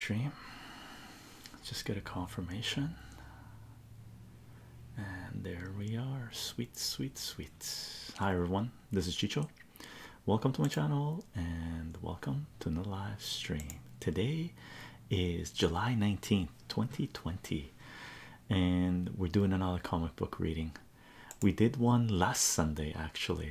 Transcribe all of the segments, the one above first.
Dream. Let's just get a confirmation. And there we are. Sweet, sweet, sweet. Hi everyone. This is Chicho. Welcome to my channel and welcome to another live stream. Today is July 19th, 2020, and we're doing another comic book reading. We did one last Sunday actually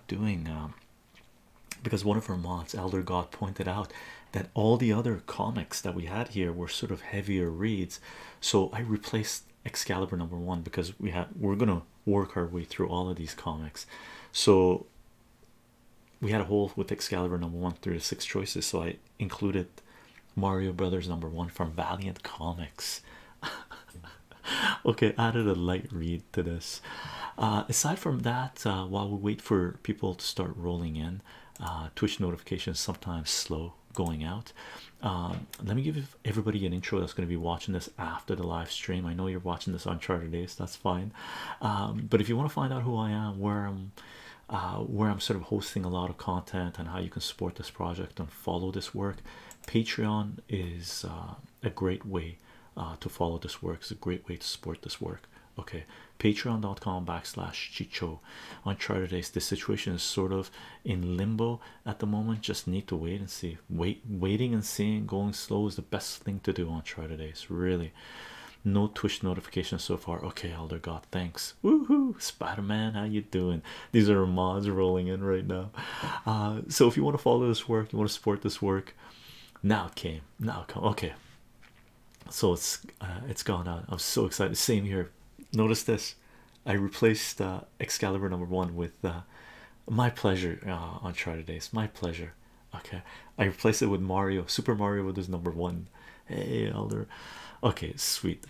doing um, because one of our mods, Elder God, pointed out that all the other comics that we had here were sort of heavier reads. So I replaced Excalibur number one because we had we're gonna work our way through all of these comics. So we had a hole with Excalibur number one through the six choices. So I included Mario Brothers number one from Valiant Comics. okay, added a light read to this. Uh, aside from that, uh, while we wait for people to start rolling in, uh, Twitch notifications sometimes slow going out. Um, let me give everybody an intro that's going to be watching this after the live stream. I know you're watching this on Charter Days, that's fine. Um, but if you want to find out who I am, where I'm, where I'm sort of hosting a lot of content, and how you can support this project and follow this work, Patreon is a great way uh, to follow this work. is a great way to support this work. Okay, patreon.com backslash chicho on charter days. The situation is sort of in limbo at the moment. Just need to wait and see. Wait, waiting and seeing, going slow is the best thing to do on charter days. Really, no Twitch notifications so far. Okay, Elder God, thanks. Woo hoo, Spider Man, how you doing? These are mods rolling in right now. Uh, so if you want to follow this work, you want to support this work. Now it came. Now come. Okay. So it's uh, it's gone out. I'm so excited. Same here. Notice this. I replaced uh, Excalibur number one with uh, my pleasure on on Charter Days. My pleasure. Okay. I replaced it with Mario. Super Mario with was number one. Hey, Elder. Okay, sweet.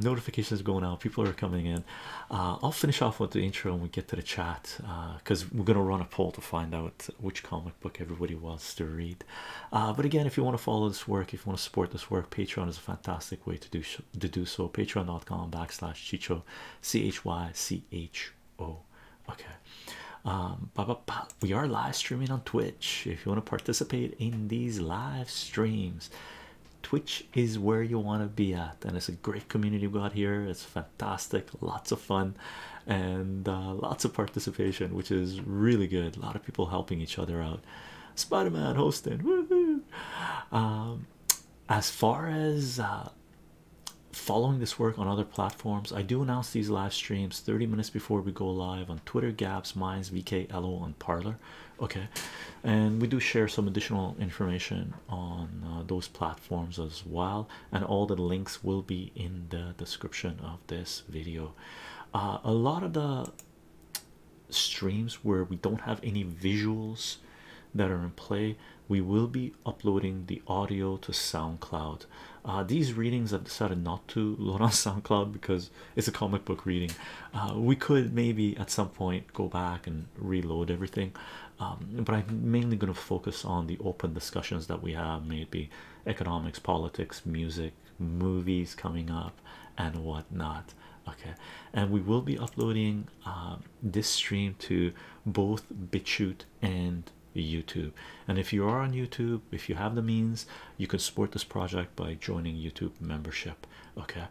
notifications going out. People are coming in. I'll finish off with the intro and we get to the chat because uh, we're going to run a poll to find out which comic book everybody wants to read. Uh, but again, if you want to follow this work, if you want to support this work, Patreon is a fantastic way to do to do so. Patreon.com backslash Chicho, C H Y C H O. Okay. Um, we are live streaming on Twitch. If you want to participate in these live streams, Twitch is where you want to be at, and it's a great community we've got here. It's fantastic, lots of fun, and uh, lots of participation, which is really good. A lot of people helping each other out. Spider Man hosting, um, as far as uh, following this work on other platforms, I do announce these live streams 30 minutes before we go live on Twitter, Gaps, Minds, VK, LO, and Parlor. Okay, and we do share some additional information on uh, those platforms as well, and all the links will be in the description of this video. Uh, a lot of the streams where we don't have any visuals that are in play, we will be uploading the audio to SoundCloud. Uh, these readings I've decided not to load on SoundCloud because it's a comic book reading. we could maybe at some point go back and reload everything, um, but I'm mainly going to focus on the open discussions that we have, maybe economics, politics, music, movies coming up, and whatnot. Okay, and we will be uploading um, this stream to both BitChute and YouTube. And if you are on YouTube, if you have the means, you can support this project by joining YouTube membership. Okay,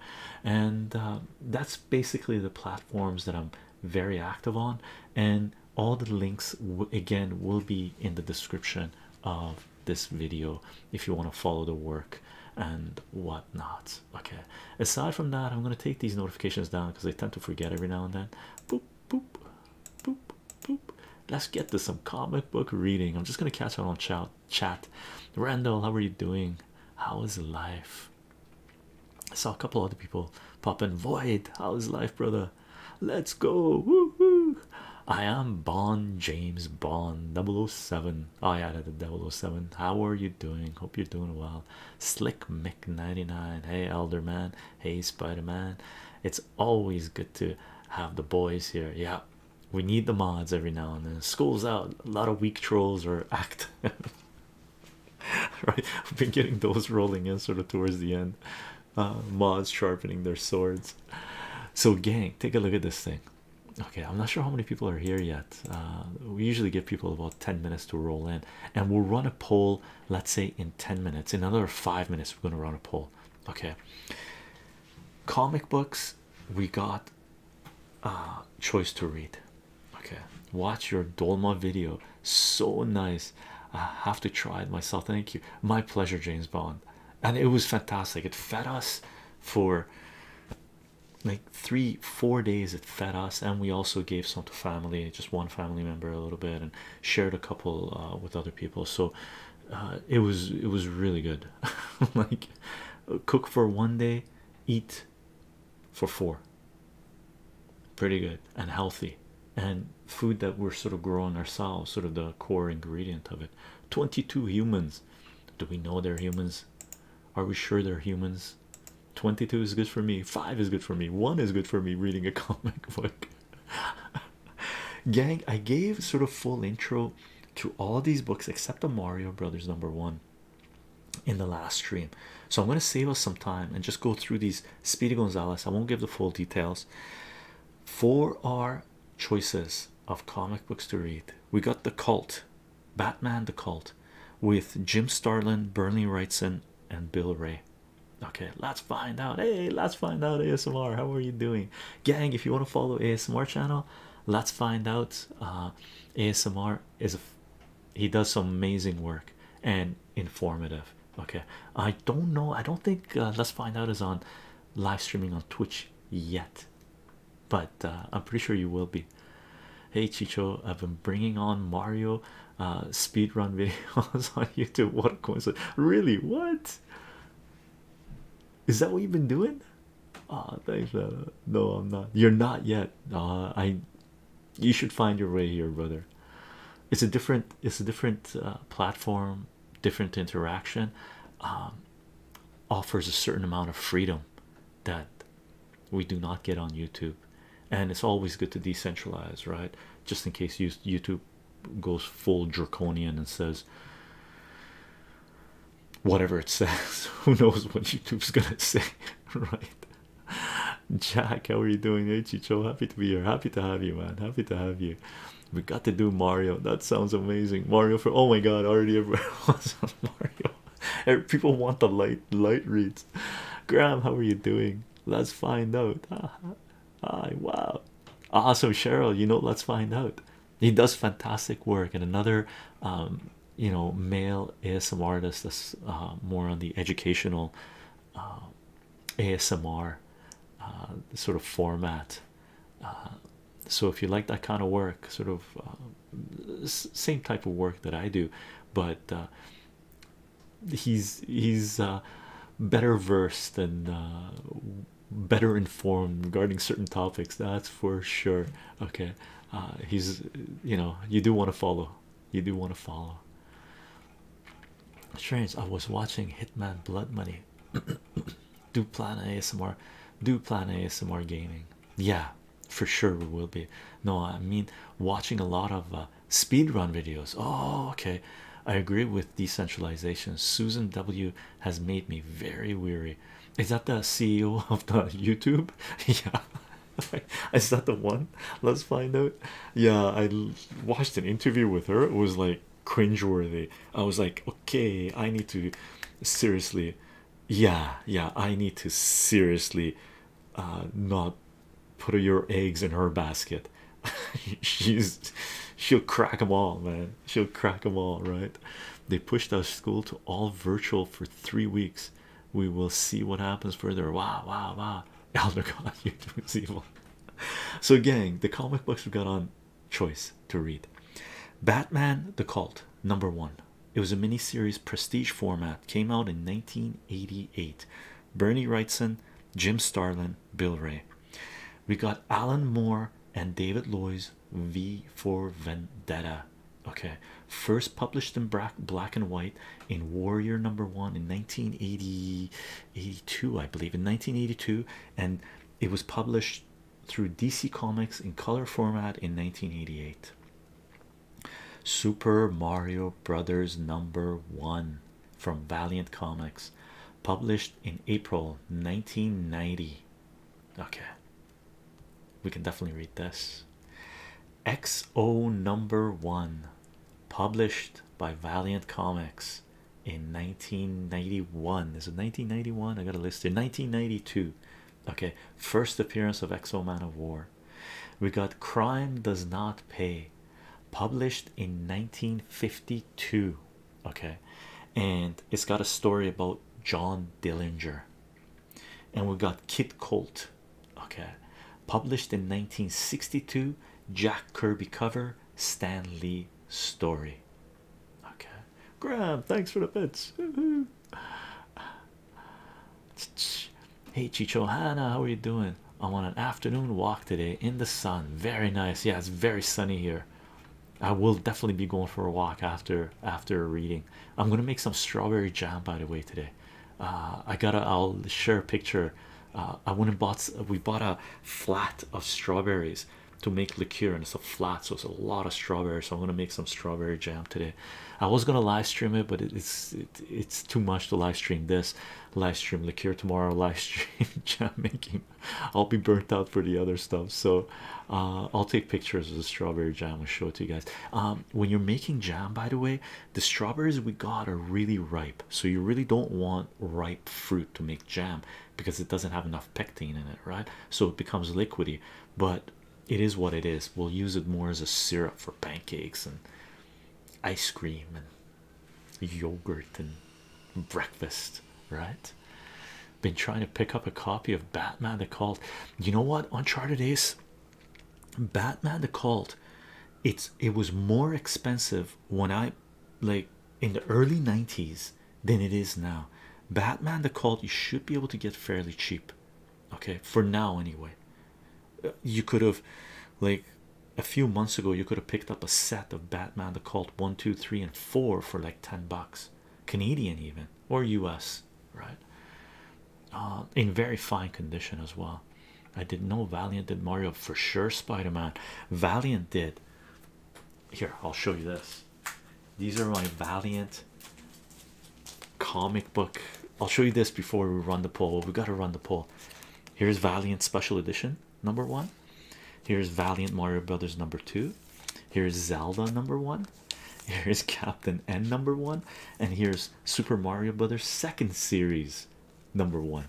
and uh, that's basically the platforms that I'm very active on, and all the links again will be in the description of this video if you want to follow the work and whatnot. Okay, aside from that, I'm going to take these notifications down because I tend to forget every now and then. Boop, boop, boop, boop. Let's get to some comic book reading. I'm just going to catch up on chat. Chat, Randall, how are you doing? How is life? I saw a couple other people pop in. Void, how's life, brother? Let's go. I am Bond James Bond 007. I added the 007. How are you doing? Hope you're doing well. Slick Mick 99. Hey, Elder Man. Hey, Spider Man. It's always good to have the boys here. Yeah, we need the mods every now and then. School's out. A lot of weak trolls are active. right i've been getting those rolling in sort of towards the end uh mods sharpening their swords so gang take a look at this thing okay i'm not sure how many people are here yet uh we usually give people about 10 minutes to roll in and we'll run a poll let's say in 10 minutes in another five minutes we're going to run a poll okay comic books we got uh choice to read Okay, watch your Dolma video. So nice. I have to try it myself. Thank you. My pleasure, James Bond. And it was fantastic. It fed us for like three, four days. It fed us, and we also gave some to family, just one family member, a little bit, and shared a couple uh, with other people. So uh, it was it was really good. like cook for one day, eat for four. Pretty good and healthy, and food that we're sort of growing ourselves, sort of the core ingredient of it. 22 humans. Do we know they're humans? Are we sure they're humans? 22 is good for me, 5 is good for me, 1 is good for me reading a comic book. Gang, I gave sort of full intro to all these books except the Mario Brothers number one in the last stream. So I'm going to save us some time and just go through these Speedy Gonzalez. I won't give the full details. For our choices of comic books to read, we got The Cult, Batman the Cult, with Jim Starlin, Bernie Wrightson, and Bill Ray. Okay, let's find out. Hey, let's find out ASMR. How are you doing, gang? If you want to follow ASMR channel, let's find out. Uh, ASMR is a he does some amazing work and informative okay i don't know i don't think uh, let's find out is on live streaming on twitch yet but uh, i'm pretty sure you will be hey chicho i've been bringing on mario uh speed run videos on youtube what a coincidence really what is that what you've been doing oh thanks no i'm not you're not yet uh i you should find your way here, brother. It's a different, it's a different uh, platform, different interaction, um, offers a certain amount of freedom that we do not get on YouTube, and it's always good to decentralize, right? Just in case YouTube goes full draconian and says whatever it says, who knows what YouTube's gonna say, right? Jack, how are you doing? It's so happy to be here. Happy to have you, man. Happy to have you. We got to do Mario. That sounds amazing. Mario for oh my god, already everywhere wants Mario. Er, people want the light light reads. Graham, how are you doing? Let's find out. Ah, hi, wow. Awesome, Cheryl. You know, let's find out. He does fantastic work, and another um, you know male ASMR artist that's uh, more on the educational um, ASMR uh, sort of format. Uh, so if you like that kind of work, sort of uh, same type of work that I do, but he's he's better versed and better informed regarding certain topics. That's for sure. Okay, he's you know you do want to follow. You do want to follow strange i was watching hitman blood money do plan asmr do plan asmr gaming yeah for sure we will be no i mean watching a lot of uh, speed run videos oh okay i agree with decentralization susan w has made me very weary is that the ceo of the youtube yeah is that the one let's find out yeah, I watched an interview with her. It was like cringe worthy. I was like, okay, I need to seriously, yeah, yeah, I need to seriously uh, not put your eggs in her basket. She's she'll crack them all, man. She'll crack them all, right? They pushed our school to all virtual for three weeks. We will see what happens further. Wow, wow, wow. Elder God, you is evil. So, gang, the comic books we got on choice to read Batman the Cult, number one. It was a mini series prestige format, came out in 1988. Bernie Wrightson, Jim Starlin, Bill Ray. We got Alan Moore and David Loy's V for Vendetta. Okay, first published in black, black and white in Warrior number one in 1980. 82 i believe in 1982 and it was published through dc comics in color format in 1988 super mario brothers number one from valiant comics published in april 1990 okay we can definitely read this xo number one published by Valiant Comics in 1991. Is it 1991? I got to list it. 1992. Okay, first appearance of Exo Man of War. We got Crime Does Not Pay, published in 1952. Okay, and it's got a story about John Dillinger, and we got Kit Colt. Okay, published in 1962 Jack Kirby cover Stan Lee story okay Graham thanks for the bits hey Chicho Hannah how are you doing I'm on an afternoon walk today in the sun very nice yeah it's very sunny here I will definitely be going for a walk after after reading I'm gonna make some strawberry jam by the way today uh, I gotta I'll share a picture uh, I went and bought we bought a flat of strawberries to make liqueur, and it's a flat, so it's a lot of strawberries. So I'm gonna make some strawberry jam today. I was gonna live stream it, but it's it's too much to live stream this. Live stream liqueur tomorrow. Live stream jam making. I'll be burnt out for the other stuff. So uh, I'll take pictures of the strawberry jam and show it to you guys. Um, when you're making jam, by the way, the strawberries we got are really ripe so you really don't want ripe fruit to make jam because it doesn't have enough pectin in it right so it becomes liquidy but it is what it is we'll use it more as a syrup for pancakes and ice cream and yogurt and breakfast right been trying to pick up a copy of batman the cult you know what uncharted is batman the cult it's it was more expensive when i like in the early 90s than it is now. Batman the Cult, you should be able to get fairly cheap, okay? For now, anyway. Uh, you could have, like, a few months ago, you could have picked up a set of Batman the Cult 1, 2, 3, and 4 for like 10 bucks, Canadian, even, or US, right? Uh, in very fine condition as well. I didn't know Valiant did Mario for sure. Spider Man, Valiant did. Here, I'll show you this. These are my Valiant comic book. I'll show you this before we run the poll. We got to run the poll. Here's Valiant Special Edition number one. Here's Valiant Mario Brothers number two. Here's Zelda number one. Here's Captain N number one, and here's Super Mario Brothers second series number one.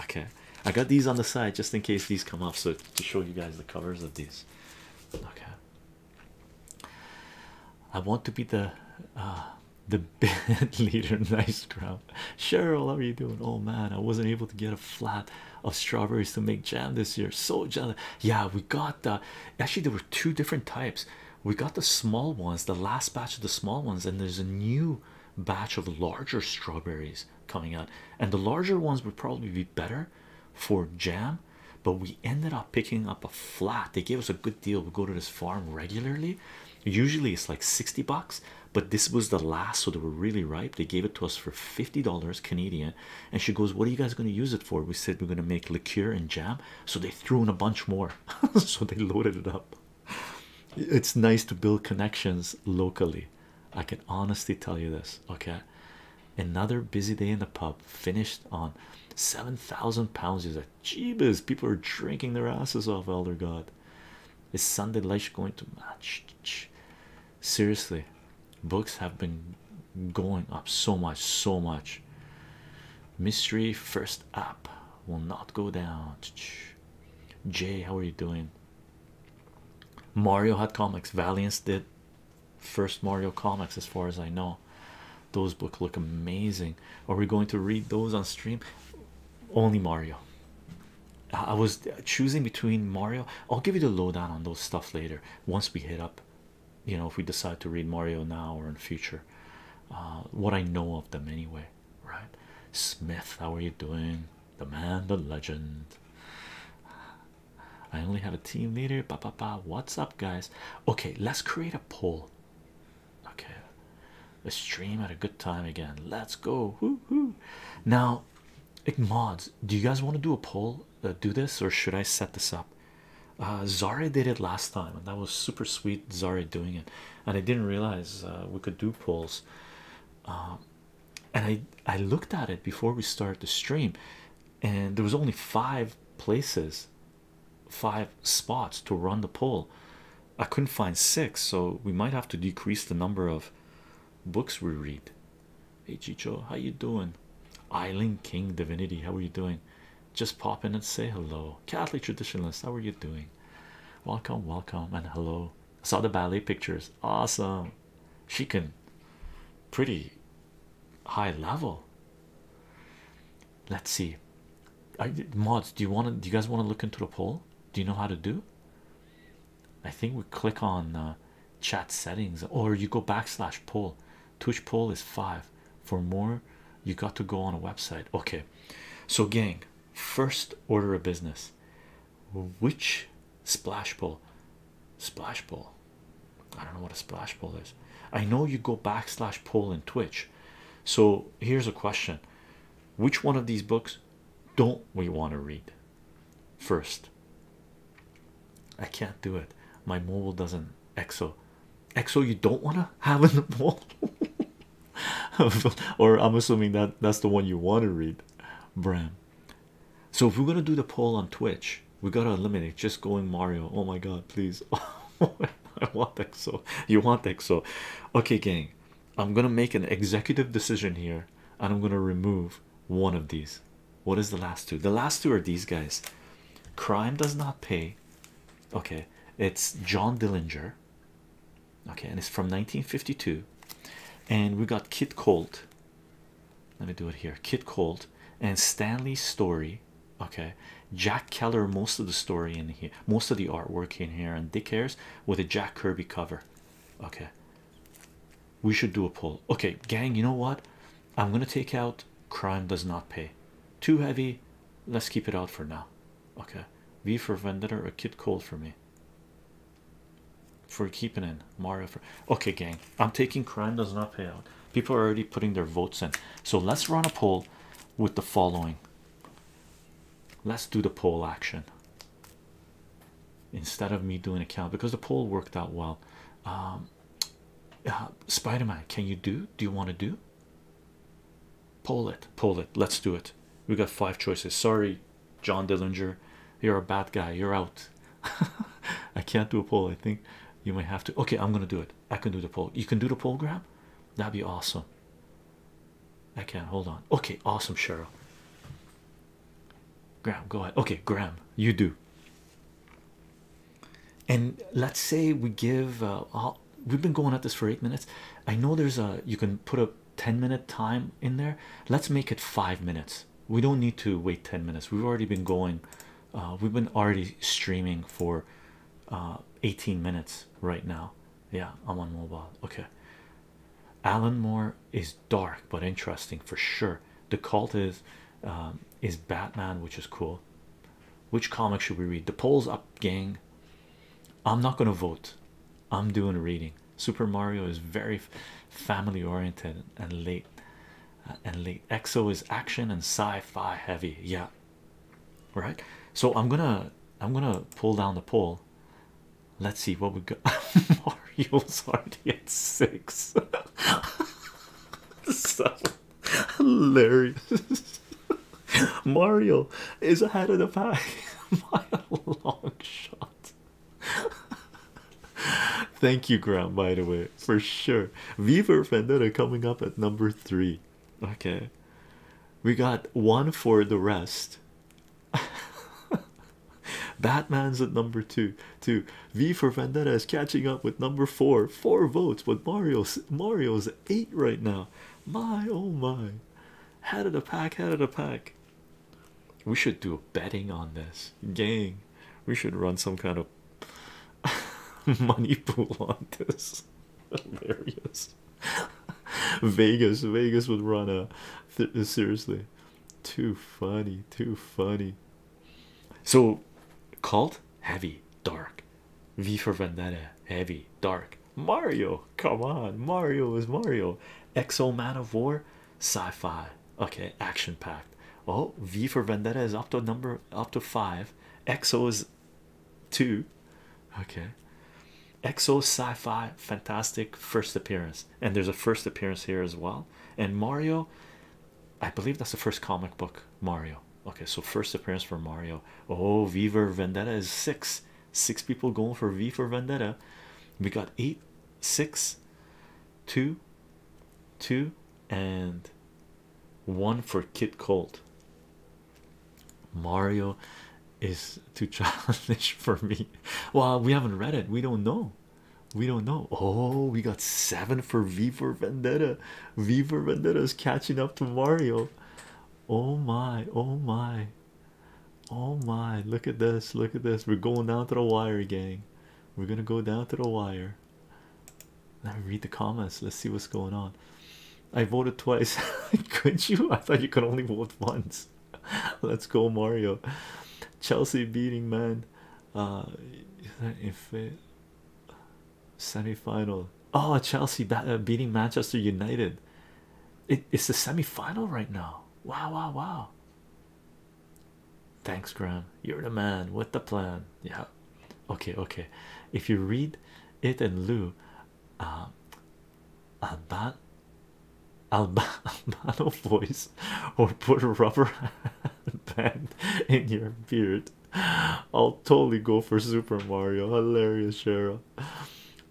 Okay, I got these on the side just in case these come off. so to show you guys the covers of these. Okay, I want to be the uh, the band leader. Nice crowd, Cheryl. How are you doing? Oh man, I wasn't able to get a flat of strawberries to make jam this year. So jealous. Yeah, we got the actually, there were two different types. We got the small ones, the last batch of the small ones, and there's a new batch of larger strawberries coming out, and the larger ones would probably be better for jam. But we ended up picking up a flat, they gave us a good deal. We go to this farm regularly, usually it's like 60 bucks, but this was the last, so they were really ripe. They gave it to us for $50 Canadian. And she goes, What are you guys going to use it for? We said, We're going to make liqueur and jam. So they threw in a bunch more, so they loaded it up it's nice to build connections locally. I can honestly tell you this. Okay, another busy day in the pub finished on seven thousand pounds. Is a jeebus, people are drinking their asses off. Elder God, is Sunday life going to match? Seriously, books have been going up so much, so much. Mystery first app will not go down. Jay, how are you doing? Mario had comics. Valiance did first Mario comics, as far as I know. Those books look amazing. Are we going to read those on stream? Only Mario. I was choosing between Mario. I'll give you the lowdown on those stuff later once we hit up. You know, if we decide to read Mario now or in future, uh, what I know of them anyway, right? Smith, how are you doing? the man, the legend. I only have a team leader. Ba ba ba. What's up, guys? Okay, let's create a poll. Okay, let's stream at a good time again. Let's go. Now, mods, do you guys want to do a poll? Uh, do this, or should I set this up? Uh, Zara did it last time, and that was super sweet. Zara doing it, and I didn't realize uh, we could do polls. Um, and I I looked at it before we started the stream, and there was only five places, five spots to run the poll. I couldn't find six, so we might have to decrease the number of books we read. Hey Chicho, how you doing? Island King Divinity, how are you doing? Just pop in and say hello. Catholic traditionalist, how are you doing? Welcome, welcome, and hello. Saw the ballet pictures. Awesome. She can pretty high level. Let's see. mods. Do you want to? Do you guys want to look into the poll? Do you know how to do? I think we click on uh, chat settings, or you go backslash poll. Twitch poll is five. For more, you got to go on a website. Okay, so gang, first order of business which splash pool splash pool i don't know what a splash pool is i know you go backslash poll in twitch so here's a question which one of these books don't we want to read first i can't do it my mobile doesn't exo exo you don't want to have in the mobile or i'm assuming that that's the one you want to read Bram. So if we're gonna do the poll on Twitch, we gotta eliminate just going Mario. Oh my god, please. I want XO. You want XO. Okay, gang. I'm gonna make an executive decision here and I'm gonna remove one of these. What is the last two? The last two are these guys. Crime does not pay. Okay, it's John Dillinger okay and it's from 1952 and we got Kit Colt let me do it here Kit Colt and Stanley Story okay Jack Keller most of the story in here most of the artwork in here and Dick Hairs with a Jack Kirby cover okay we should do a pull. okay gang you know what I'm gonna take out crime does not pay too heavy let's keep it out for now okay V for Vendetta or Kit Colt for me for keeping in Mario. okay, gang, I'm taking crime does not pay out. People are already putting their votes in, so let's run a poll with the following. Let's do the poll action instead of me doing a count because the poll worked out well. Um, uh, Spider-Man, can you do? Do you want to do? Poll it, poll it. Let's do it. We got five choices. Sorry, John Dillinger, you're a bad guy, you're out. I can't do a poll. I think you might have to. Okay, I'm gonna do it. I can do the poll. You can do the poll Graham. that'd be awesome. I can't hold on. Okay, awesome, Cheryl. Graham, go ahead. Okay, Graham, you do. And let's say we give uh, we've been going at this for eight minutes. I know there's a you can put a 10 minute time in there let's make it five minutes we don't need to wait 10 minutes we've already been going uh, we've been already streaming for uh, 18 minutes right now yeah i'm on mobile okay alan moore is dark but interesting for sure the cult is um, is batman which is cool which comic should we read the polls up gang i'm not gonna vote I'm doing reading. Super Mario is very family oriented and late uh, and late. Exo is action and sci-fi heavy. Yeah. Right. So I'm gonna I'm gonna pull down the poll. Let's see what we got. Mario's already at six. so hilarious. Mario is ahead of the pack by a long shot. Thank you, Graham, by the way, for sure. V for Vendetta coming up at number three. Okay, we got one for the rest. Batman's at number two. Two V for Vendetta is catching up with number four. Four votes, but Mario's Mario's at eight right now. My oh my, head of the pack, head of the pack. We should do a betting on this, gang. We should run some kind of money pool on this. Hilarious. Vegas, Vegas would run a seriously. Too funny, too funny. So, cult heavy, dark. V for Vendetta, heavy, dark. Mario, come on, Mario is Mario. Exo Man of War, sci-fi okay action packed oh v for vendetta is up to number up to five xo is two okay xo sci-fi fantastic first appearance and there's a first appearance here as well and mario i believe that's the first comic book mario okay so first appearance for mario oh v for vendetta is six six people going for v for vendetta we got eight six, two, two, and one for Kid Cold. Mario is too childish for me. Well, we haven't read it, we don't know. We don't know. Oh, we got seven for V for Vendetta. V for Vendetta is catching up to Mario. Oh my, oh my. Oh my, look at this, look at this. We're going down to the wire, gang. We're gonna go down to the wire. Let me read the comments. Let's see what's going on. I voted twice. could you? I thought you could only vote once. Let's go, Mario. Chelsea beating man. Uh, if it semi final. Oh, Chelsea uh, beating Manchester United. it's the semi final right now. Wow, wow, wow. Thanks, Graham. You're the man with the plan. Yeah. Okay, okay. If you read it in lieu, um, Alban a Albano voice or put a rubber band in your beard. I'll totally go for Super Mario. Hilarious, Cheryl.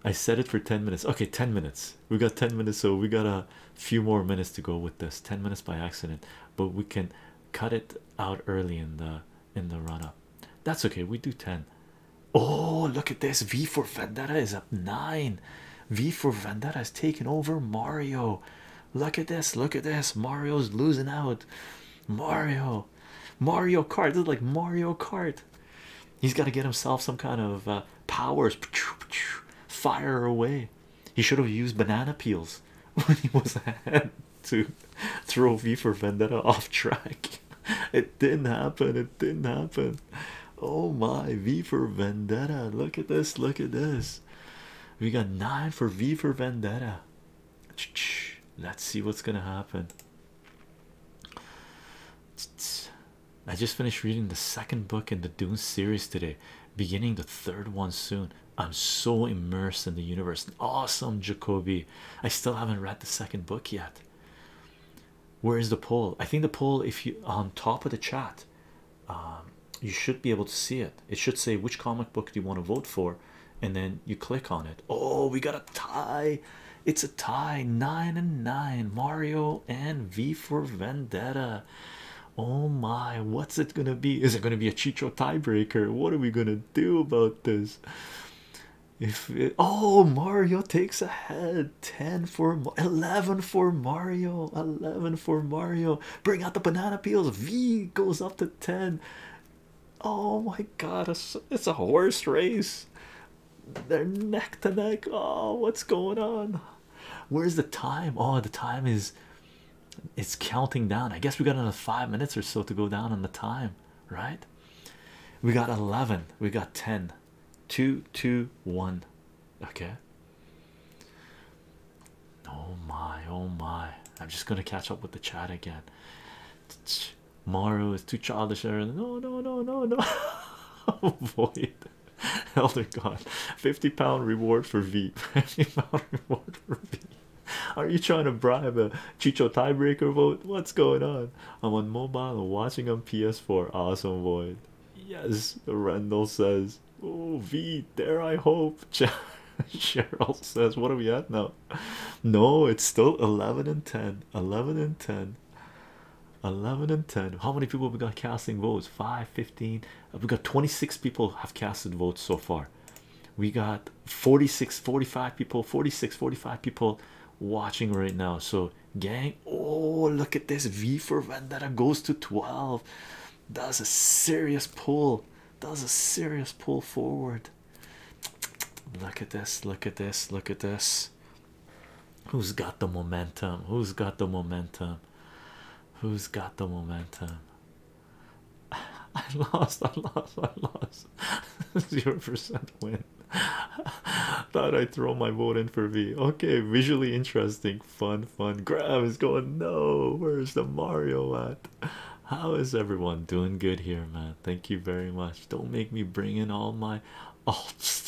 I said it for 10 minutes. Okay, 10 minutes we got 10 minutes so we got a few more minutes to go with this 10 minutes by accident but we can cut it out early in the in the run-up that's okay we do 10 oh look at this v for vendetta is up nine v for vendetta has taken over mario look at this look at this mario's losing out mario mario kart this is like mario kart he's got to get himself some kind of uh, powers fire away he should have used banana peels when he was ahead to throw V for Vendetta off track. It didn't happen. It didn't happen. Oh my V for Vendetta. Look at this. Look at this. We got nine for V for Vendetta. Let's see what's gonna happen. I just finished reading the second book in the Dune series today, beginning the third one soon. I'm so immersed in the universe. Awesome, Jacoby. I still haven't read the second book yet. Where is the poll? I think the poll, if you on top of the chat, um, you should be able to see it. It should say which comic book do you want to vote for, and then you click on it. Oh, we got a tie. It's a tie nine and nine. Mario and V for Vendetta. Oh my, what's it gonna be? Is it gonna be a Chicho tiebreaker? What are we gonna do about this? If it, oh, Mario takes ahead 10 for 11 for Mario, 11 for Mario, bring out the banana peels. V goes up to 10. Oh my god, it's, it's a horse race. They're neck to neck. Oh, what's going on? Where's the time? Oh, the time is it's counting down. I guess we got another five minutes or so to go down on the time, right? We got 11, we got 10, 2, 2, 1. Okay. Oh my, oh my. I'm just gonna catch up with the chat again. Mario is too childish. No, no, no, no, no. Avoid. Elder God, 50 pound reward for V. 50 pound reward for V. Are you trying to bribe a Chicho tiebreaker vote? What's going on? I'm on mobile watching on PS4. Awesome, Void. Yes, Randall says. Oh, V, there I hope. Cheryl says, What are we at now? No, it's still 11 and 10. 11 and 10. 11 and 10. How many people we got casting votes? 5, 15, uh, we got 26 people have casted votes so far we got 46 45 people 46 45 people watching right now so gang oh look at this v for vendetta goes to 12 that's a serious pull that's a serious pull forward look at this look at this look at this who's got the momentum who's got the momentum Who's got the momentum? I lost, I lost, I lost. Zero percent win. Thought I'd throw my vote in for V. Okay, visually interesting, fun, fun. Grab is going, no, where's the Mario at? How is everyone doing good here, man? Thank you very much. Don't make me bring in all my alt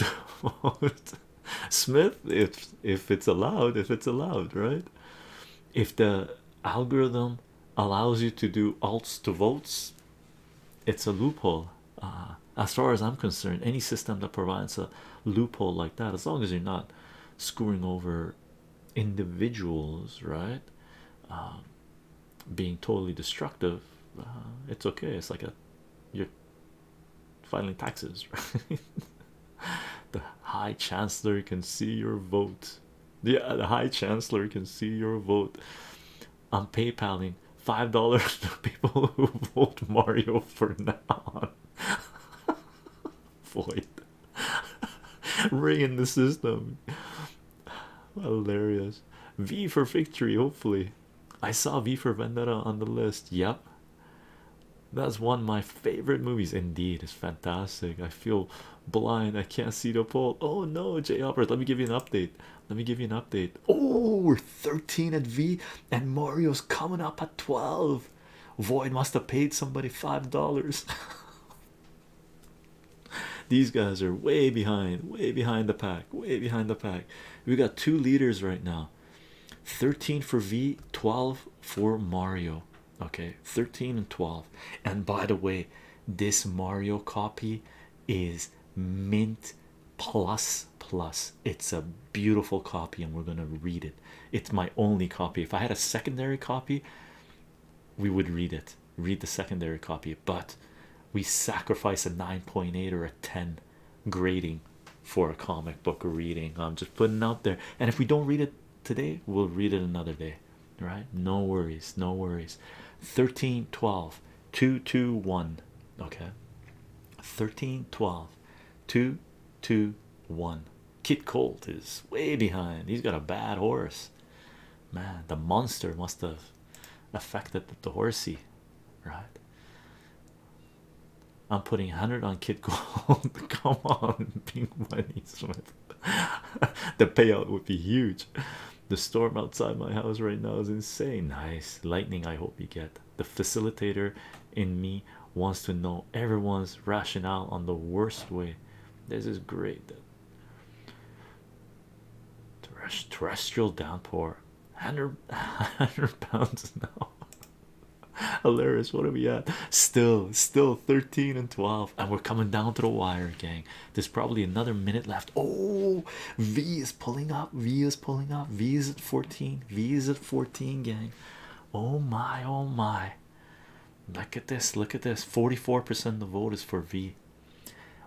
Smith, if if it's allowed, if it's allowed, right? If the algorithm allows you to do alt to votes, it's a loophole. Uh, as far as I'm concerned, any system that provides a loophole like that, as long as you're not screwing over individuals, right? Um, being totally destructive, uh, it's okay. It's like a you're finally taxes the high chancellor can see your vote yeah uh, the high chancellor can see your vote i'm paypaling five dollars to people who vote mario for now void ring the system hilarious v for victory hopefully i saw v for vendetta on the list yep that's one of my favorite movies. Indeed, it's fantastic. I feel blind. I can't see the pole. Oh no, Jay Albert. Let me give you an update. Let me give you an update. Oh, we're 13 at V, and Mario's coming up at 12. Void must have paid somebody five dollars. These guys are way behind, way behind the pack, way behind the pack. We got two leaders right now. 13 for V, 12 for Mario. Okay, 13 and 12. And by the way, this Mario copy is mint plus plus. It's a beautiful copy, and we're gonna read it. It's my only copy. If I had a secondary copy, we would read it, read the secondary copy, but we sacrifice a 9.8 or a 10 grading for a comic book reading. I'm just putting out there, and if we don't read it today, we'll read it another day, right? No worries, no worries. 13 12 2 2 1. Okay, 13 12 2 2 1. Kid Colt is way behind, he's got a bad horse. Man, the monster must have affected the horsey, right? I'm putting 100 on Kid Gold. Come on, Pink Money Smith. the payout would be huge. The storm outside my house right now is insane. Nice lightning. I hope you get the facilitator in me wants to know everyone's rationale on the worst way. This is great. Terrestrial downpour, 100, 100 pounds now. Hilarious. What are we at? Still, still 13 and 12, and we're coming down to the wire, gang. There's probably another minute left. Oh, V is pulling up. V is pulling up. V is at 14. V is at 14, gang. Oh my, oh my. Look at this. Look at this. 44% of the vote is for V.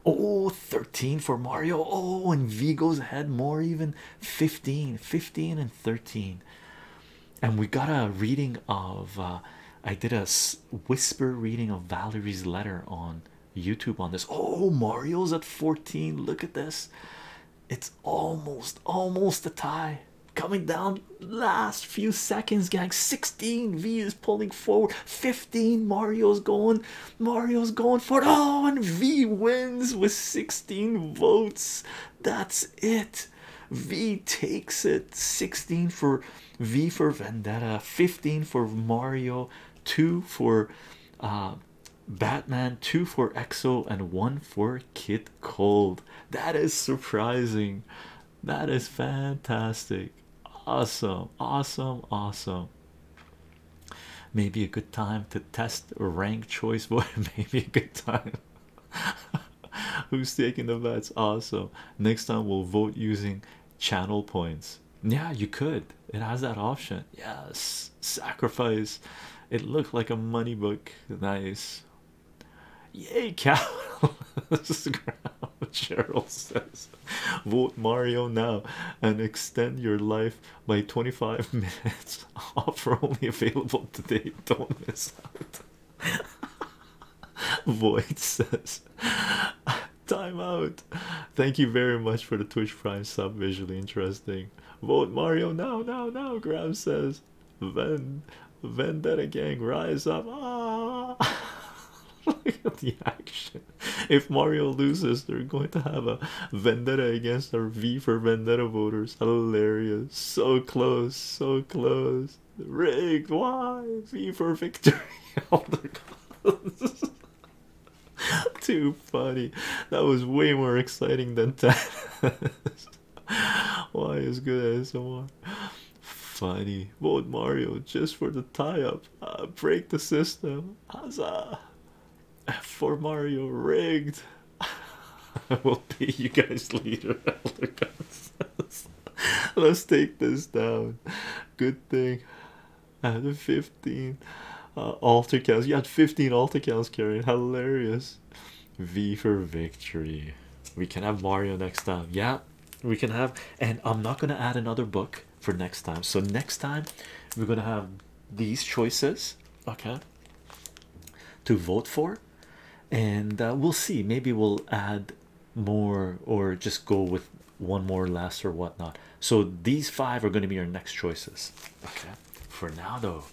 Oh, 13 for Mario. Oh, and V goes ahead more even 15, 15 and 13 and we got a reading of uh, I did a whisper reading of Valerie's letter on YouTube on this. Oh, Mario's at 14. Look at this. It's almost almost a tie coming down last few seconds, gang. 16 V is pulling forward. 15 Mario's going. Mario's going for it. Oh, and V wins with 16 votes. That's it. V takes it 16 for V for Vendetta, 15 for Mario, 2 for uh, Batman, 2 for Exo, and 1 for Kit Cold. That is surprising. That is fantastic. Awesome, awesome, awesome. Maybe a good time to test rank choice Boy, Maybe a good time. Who's taking the bets? Awesome. Next time we'll vote using channel points. Yeah, you could. It has that option. Yes. Sacrifice. It looked like a money book. Nice. Yay, cow. Cheryl says, "Vote Mario now and extend your life by 25 minutes. Offer only available today. Don't miss out." Void says, Time out. Thank you very much for the Twitch Prime sub. Visually interesting. Vote Mario now, now, now. Graham says, Ven Vendetta Gang, rise up. Ah. Look at the action. If Mario loses, they're going to have a vendetta against our V for Vendetta voters. Hilarious so close, so close. Rigged, why? V for victory. All the Too funny. That was way more exciting than that. why is good as ASMR? Funny. Vote Mario just for the tie-up. Uh, break the system. Huzzah! For Mario rigged. I will pay you guys later. Let's take this down. Good thing I had 15 uh, cows. You had 15 alter cows carrying. Hilarious. V for victory. We can have Mario next time. Yeah, we can have. And I'm not going to add another book for next time. So, next time we're going to have these choices. Okay. To vote for, and uh, we'll see. Maybe we'll add more or just go with one more less or whatnot. So these five are going to be our next choices. Okay, for now though,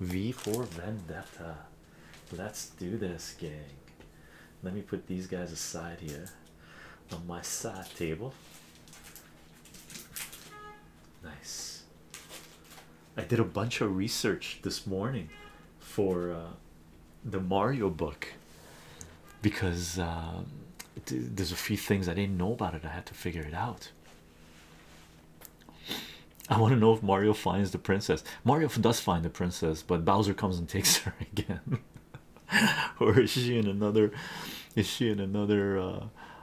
V for Vendetta. Let's do this, gang. Let me put these guys aside here on my side table. Nice. I did a bunch of research this morning for uh, the Mario book because um, there's a few things I didn't know about it. I had to figure it out. I want to know if Mario finds the princess. Mario does find the princess, but Bowser comes and takes her again. or is she in another? Is she in another uh,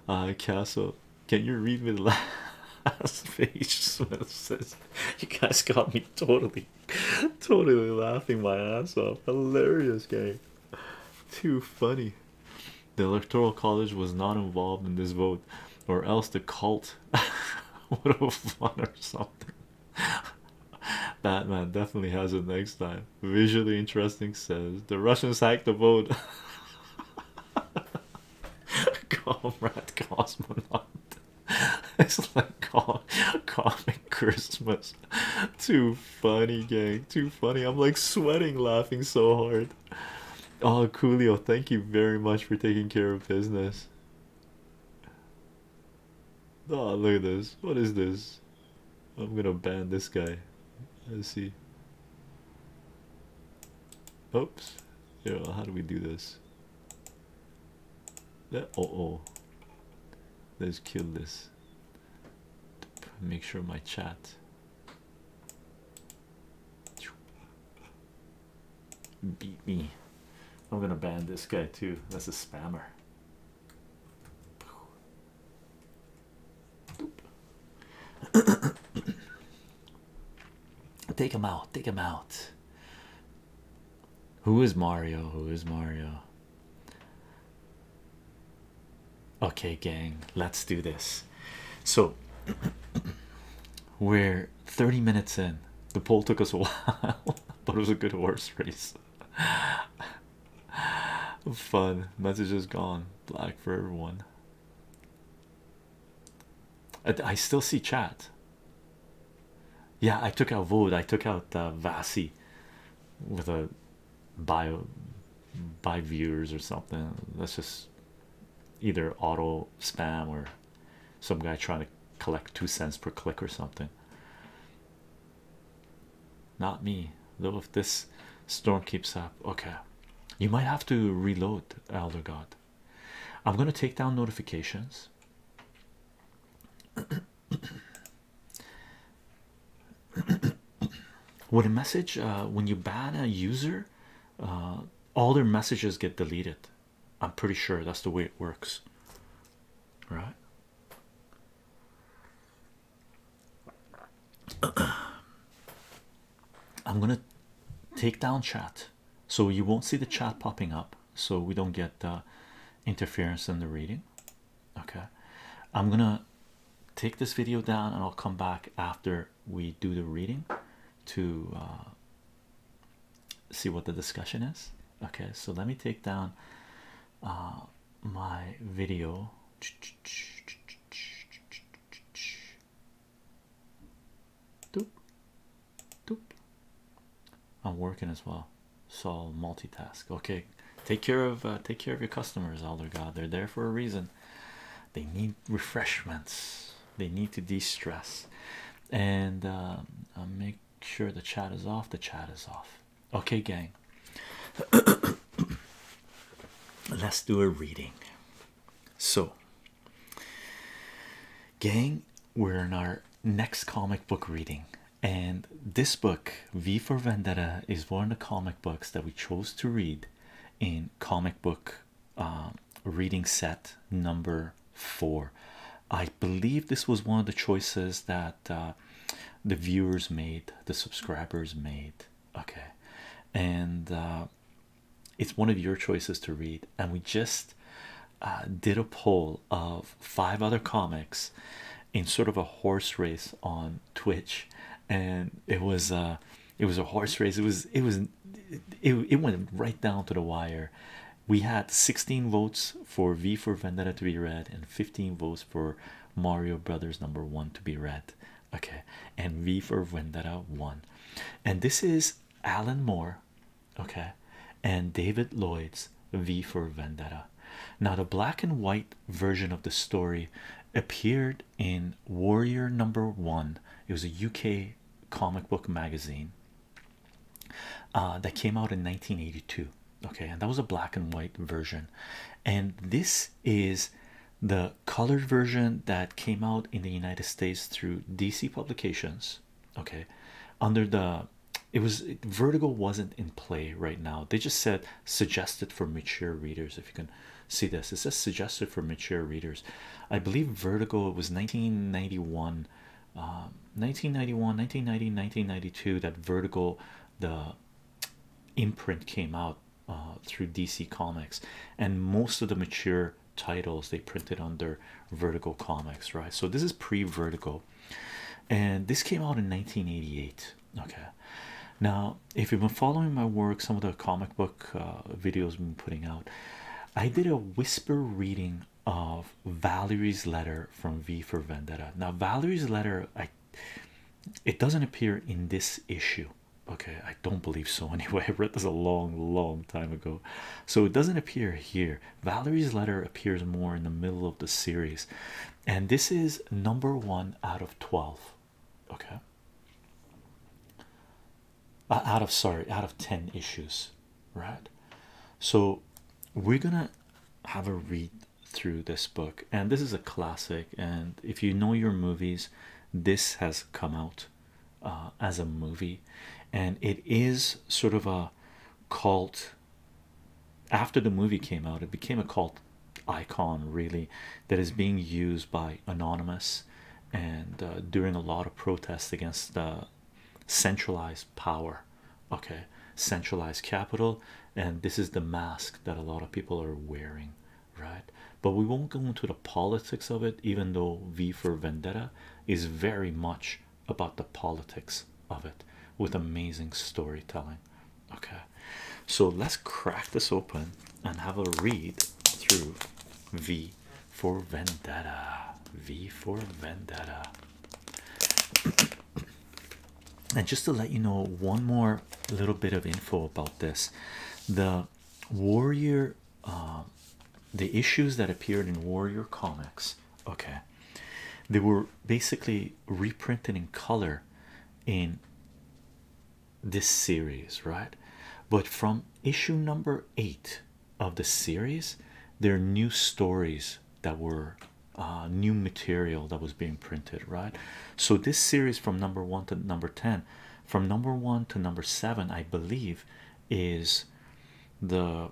uh, castle? Can you read me the last page? you guys got me totally, totally laughing my ass off. Hilarious game. Too funny. The Electoral College was not involved in this vote, or else the cult would have won or something. Batman definitely has it next time. Visually interesting says the Russians hacked the vote. Comrade Cosmonaut. it's like call comic Christmas. Too funny, gang. Too funny. I'm like sweating laughing so hard. Oh, Coolio, thank you very much for taking care of business. Oh, look at this. What is this? I'm gonna ban this guy. Let's see. Oops. Yo, how do we do this? Oh oh, let's kill this. Make sure my chat. Beat me. I'm gonna ban this guy too. That's a spammer. Take him out, take him out. Who is Mario? Who is Mario? Okay, gang, let's do this. So, we're 30 minutes in. The poll took us a while, but it was a good horse race. Fun message is gone. Black for everyone. I, I still see chat. Yeah, I took out Void. I took out uh, Vasi with a bio by viewers or something. That's just either auto spam or some guy trying to collect two cents per click or something. Not me, though. If this storm keeps up, okay, you might have to reload, Elder God. I'm going to take down notifications. Would a message uh, when you ban a user, uh, all their messages get deleted? I'm pretty sure that's the way it works, right? I'm gonna take down chat so you won't see the chat popping up so we don't get uh, interference in the reading okay i'm gonna take this video down and i'll come back after we do the reading to uh, see what the discussion is okay so let me take down uh, my video doop, doop. I'm working as well, so multitask. Okay, take care of uh, take care of your customers, Elder God. They're there for a reason. They need refreshments. They need to de-stress, and um, make sure the chat is off. The chat is off. Okay, gang. Let's do a reading. So, gang, we're in our next comic book reading, and this book, V for Vendetta, is one of the comic books that we chose to read in comic book um, reading set number four. I believe this was one of the choices that uh, the viewers made, the subscribers made. Okay, and uh, it's one of your choices to read, and we just uh, did a poll of five other comics in sort of a horse race on Twitch, and it was uh, it was a horse race. It was it was it went right down to the wire. We had 16 votes for V for Vendetta to be read and 15 votes for Mario Brothers number one to be read. Okay, and V for Vendetta won, and this is Alan Moore okay, and David Lloyd's V for Vendetta. Now, the black and white version of the story appeared in Warrior Number One, it was a UK comic book magazine uh, that came out in 1982. Okay, and that was a black and white version, and this is the colored version that came out in the United States through DC publications. Okay, under the it was Vertigo wasn't in play right now. They just said suggested for mature readers. If you can see this, it says suggested for mature readers. I believe Vertigo was 1991, 1991, um, 1990, 1992 that Vertigo, the imprint came out uh, through DC Comics, and most of the mature titles they printed under Vertigo Comics, right? So this is pre-Vertigo and this came out in 1988 okay now if you've been following my work some of the comic book uh, videos been putting out i did a whisper reading of valerie's letter from v for vendetta now valerie's letter i it doesn't appear in this issue okay i don't believe so anyway i read this a long long time ago so it doesn't appear here Valerie's letter appears more in the middle of the series, and this is number one out of 12. Okay, uh, out of sorry, out of 10 issues, right? So, we're gonna have a read through this book, and this is a classic. And if you know your movies, this has come out uh, as a movie, and it is sort of a cult after the movie came out it became a cult icon really that is being used by anonymous and uh, during a lot of protests against centralized power okay centralized capital and this is the mask that a lot of people are wearing right but we won't go into the politics of it even though v for vendetta is very much about the politics of it with amazing storytelling. Okay, so let's crack this open and have a read through V for Vendetta. V for Vendetta. and just to let you know, one more little bit of info about this the Warrior, uh, the issues that appeared in Warrior Comics okay they were basically reprinted in color in this series right but from issue number eight of the series there are new stories that were uh, new material that was being printed right so this series from number one to number 10 from number one to number seven i believe is the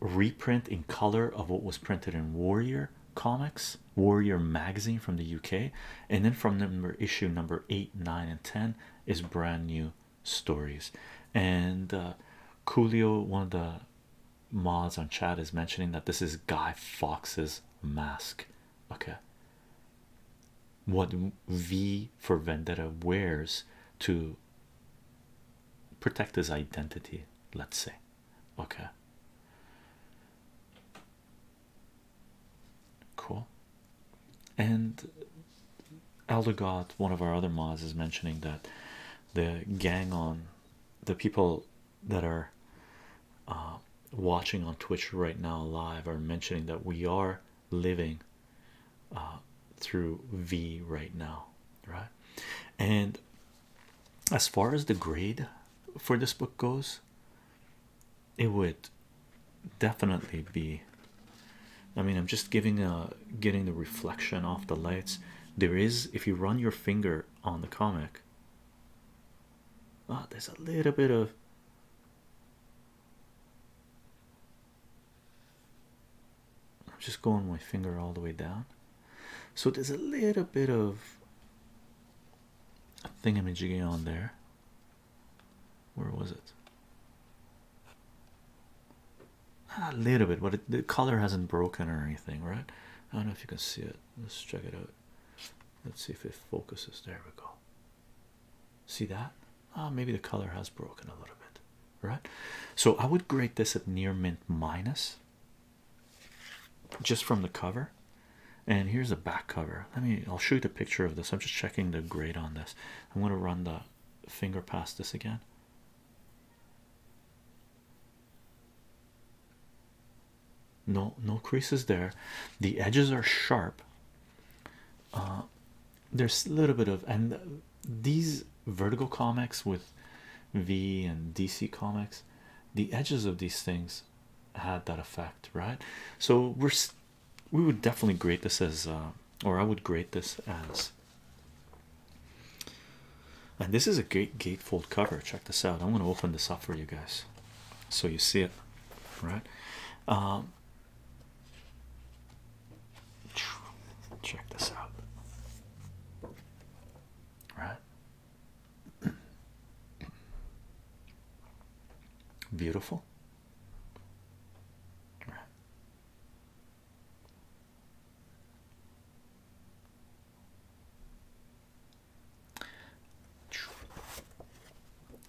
reprint in color of what was printed in Warrior Comics, Warrior Magazine from the UK, and then from number issue number eight, nine, and ten is brand new stories. And Julio, uh, one of the mods on chat, is mentioning that this is Guy Fox's mask. Okay, what V for Vendetta wears to protect his identity, let's say. Okay, cool. And Elder God, one of our other mods, is mentioning that the gang on the people that are uh, watching on Twitch right now live are mentioning that we are living uh, through V right now, right? And as far as the grade for this book goes, it would definitely be. I mean, I'm just giving a getting the reflection off the lights. There is, if you run your finger on the comic, ah, there's a little bit of I'm just going my finger all the way down. So there's a little bit of a thingamajiggy on there. Where was it? Ah, a little bit, but the color hasn't broken or anything, right? I don't know if you can see it. Let's check it out. Let's see if it focuses. There we go. See that? Ah, maybe the color has broken a little bit right? So I would grade this at near mint minus just from the cover. And here's the back cover. Let me I'll show you the picture of this. I'm just checking the grade on this. I'm gonna run the finger past this again. No, no creases there. The edges are sharp. Uh, there's a little bit of and these vertical comics with V and DC comics, the edges of these things had that effect, right? So we're we would definitely grade this as, uh, or I would grade this as. And this is a gate gatefold cover. Check this out. I'm going to open this up for you guys, so you see it, right? Um, Check this out. Right? Beautiful.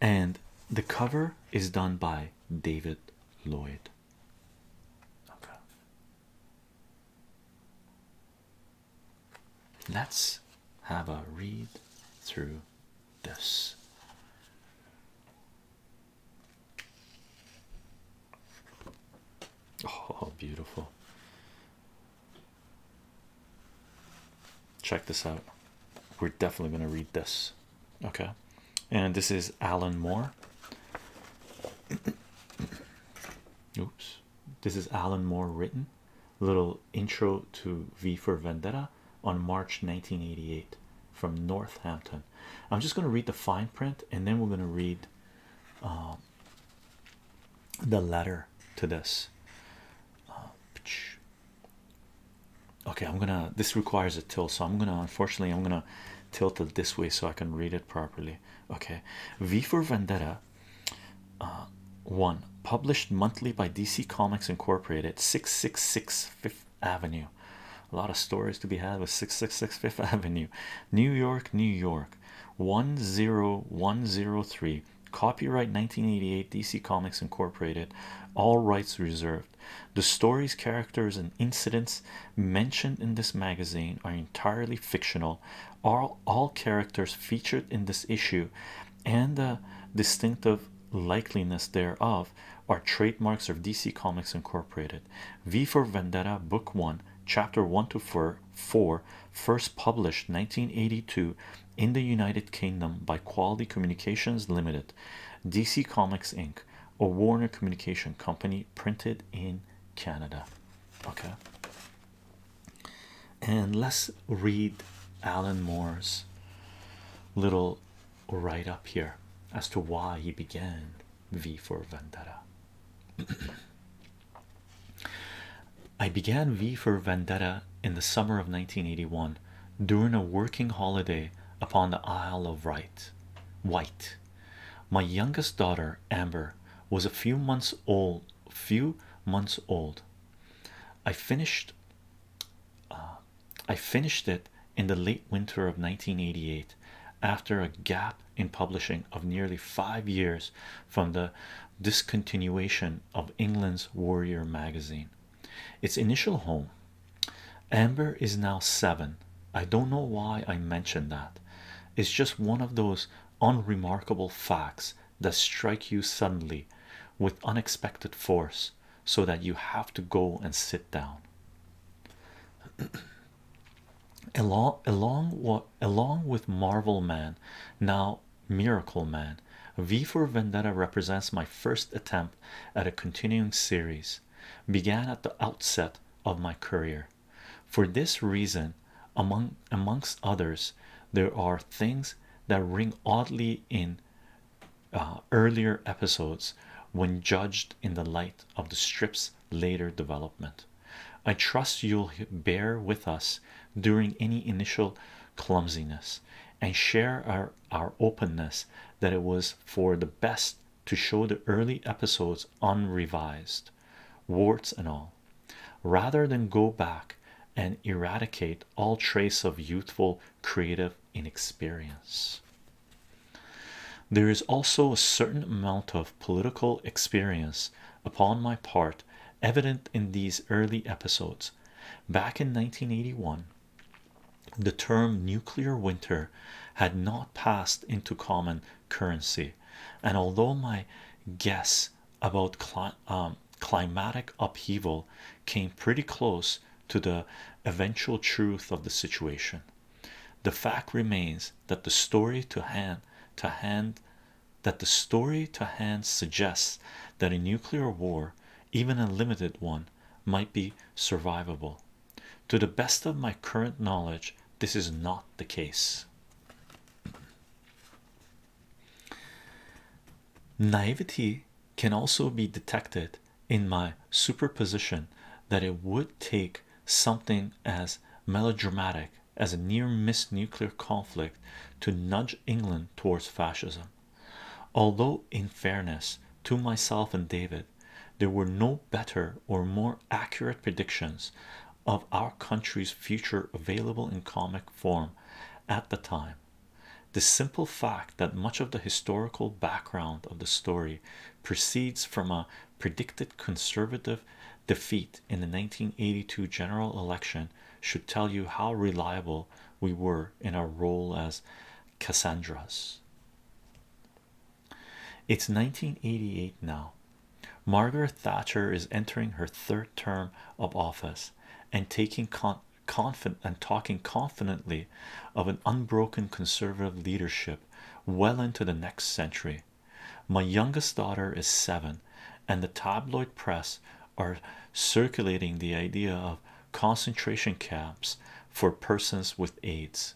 And the cover is done by David Lloyd. Okay. Let's have a read through this. Oh, beautiful. Check this out. We're definitely going to read this. Okay. And this is Alan Moore. Oops, this is Alan Moore written little intro to V for Vendetta on March 1988 from Northampton. I'm just going to read the fine print and then we're going to read um, the letter to this. Uh, okay, I'm gonna this requires a tilt, so I'm gonna unfortunately I'm gonna tilt it this way so I can read it properly. Okay, V for Vendetta uh, one published monthly by DC Comics Incorporated, 666 Fifth Avenue. A lot of stories to be had with 666 Fifth Avenue, New York, New York 10103. Copyright 1988 DC Comics Incorporated, all rights reserved. The stories, characters, and incidents mentioned in this magazine are entirely fictional. All, all characters featured in this issue and the distinctive likeliness thereof are trademarks of DC Comics Incorporated. V for Vendetta, Book 1, Chapter 1 to 4, 4 first published 1982 in the United Kingdom by Quality Communications Limited, DC Comics Inc., a Warner Communication Company printed in Canada. Okay, and let's read Alan Moore's little write up here as to why he began V for Vendetta. I began V for Vendetta in the summer of 1981 during a working holiday upon the Isle of Wight. White my youngest daughter, Amber, was a few months old. Few months old. I finished. Uh, I finished it in the late winter of 1988, after a gap in publishing of nearly five years from the discontinuation of England's Warrior magazine. Its initial home. Amber is now seven. I don't know why I mentioned that. It's just one of those unremarkable facts that strike you suddenly with unexpected force so that you have to go and sit down along along along with marvel man now miracle man v for vendetta represents my first attempt at a continuing series began at the outset of my career for this reason, among amongst others, there are things that ring oddly in uh, earlier episodes when judged in the light of the strip's later development. I trust you'll bear with us during any initial clumsiness and share our, our openness that it was for the best to show the early episodes unrevised, warts and all rather than go back and eradicate all trace of youthful creative inexperience. There is also a certain amount of political experience upon my part evident in these early episodes. Back in 1981, the term nuclear winter had not passed into common currency, and although my guess about um, climatic upheaval came pretty close to the eventual truth of the situation, the fact remains that the story to hand to hand that the story to hand suggests that a nuclear war, even a limited one, might be survivable. To the best of my current knowledge, this is not the case. Naivety can also be detected in my superposition that it would take something as melodramatic as a near miss nuclear conflict to nudge England towards fascism. Although, in fairness to myself and David, there were no better or more accurate predictions of our country's future available in comic form at the time. The simple fact that much of the historical background of the story precedes from a predicted conservative defeat in the 1982 general election should tell you how reliable we were in our role as Cassandras. It's 1988 now, Margaret Thatcher is entering her third term of office and taking confident and talking confidently of an unbroken conservative leadership well into the next century. My youngest daughter is seven, and the tabloid press are circulating the idea of concentration camps for persons with AIDS.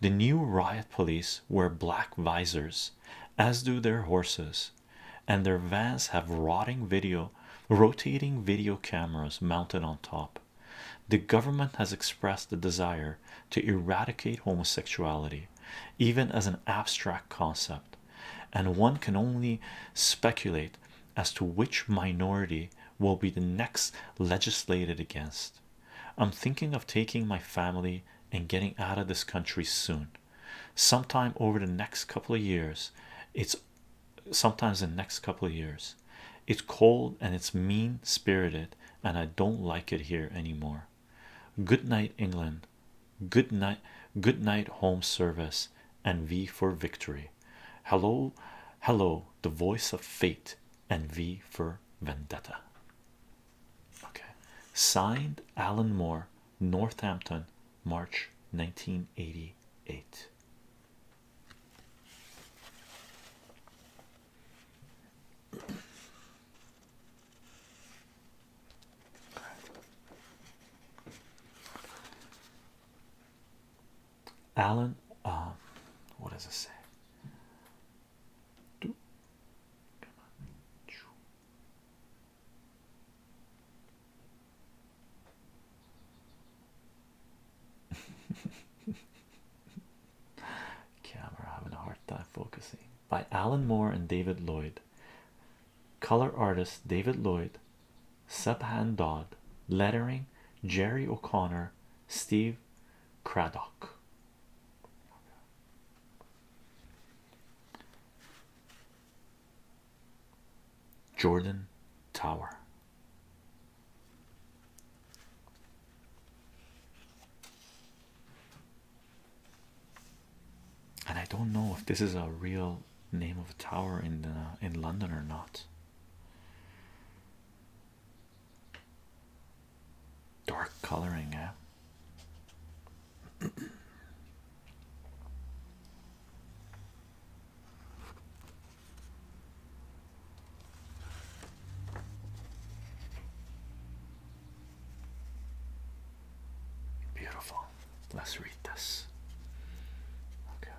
The new riot police wear black visors as do their horses, and their vans have rotting video, rotating video cameras mounted on top. The government has expressed the desire to eradicate homosexuality, even as an abstract concept, and one can only speculate as to which minority will be the next legislated against. I'm thinking of taking my family and getting out of this country soon sometime over the next couple of years it's sometimes the next couple of years it's cold and it's mean spirited and i don't like it here anymore good night england good night good night home service and v for victory hello hello the voice of fate and v for vendetta Okay, signed Alan Moore, Northampton, March 1988. Alan, um, what does it say? Camera having a hard time focusing by Alan Moore and David Lloyd. Color artist David Lloyd, Subhan Dodd, lettering Jerry O'Connor, Steve Craddock. Jordan Tower. And I don't know if this is a real name of a tower in uh, in London or not. Dark coloring, yeah. Beautiful. Let's read this. Okay.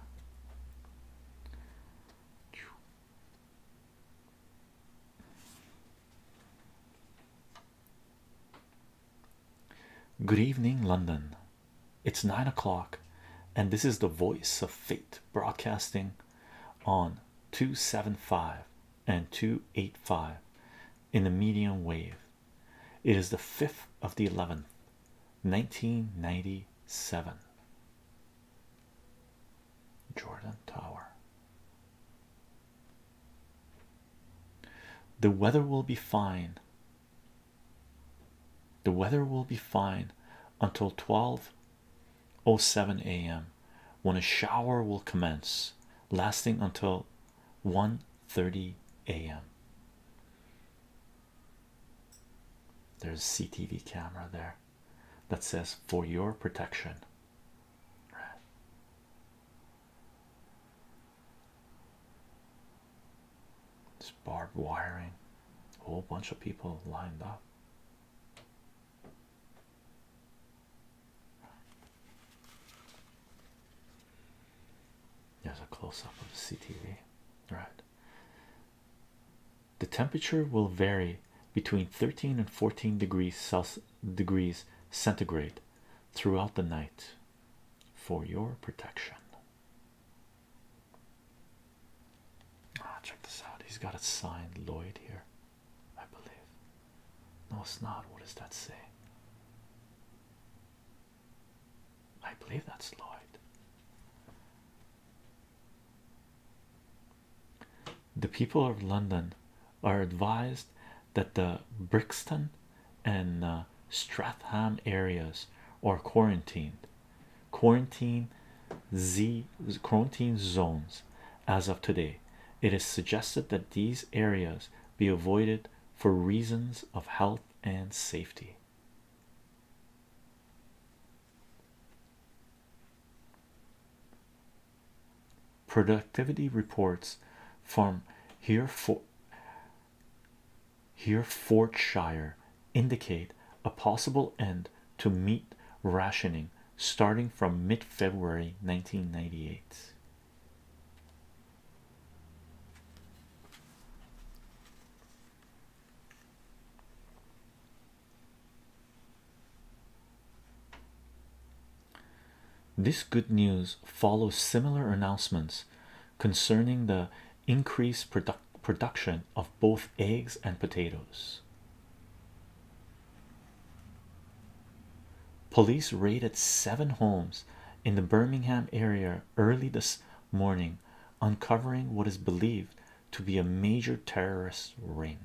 Good evening, London. It's nine o'clock, and this is the voice of fate broadcasting on 275 and 285 in the medium wave. It is the 5th of the 11th, 1997. Jordan Tower. The weather will be fine. The weather will be fine until 12:07 a.m. when a shower will commence, lasting until 1:30 a.m. There's a CTV camera there that says for your protection. It's barbed wiring, a whole bunch of people lined up. There's a close up of the CTV, right? The temperature will vary between 13 and 14 degrees Celsius degrees centigrade throughout the night for your protection. Ah, check this out. He's got a signed Lloyd here, I believe. No, it's not. What does that say? I believe that's Lloyd. The people of London are advised that the Brixton and uh, Stratham areas are quarantined quarantine z quarantine zones as of today it is suggested that these areas be avoided for reasons of health and safety productivity reports from here for here Fortshire indicate a possible end to meat rationing starting from mid-February 1998. This good news follows similar announcements concerning the increased production of both eggs and potatoes. Police raided seven homes in the Birmingham area early this morning, uncovering what is believed to be a major terrorist ring.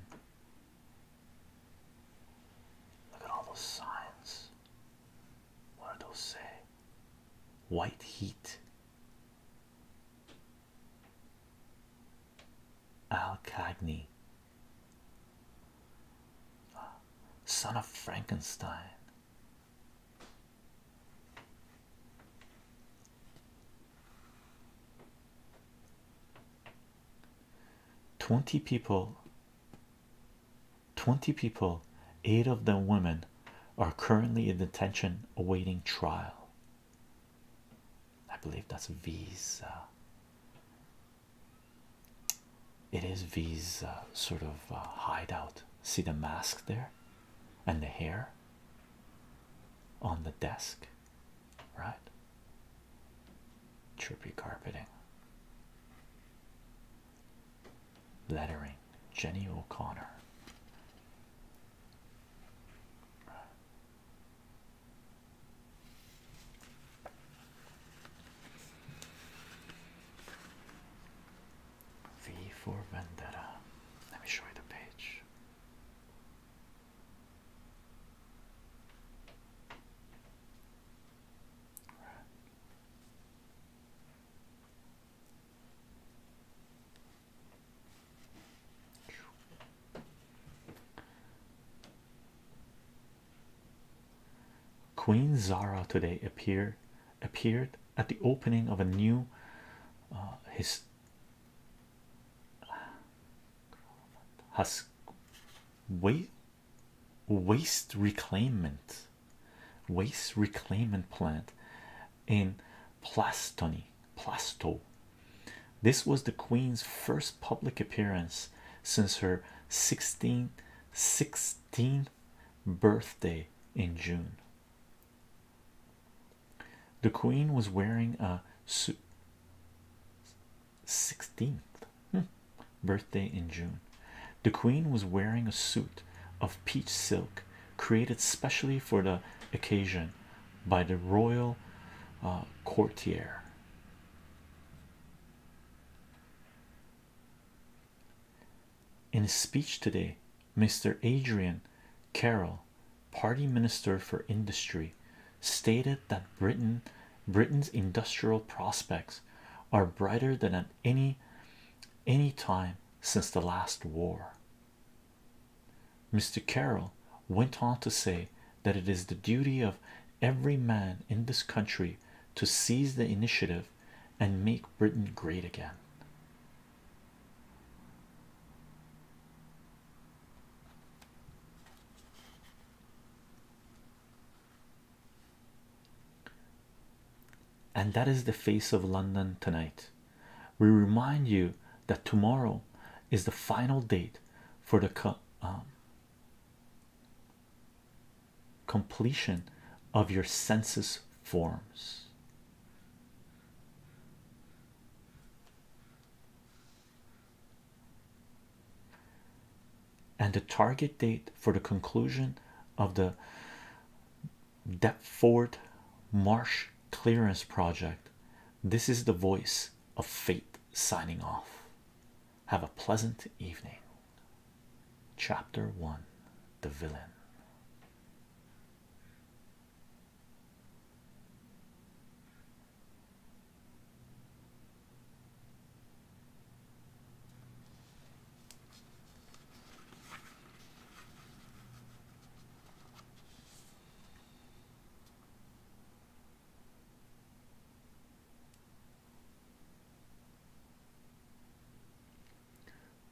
Look at all those signs. What do those say? White heat. Al son of Frankenstein. Twenty people 20 people, eight of them women, are currently in detention awaiting trial. I believe that's V's. it is V's sort of uh, hideout. See the mask there and the hair on the desk, right? Trippy carpeting lettering Jenny O'Connor. V for Vendetta. Let me show you the page. Right. Queen Zara today appeared appeared at the opening of a new uh, his has wait waste reclaimment waste reclaimment plant in Plastony Plasto. This was the Queen's first public appearance since her 16 16th birthday in June. The Queen was wearing a suit. 16th birthday in June. The Queen was wearing a suit of peach silk created specially for the occasion by the royal uh, courtier. In a speech today, Mr. Adrian Carroll, Party Minister for Industry, stated that Britain Britain's industrial prospects are brighter than at any any time since the last war. Mr. Carroll went on to say that it is the duty of every man in this country to seize the initiative and make Britain great again. And that is the face of London tonight. We remind you that tomorrow is the final date for the um, completion of your census forms. And the target date for the conclusion of the Deptford Marsh Clearance Project. This is the voice of fate signing off. Have a pleasant evening. Chapter 1 The Villain.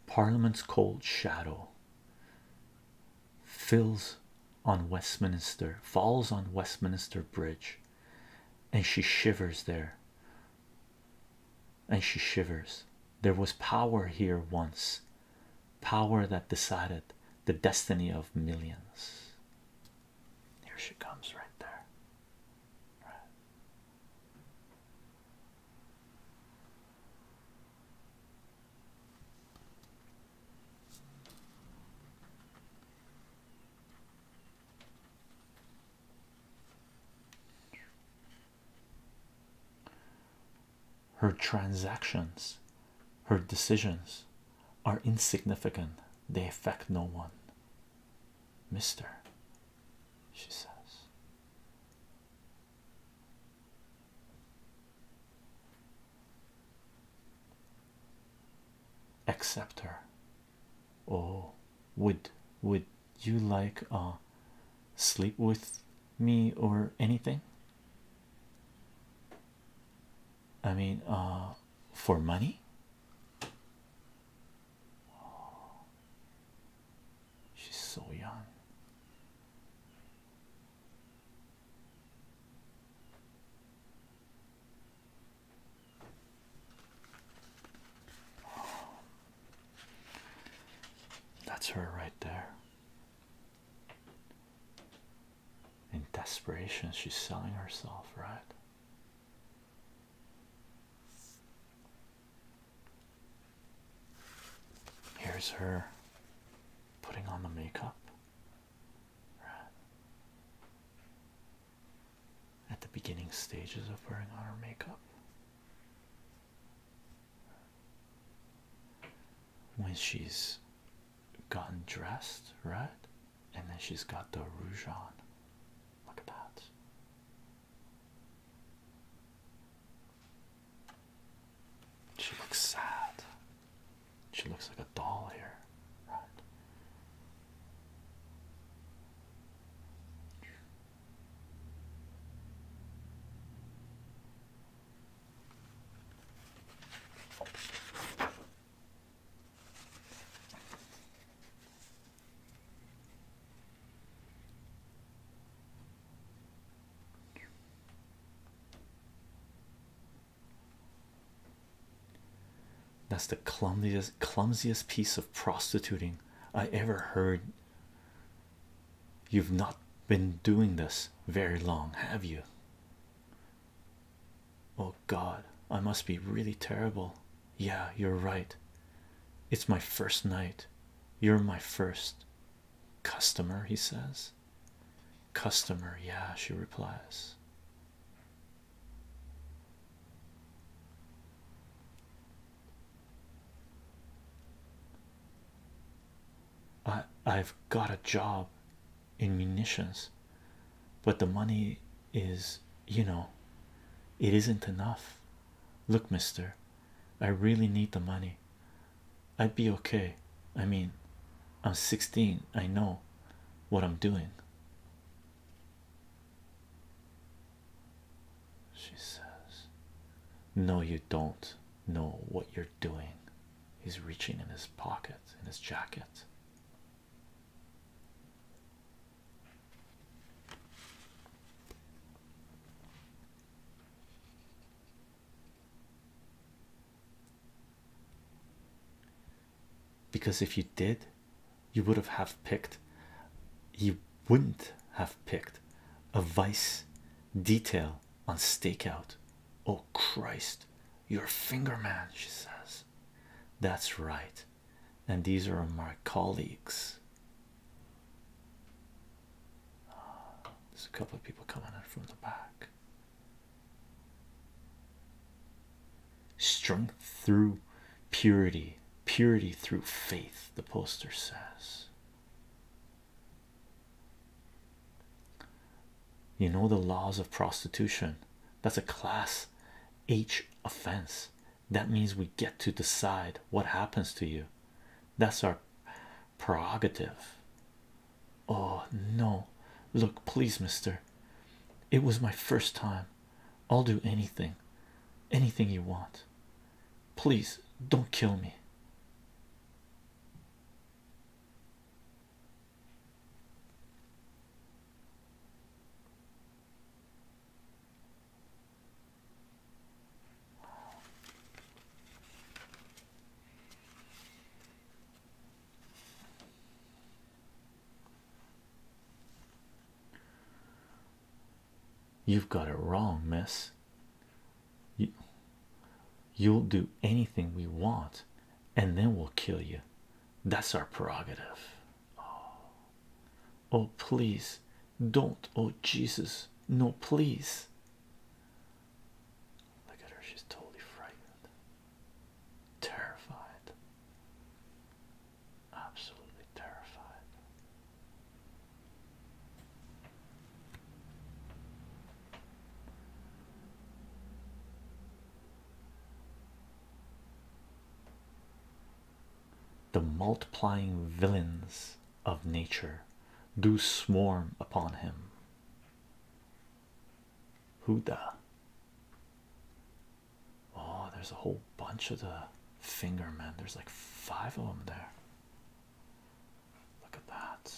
Parliament's cold shadow fills on Westminster, falls on Westminster Bridge, and she shivers there and she shivers. There was power here once, power that decided the destiny of millions. Here she comes, right there. Her transactions, her decisions are insignificant, they affect no one. Mister, she says. Accept her. Oh, would would you like uh sleep with me or anything i mean uh for money she's so young that's her right there. In desperation, she's selling herself, right? Here's her putting on the makeup right? at the beginning stages of wearing on her makeup when she's gotten dressed, right? And then she's got the rouge on. Look at that. She looks sad. She looks like a doll here, right? That's the clumsiest, clumsiest piece of prostituting I ever heard You've not been doing this very long, have you? Oh God, I must be really terrible. Yeah, you're right. It's my first night. You're my first customer, he says. Customer, yeah, she replies. I have got a job in munitions, but the money is you know it isn't enough. Look, mister, I really need the money. I'd be okay. I mean, I'm 16, I know what I'm doing. She says, No, you don't know what you're doing. He's reaching in his pocket, in his jacket. Because if you did, you would have have picked. You wouldn't have picked a vice detail on stakeout. Oh Christ, you're a finger man, she says. That's right, and these are my colleagues. there's a couple of people coming in from the back. Strength through purity, purity through faith, the poster says. You know the laws of prostitution. That's a class H offense. That means we get to decide what happens to you. That's our prerogative. Oh no, look, please, mister. It was my first time. I'll do anything, anything you want. Please don't kill me. You've got it wrong, miss. You, you'll do anything we want, and then we'll kill you. That's our prerogative. Oh, oh please don't. Oh, Jesus, no, please. Look at her, she's totally frightened, terrified, absolutely terrified. The multiplying villains of nature do swarm upon him. Huda. Oh, there's a whole bunch of the finger men. There's like five of them there. Look at that.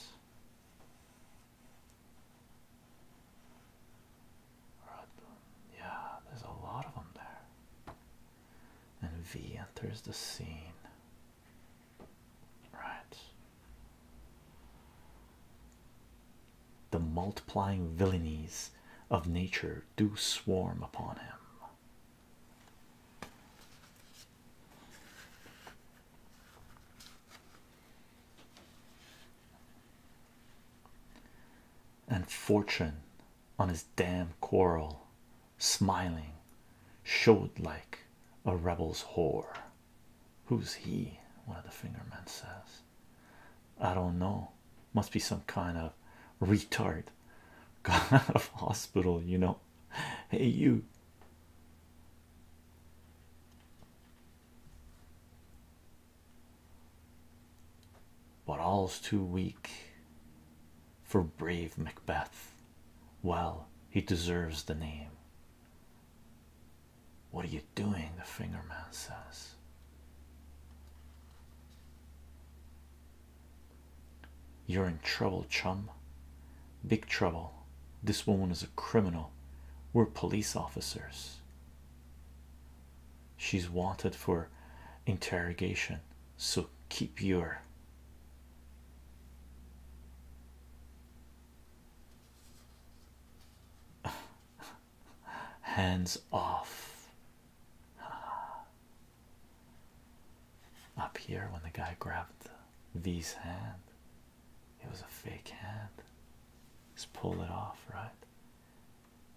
Yeah, there's a lot of them there. And V enters the scene. Right. The multiplying villainies of nature do swarm upon him. And fortune on his damned quarrel, smiling, showed like a rebel's whore. Who's he? One of the fingermen says, I don't know, must be some kind of retard got out of hospital, you know, hey you but all's too weak for brave macbeth well he deserves the name what are you doing the finger man says you're in trouble, chum. Big trouble. This woman is a criminal. We're police officers. She's wanted for interrogation, so keep your hands off. Up here, when the guy grabbed V's hand, it was a fake hand. Just pull it off, right?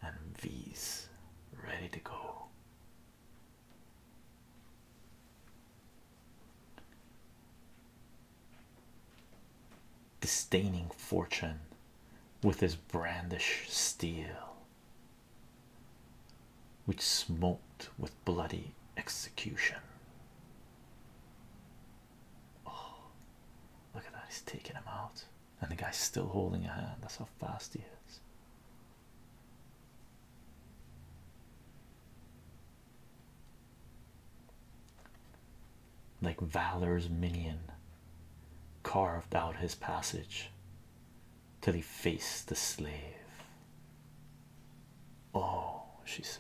And V's ready to go. Disdaining fortune with his brandish steel, which smote with bloody execution. Oh, look at that, he's taking him out, and the guy's still holding a hand. That's how fast he is. Like Valor's minion carved out his passage till he faced the slave. Oh, she says.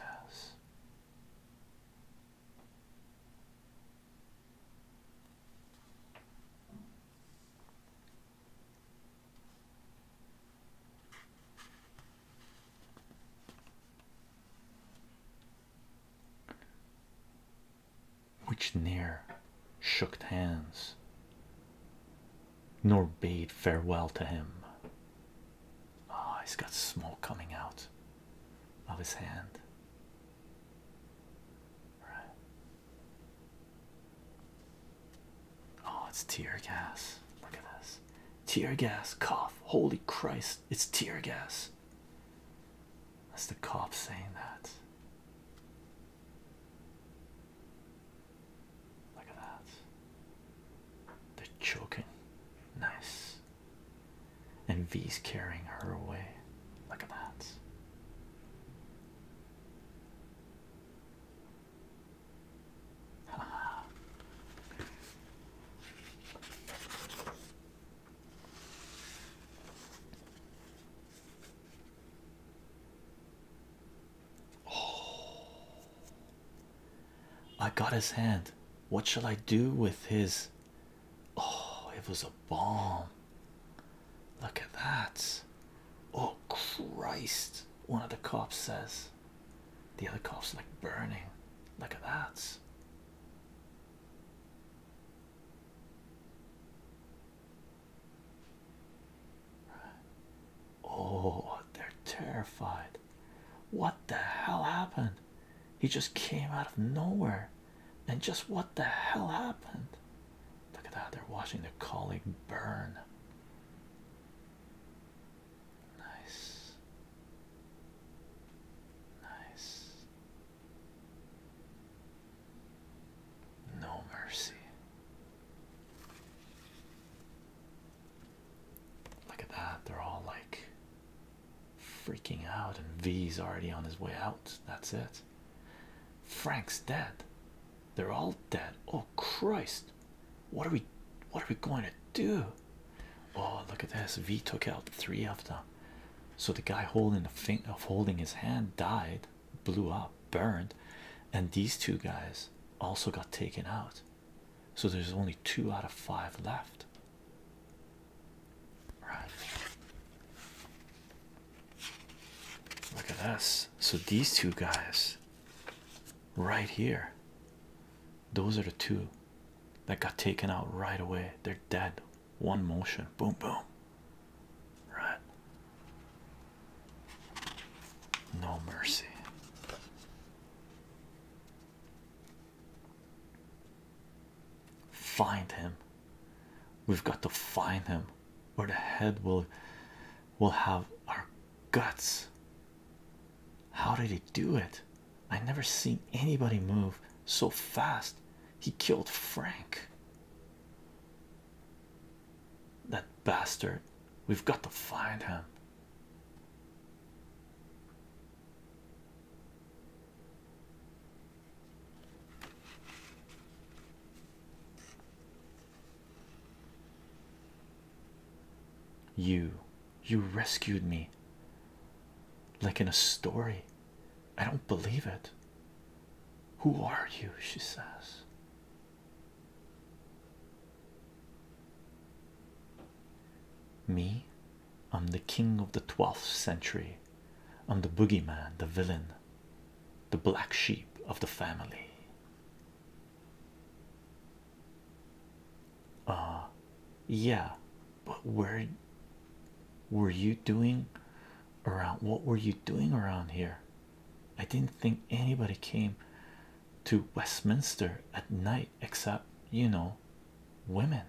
Which near shook hands nor bade farewell to him. Ah, he's got smoke coming out of his hand. Oh, it's tear gas. Look at this. Tear gas, cough. Holy Christ, it's tear gas. That's the cop saying that. Look at that. They're choking. Nice. And V's carrying her away. Look at that. Oh, I got his hand. What shall I do with his? Oh, it was a bomb. Look at that. Oh, Christ. One of the cops says, the other cop's like burning. Look at that. Oh, they're terrified. What the hell happened? He just came out of nowhere. And just what the hell happened? Look at that, they're watching their colleague burn. Nice. Nice. No mercy. Look at that, they're all like freaking out, and V's already on his way out. That's it. Frank's dead. They're all dead. Oh Christ. What are we what are we going to do? Oh look at this. V took out three of them. So the guy holding the thing of holding his hand died, blew up, burned, and these two guys also got taken out. So there's only two out of five left. Right. Look at us. So these two guys right here, those are the two that got taken out right away. They're dead. One motion. Boom, boom. Right. No mercy. Find him. We've got to find him, or the head will will have our guts. How did he do it? I never seen anybody move so fast. He killed Frank. That bastard We've got to find him. You, you rescued me like in a story. I don't believe it. Who are you? She says. Me, I'm the king of the 12th century. I'm the boogeyman, the villain, the black sheep of the family. Uh, yeah, but where were you doing around? What were you doing around here? I didn't think anybody came to Westminster at night, except you know, women.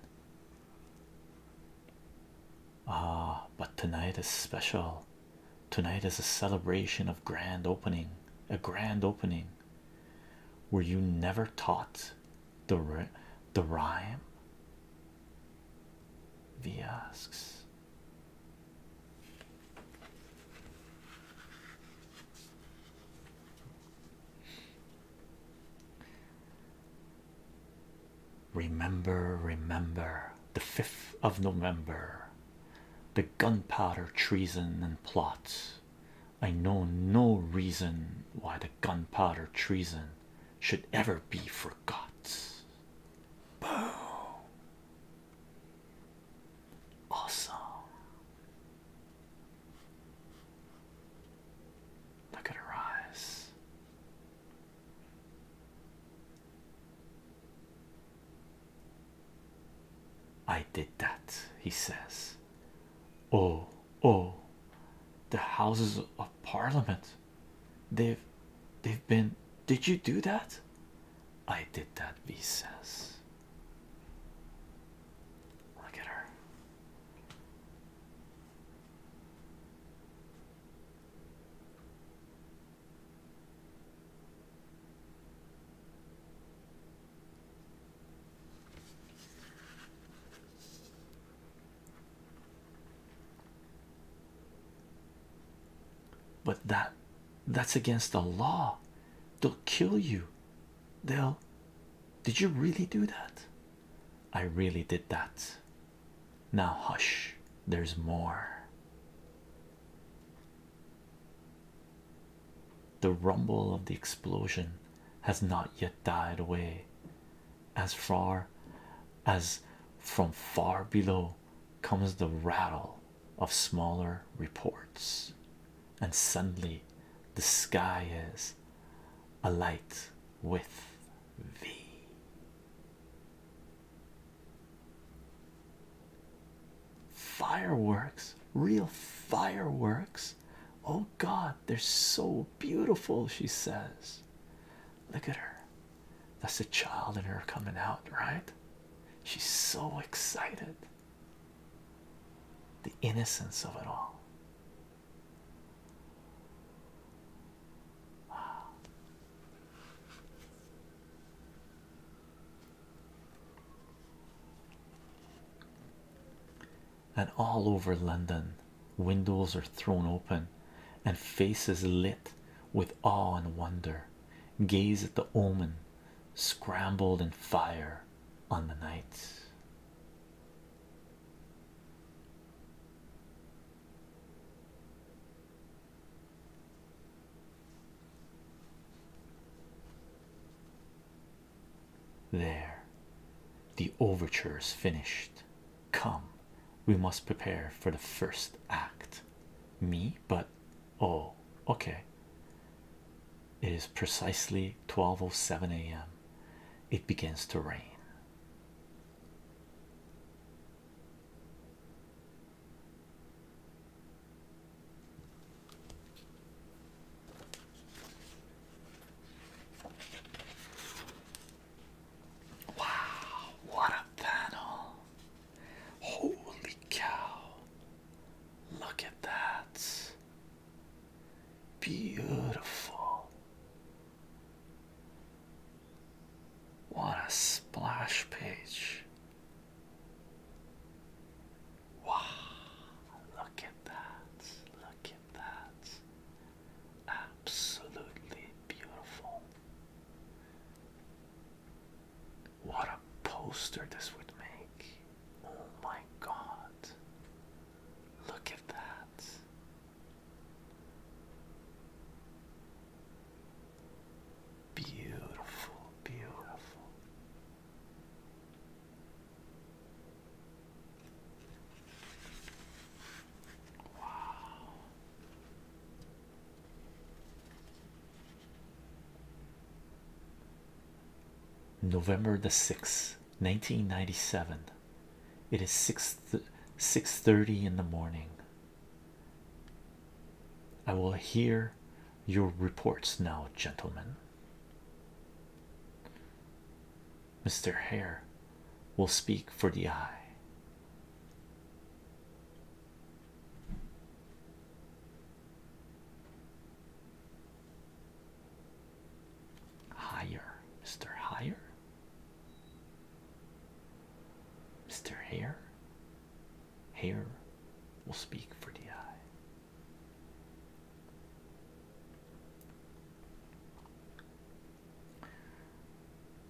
Ah, but tonight is special. Tonight is a celebration of grand opening, a grand opening. Were you never taught the the rhyme? V asks. Remember, remember the 5th of November, the gunpowder treason and plot. I know no reason why the gunpowder treason should ever be forgot. Boom! Awesome. Look at her eyes. I did that, he says. Oh, oh, the houses of parliament. They've they've been did you do that? I did that, V says. Look at her. But that that's against the law. They'll kill you Dale, did you really do that? I really did that. Now, hush, there's more. The rumble of the explosion has not yet died away. As far as from far below comes the rattle of smaller reports and suddenly the sky is alight with thee. Fireworks, real fireworks. Oh God, they're so beautiful, she says. Look at her. That's a child in her coming out, right? She's so excited the innocence of it all. And all over London, windows are thrown open and faces lit with awe and wonder gaze at the omen scrambled in fire on the night. There, the overture is finished. Come, we must prepare for the first act. Me, but oh, okay. It is precisely 12:07 a.m. It begins to rain. Wow, what a panel! Holy cow! Look at that. Beautiful. What a splash page. Wow, look at that. Look at that. Absolutely beautiful. What a poster this would make. Oh my god. Look at that. Beautiful, beautiful. Wow. November the 6th 1997 it is 6 th 6 30 in the morning i will hear your reports now gentlemen mr hare will speak for the eye Higher, Mr. Higher, Mr. Hare. Hair will speak for the eye.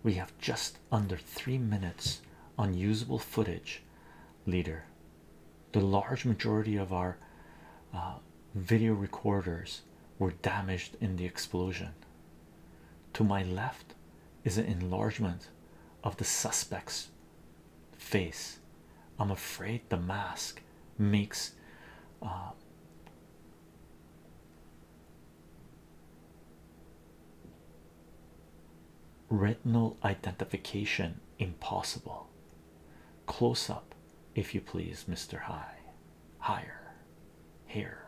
We have just under three minutes unusable footage, leader the large majority of our uh, video recorders were damaged in the explosion. To my left is an enlargement of the suspect's face. I'm afraid the mask makes uh, retinal identification impossible. Close up if you please, Mr. High. Higher, here,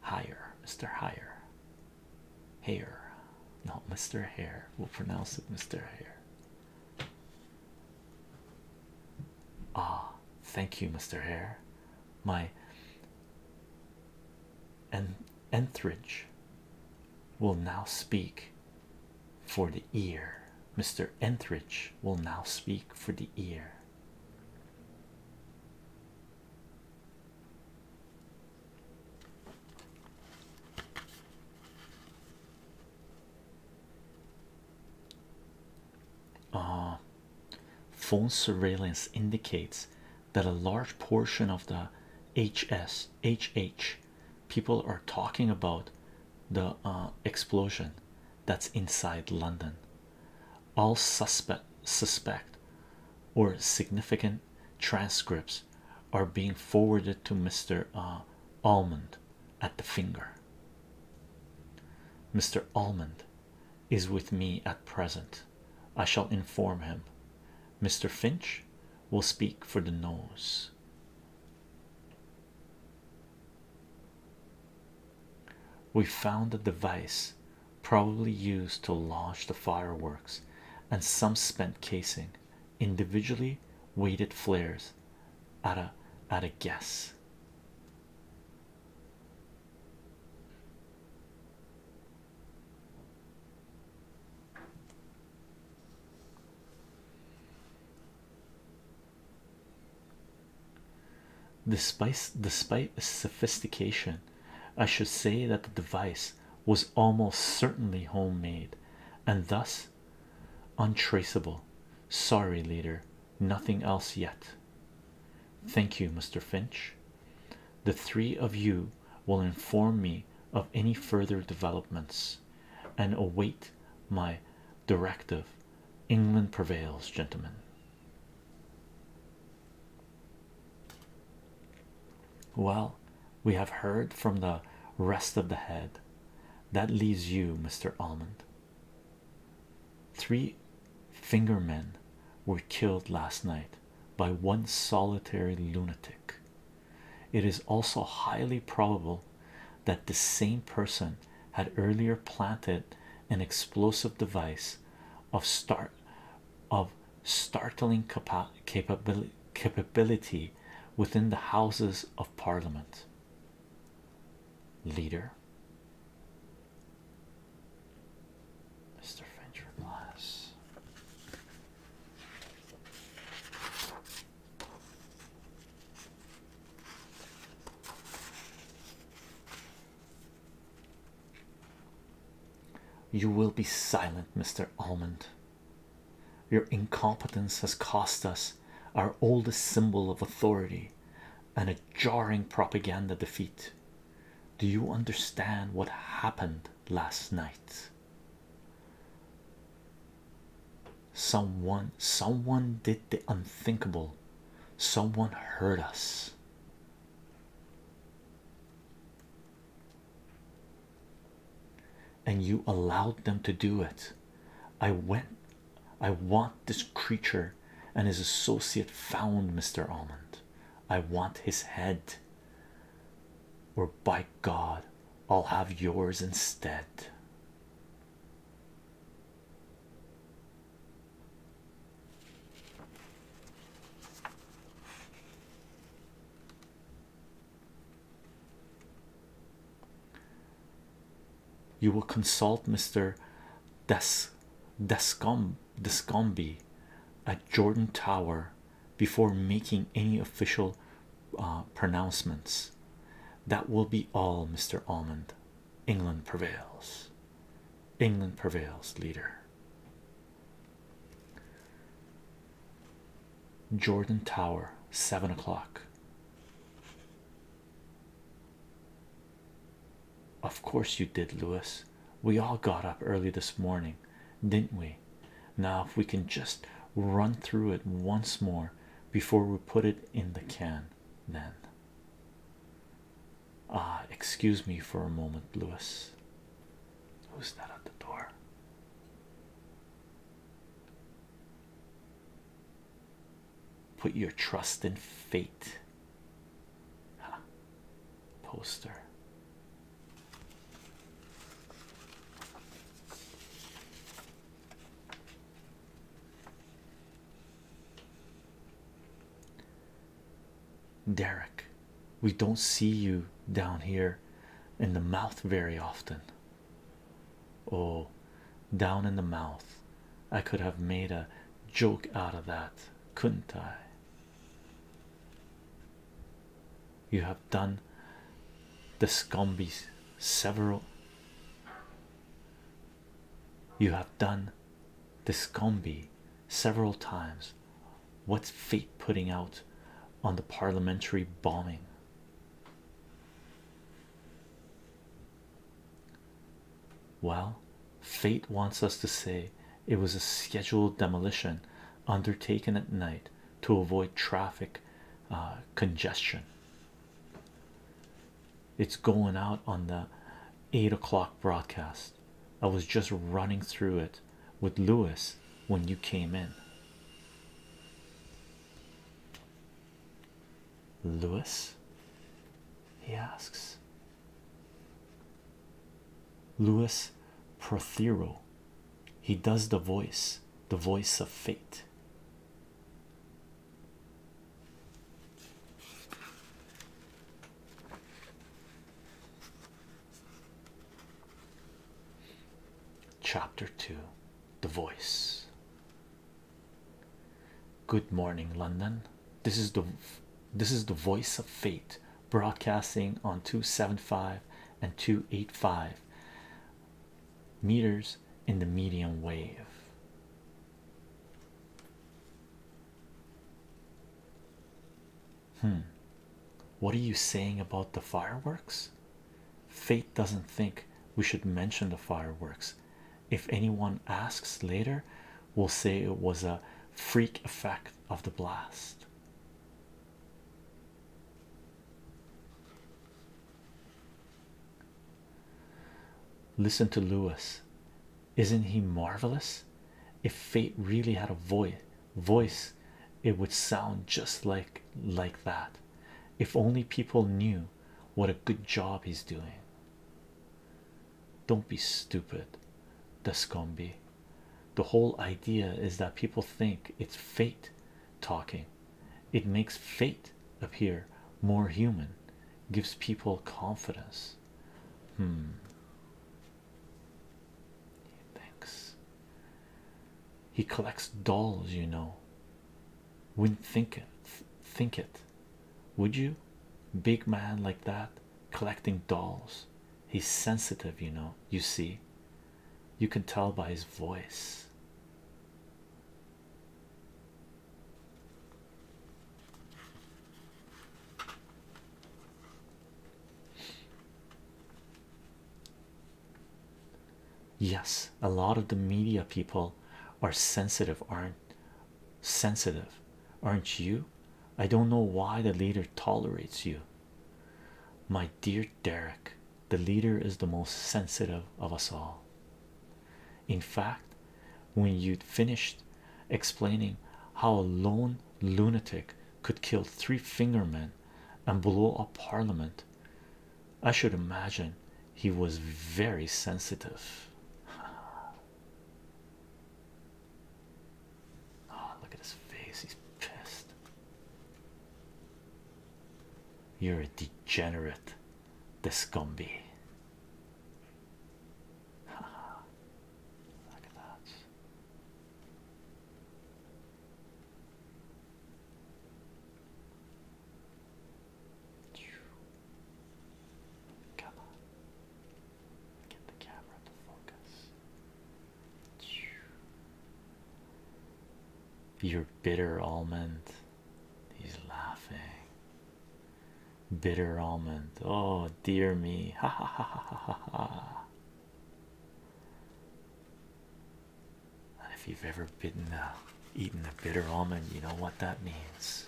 higher, Mr. Higher, Hare, not Mr. Hare. We'll pronounce it Mr. Hare. Ah, thank you, Mr. Hare. My and enthridge will now speak for the ear. Mr. Entridge will now speak for the ear. Uh, phone surveillance indicates that a large portion of the H S H H people are talking about the uh, explosion that's inside London. All suspect, suspect, or significant transcripts are being forwarded to Mr. Uh, Almond at the finger. Mr. Almond is with me at present. I shall inform him. Mr. Finch will speak for the nose. We found a device probably used to launch the fireworks and some spent casing, individually weighted flares at a at a guess. Despite, despite sophistication, I should say that the device was almost certainly home-made, and thus untraceable. Sorry, leader, nothing else yet. Thank you, Mr. Finch. The three of you will inform me of any further developments and await my directive. England prevails, gentlemen. Well, we have heard from the rest of the head. That leaves you, Mr. Almond. Three fingermen were killed last night by one solitary lunatic it is also highly probable that the same person had earlier planted an explosive device of startling capability within the houses of parliament leader Mr. French Glass you will be silent, Mr. Almond. Your incompetence has cost us our oldest symbol of authority and a jarring propaganda defeat. Do you understand what happened last night? someone someone did the unthinkable someone hurt us and you allowed them to do it i went i want this creature and his associate found mr almond i want his head or by god i'll have yours instead you will consult Mr. Des Descom Descombi at Jordan Tower before making any official uh, pronouncements. That will be all, Mr. Almond. England prevails. England prevails, leader. Jordan Tower, seven o'clock. Of course, you did, Louis. We all got up early this morning, didn't we? Now, if we can just run through it once more, before we put it in the can. Then, ah, excuse me for a moment, Lewis. Who's that at the door? Put your trust in fate. Poster. Derek, we don't see you down here in the mouth very often. Oh, down in the mouth. I could have made a joke out of that, couldn't I? You have done the scumbies several you have done this combi several times. What's fate putting out on the parliamentary bombing? Well, fate wants us to say it was a scheduled demolition undertaken at night to avoid traffic uh, congestion. It's going out on the eight o'clock broadcast. I was just running through it with Lewis when you came in. Lewis, he asks. Lewis Prothero, he does the voice, the voice of fate. Chapter 2 The Voice. Good morning, London. This is the this is the voice of fate broadcasting on 275 and 285 meters in the medium wave. Hmm. What are you saying about the fireworks? Fate doesn't think we should mention the fireworks. If anyone asks later, we'll say it was a freak effect of the blast. Listen to Louis, Isn't he marvelous? If fate really had a voice voice, it would sound just like like that. If only people knew what a good job he's doing. Don't be stupid, Dascombe. The whole idea is that people think it's fate talking it makes fate appear more human, gives people confidence. Hmm. Thanks. He collects dolls, you know. Wouldn't think it, think it, would you? Big man like that collecting dolls. He's sensitive, you know. You see, you can tell by his voice. Yes, a lot of the media people are sensitive, aren't sensitive, aren't you? I don't know why the leader tolerates you, my dear Derek. The leader is the most sensitive of us all. In fact, when you'd finished explaining how a lone lunatic could kill three fingermen and blow up parliament, I should imagine he was very sensitive. Oh, look at his face, he's pissed. You're a degenerate, the scumby. Look at that. Get the camera to focus. you bitter almond. He's laughing. Bitter almond. Oh dear me. Ha ha ha ha ha ha. And if you've ever bitten a eaten a bitter almond, you know what that means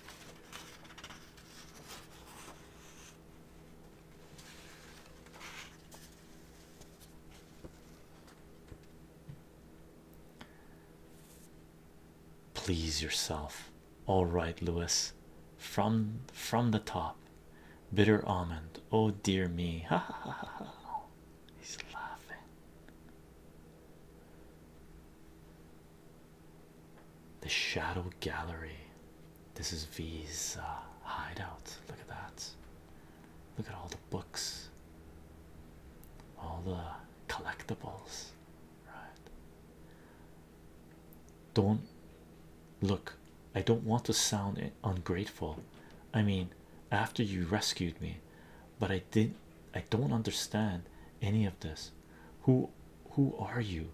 please yourself all right lewis from from the top bitter almond oh dear me ha ha ha ha ha he's laughing the shadow gallery this is v's uh, hideout look at that look at all the books all the collectibles right don't look i don't want to sound ungrateful i mean after you rescued me but i did i don't understand any of this who who are you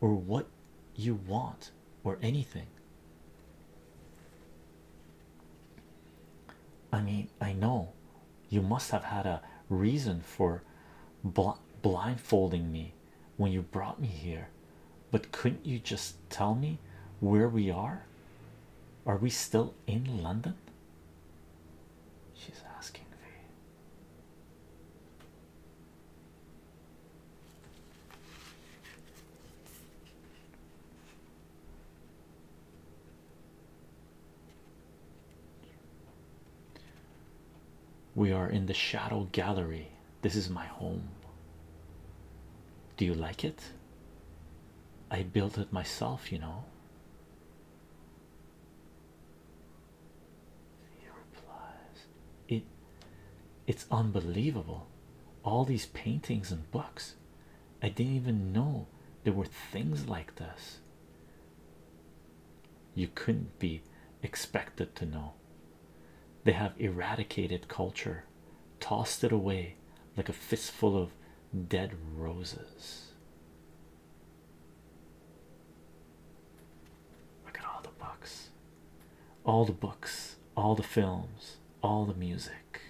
or what you want or anything i mean I know you must have had a reason for bl blindfolding me when you brought me here, but couldn't you just tell me where we are? Are we still in London? She's asking me. We are in the shadow gallery. This is my home. Do you like it? I built it myself, you know. It it's unbelievable. All these paintings and books. I didn't even know there were things like this you couldn't be expected to know. They have eradicated culture, tossed it away like a fistful of dead roses. Look at all the books, all the books, all the films, all the music.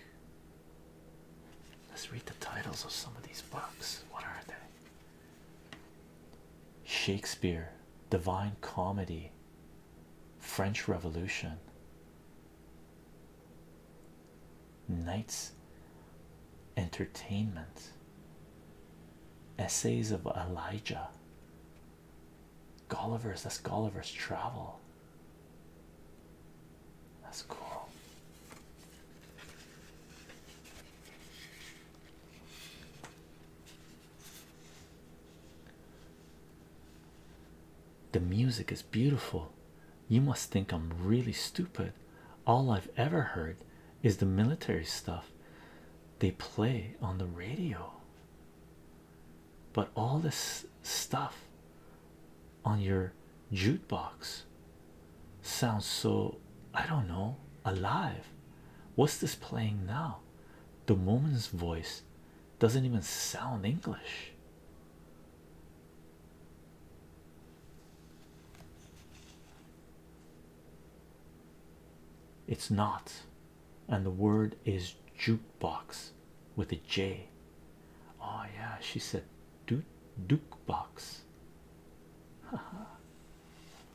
Let's read the titles of some of these books. What are they? Shakespeare, Divine Comedy, French Revolution, Knights Entertainment, Essays of Elijah, Gulliver's that's Gulliver's Travel. That's cool. The music is beautiful. You must think I'm really stupid. All I've ever heard is the military stuff they play on the radio. But all this stuff on your jukebox sounds so I don't know alive. What's this playing now? The woman's voice doesn't even sound English. It's not, and the word is jukebox with a J. Oh, yeah, she said Duke, box.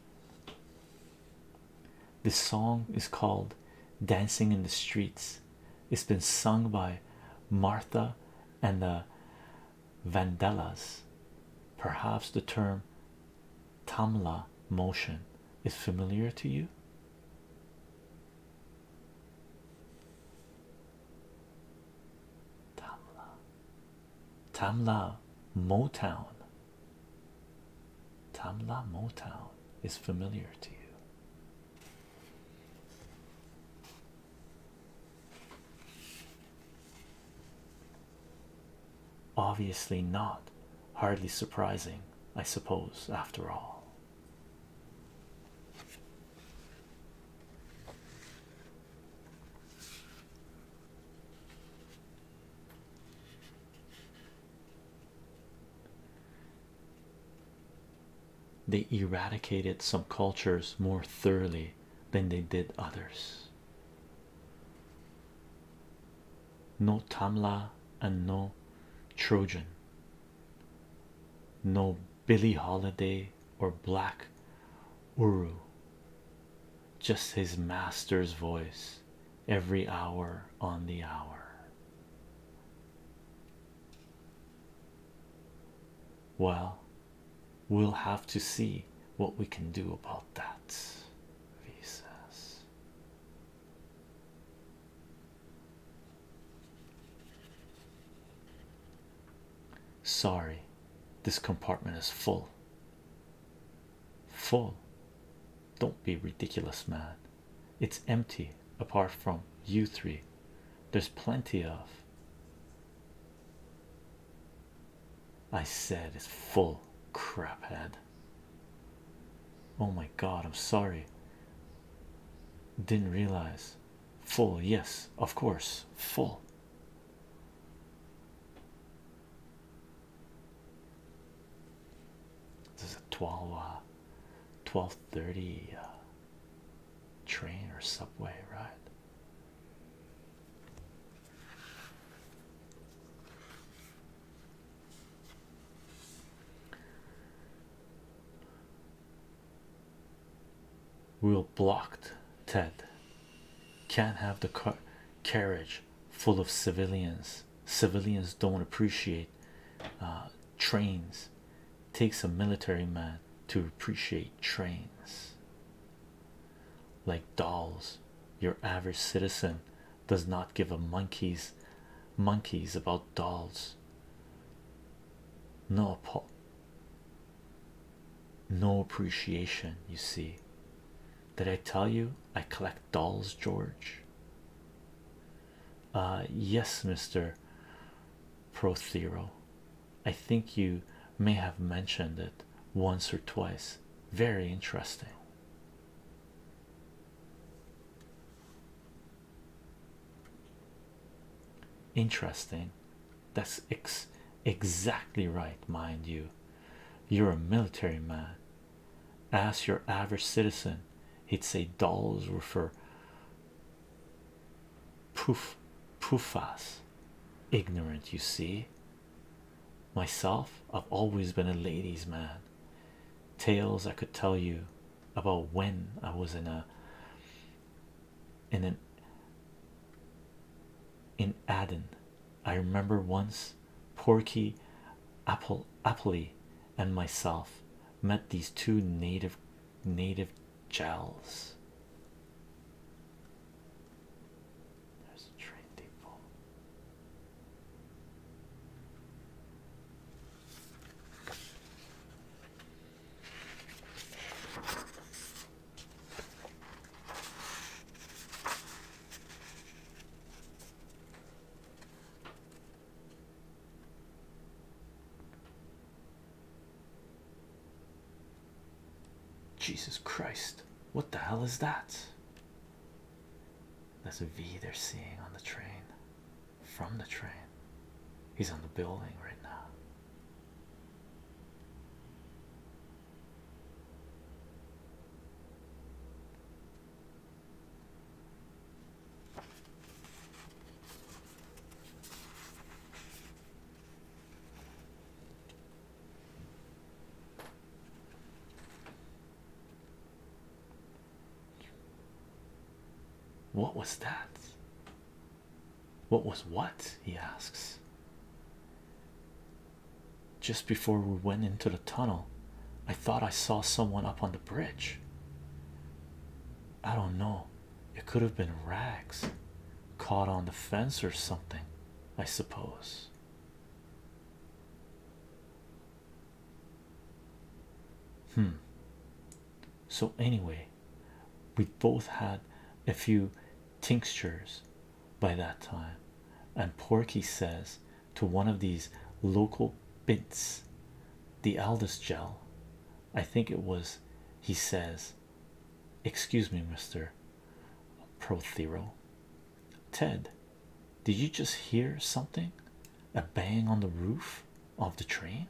this song is called Dancing in the Streets. It's been sung by Martha and the Vandellas. Perhaps the term Tamla motion is familiar to you. Tamla. Tamla Motown. Tamla Motown is familiar to you. Obviously not. Hardly surprising, I suppose, after all. They eradicated some cultures more thoroughly than they did others. No Tamla and no Trojan, no Billie Holiday or Black Uru, just his master's voice every hour on the hour. Well, we'll have to see what we can do about that, he says. Sorry, this compartment is full. Full. Don't be ridiculous, man. It's empty apart from you three. There's plenty of. I said it's full craphead. Oh my god, I'm sorry. Didn't realize. Full, yes, of course, full. This is a 12 1230 uh, uh, train or subway ride we'll blocked ted can't have the carriage full of civilians civilians don't appreciate uh, trains takes a military man to appreciate trains like dolls your average citizen does not give a monkey's monkeys about dolls Not a pot no appreciation you see did i tell you i collect dolls george uh yes mr prothero i think you may have mentioned it once or twice very interesting interesting that's ex exactly right, mind you. You're a military man. As your average citizen, he'd say dollars were for poof poofas. Ignorant, you see. Myself, I've always been a ladies' man. Tales I could tell you about when I was in a in an in Aden I remember once Porky Apple Appley and myself met these two native native gels. There's a train depot. Jesus Christ, what the hell is that? That's a V they're seeing on the train from the train. He's on the building right now. What was that? What was what? He asks. Just before we went into the tunnel, I thought I saw someone up on the bridge. I don't know, it could have been rags caught on the fence or something, I suppose. Hmm. So, anyway, we both had a few tinctures by that time. And Porky says to one of these local bits, the eldest gel, I think it was, he says, Excuse me, Mr. Prothero. Ted, did you just hear something? A bang on the roof of the train?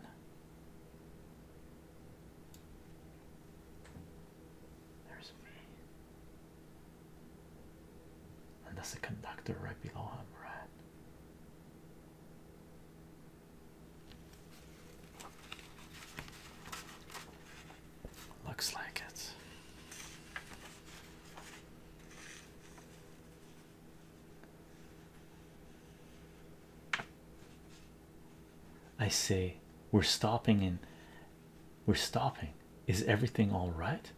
There's V. And there's a conductor right below him, right? Looks like it. I say we're stopping in we're stopping. Is everything all right?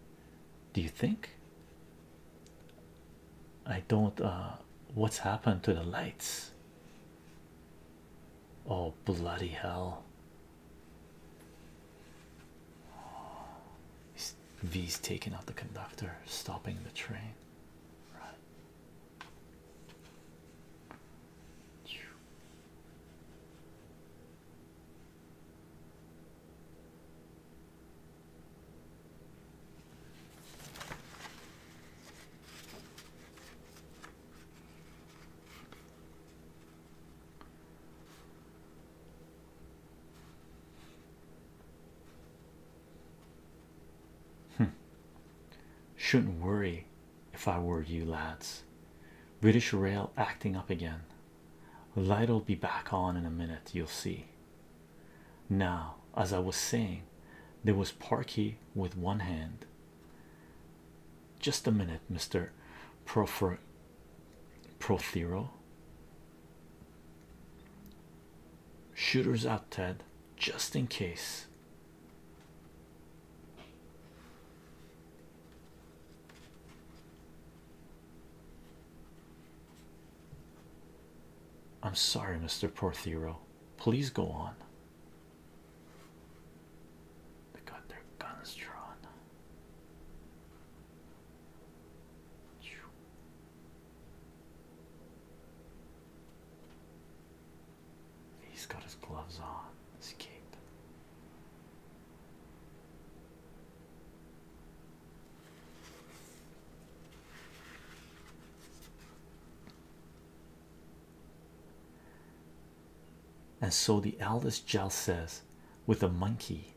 Do you think? I don't. Uh, what's happened to the lights? Oh, bloody hell. V's taking out the conductor, stopping the train. Right. Hmm. Shouldn't worry if I were you lads. British Rail acting up again. Light'll be back on in a minute, you'll see. Now, as I was saying, there was Parky with one hand. Just a minute, Mr. Prothero. Shooters out, Ted, just in case. I'm sorry, Mr. Porthero. Please go on. They got their guns drawn. He's got his gloves on, his and so the eldest Jell says, with a monkey,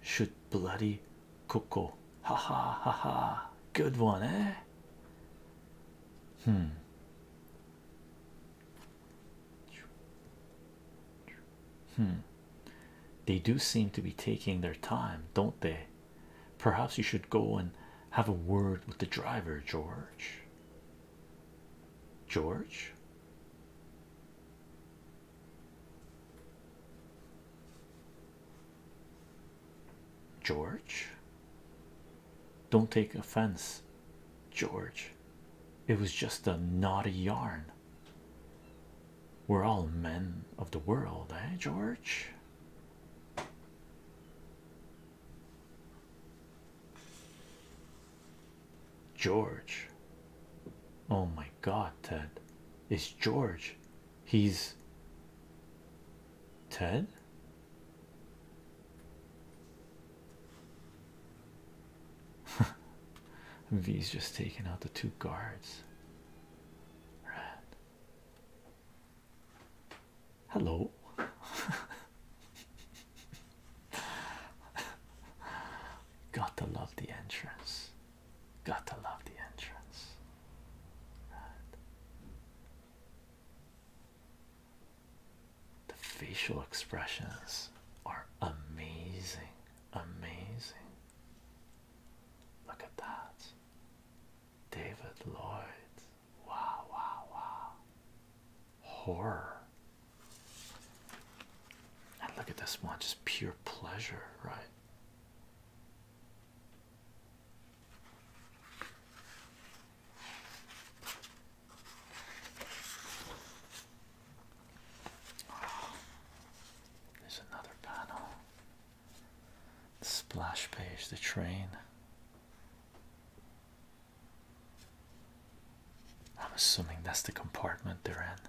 should bloody Coco. Ha ha ha ha. Good one, eh? Hmm. Hmm. They do seem to be taking their time, don't they? Perhaps you should go and have a word with the driver, George. George? George? Don't take offense George, it was just a naughty yarn. We're all men of the world, eh, George? George, oh my god, Ted, it's George. He's Ted. V's just taking out the two guards. Right. Hello. Got to love the entrance. Got to love the entrance. The facial expressions are amazing, amazing. Look at that. David Lloyd. Wow, wow, wow. Horror. And look at this one, just pure pleasure, right? there's another panel. The splash page, the train. I'm assuming that's the compartment they're in.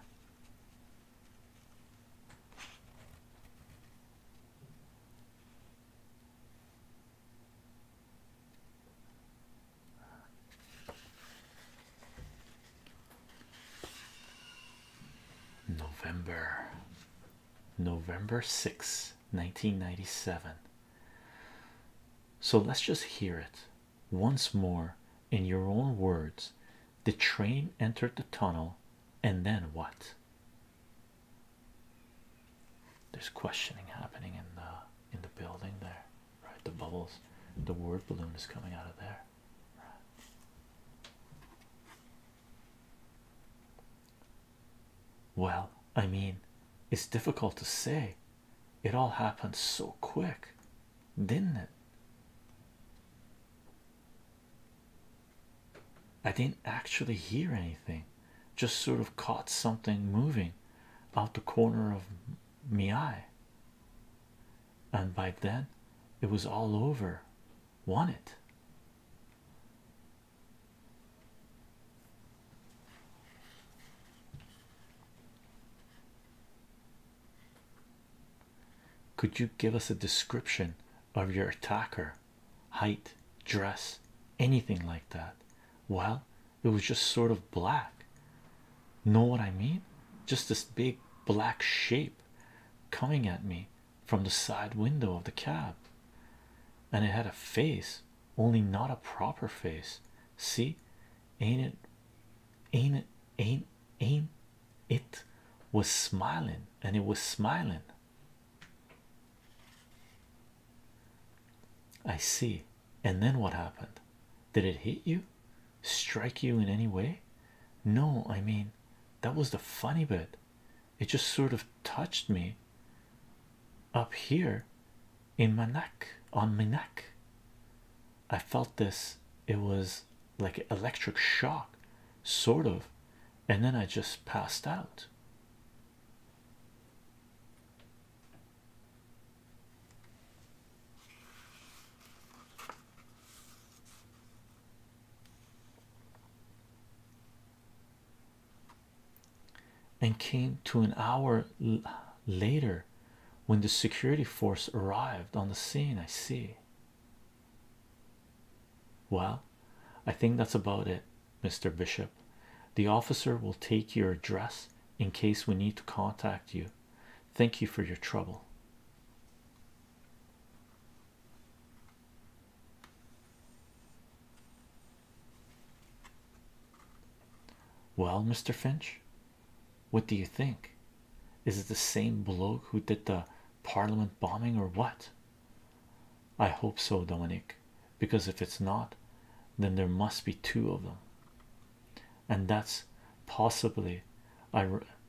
November, November 6, 1997. So let's just hear it once more in your own words. The train entered the tunnel, and then what? There's questioning happening in the in the building there right? The bubbles, the word balloon is coming out of there, Well, I mean, it's difficult to say, it all happened so quick, didn't it? I didn't actually hear anything, just sort of caught something moving out the corner of my eye and by then it was all over won it could you give us a description of your attacker height dress anything like that well it was just sort of black know what i mean just this big black shape coming at me from the side window of the cab and it had a face only not a proper face see ain't it ain't it ain't ain't it was smiling and it was smiling I see and then what happened? Did it hit you? Strike you in any way? No, I mean, that was the funny bit. It just sort of touched me up here in my neck, on my neck. I felt this, it was like an electric shock, sort of, and then I just passed out and came to an hour later when the security force arrived on the scene. I see. Well, I think that's about it, Mr. Bishop. The officer will take your address in case we need to contact you Thank you for your trouble. Well, Mr. Finch, what do you think? Is it the same bloke who did the parliament bombing or what? I hope so, Dominic, because if it's not, then there must be two of them and that's possibly I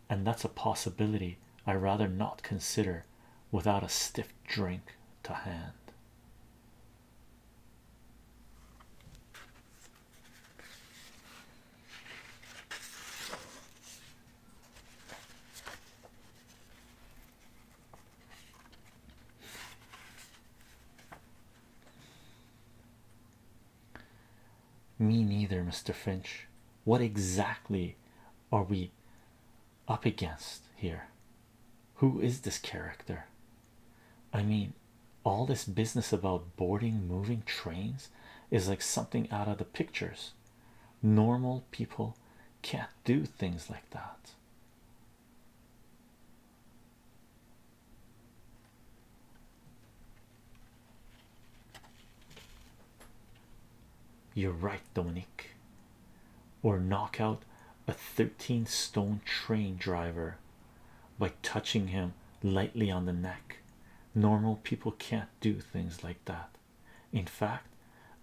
and that's a possibility I rather not consider without a stiff drink to hand. Me neither, Mr. Finch. What exactly are we up against here? Who is this character? I mean, all this business about boarding moving trains is like something out of the pictures. Normal people can't do things like that. You're right, Dominique, or knock out a 13 stone train driver by touching him lightly on the neck. Normal people can't do things like that. In fact,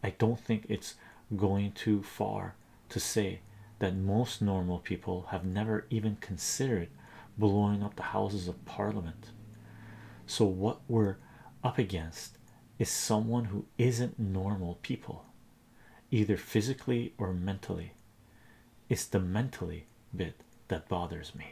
I don't think it's going too far to say that most normal people have never even considered blowing up the houses of parliament. So, what we're up against is someone who isn't normal people, either physically or mentally. It's the mentally bit that bothers me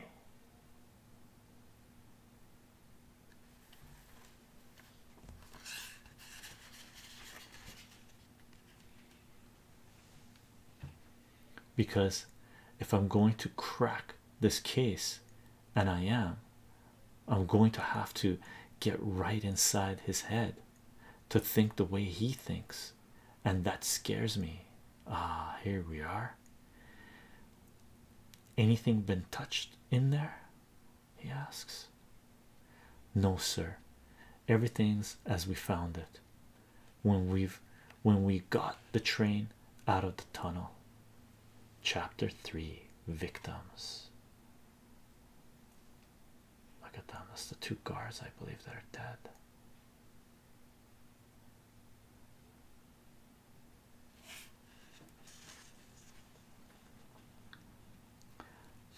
because if I'm going to crack this case, and I am, I'm going to have to get right inside his head to think the way he thinks, and that scares me. Ah, here we are. Anything been touched in there? He asks. No, sir, everything's as we found it when we've when we got the train out of the tunnel. Chapter 3 Victims. Look at them, that's the two guards, I believe, they are dead.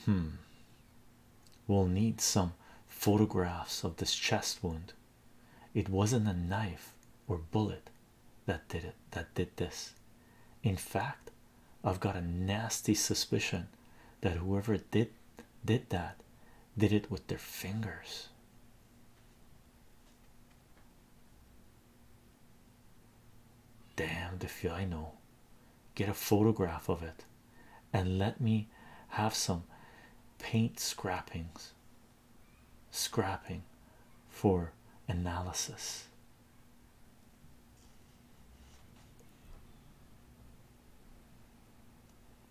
Hmm. We'll need some photographs of this chest wound it wasn't a knife or bullet that did it, that did this. In fact, I've got a nasty suspicion that whoever did did that did it with their fingers. Damn the I know. Get a photograph of it and let me have some paint scrappings scrapping for analysis.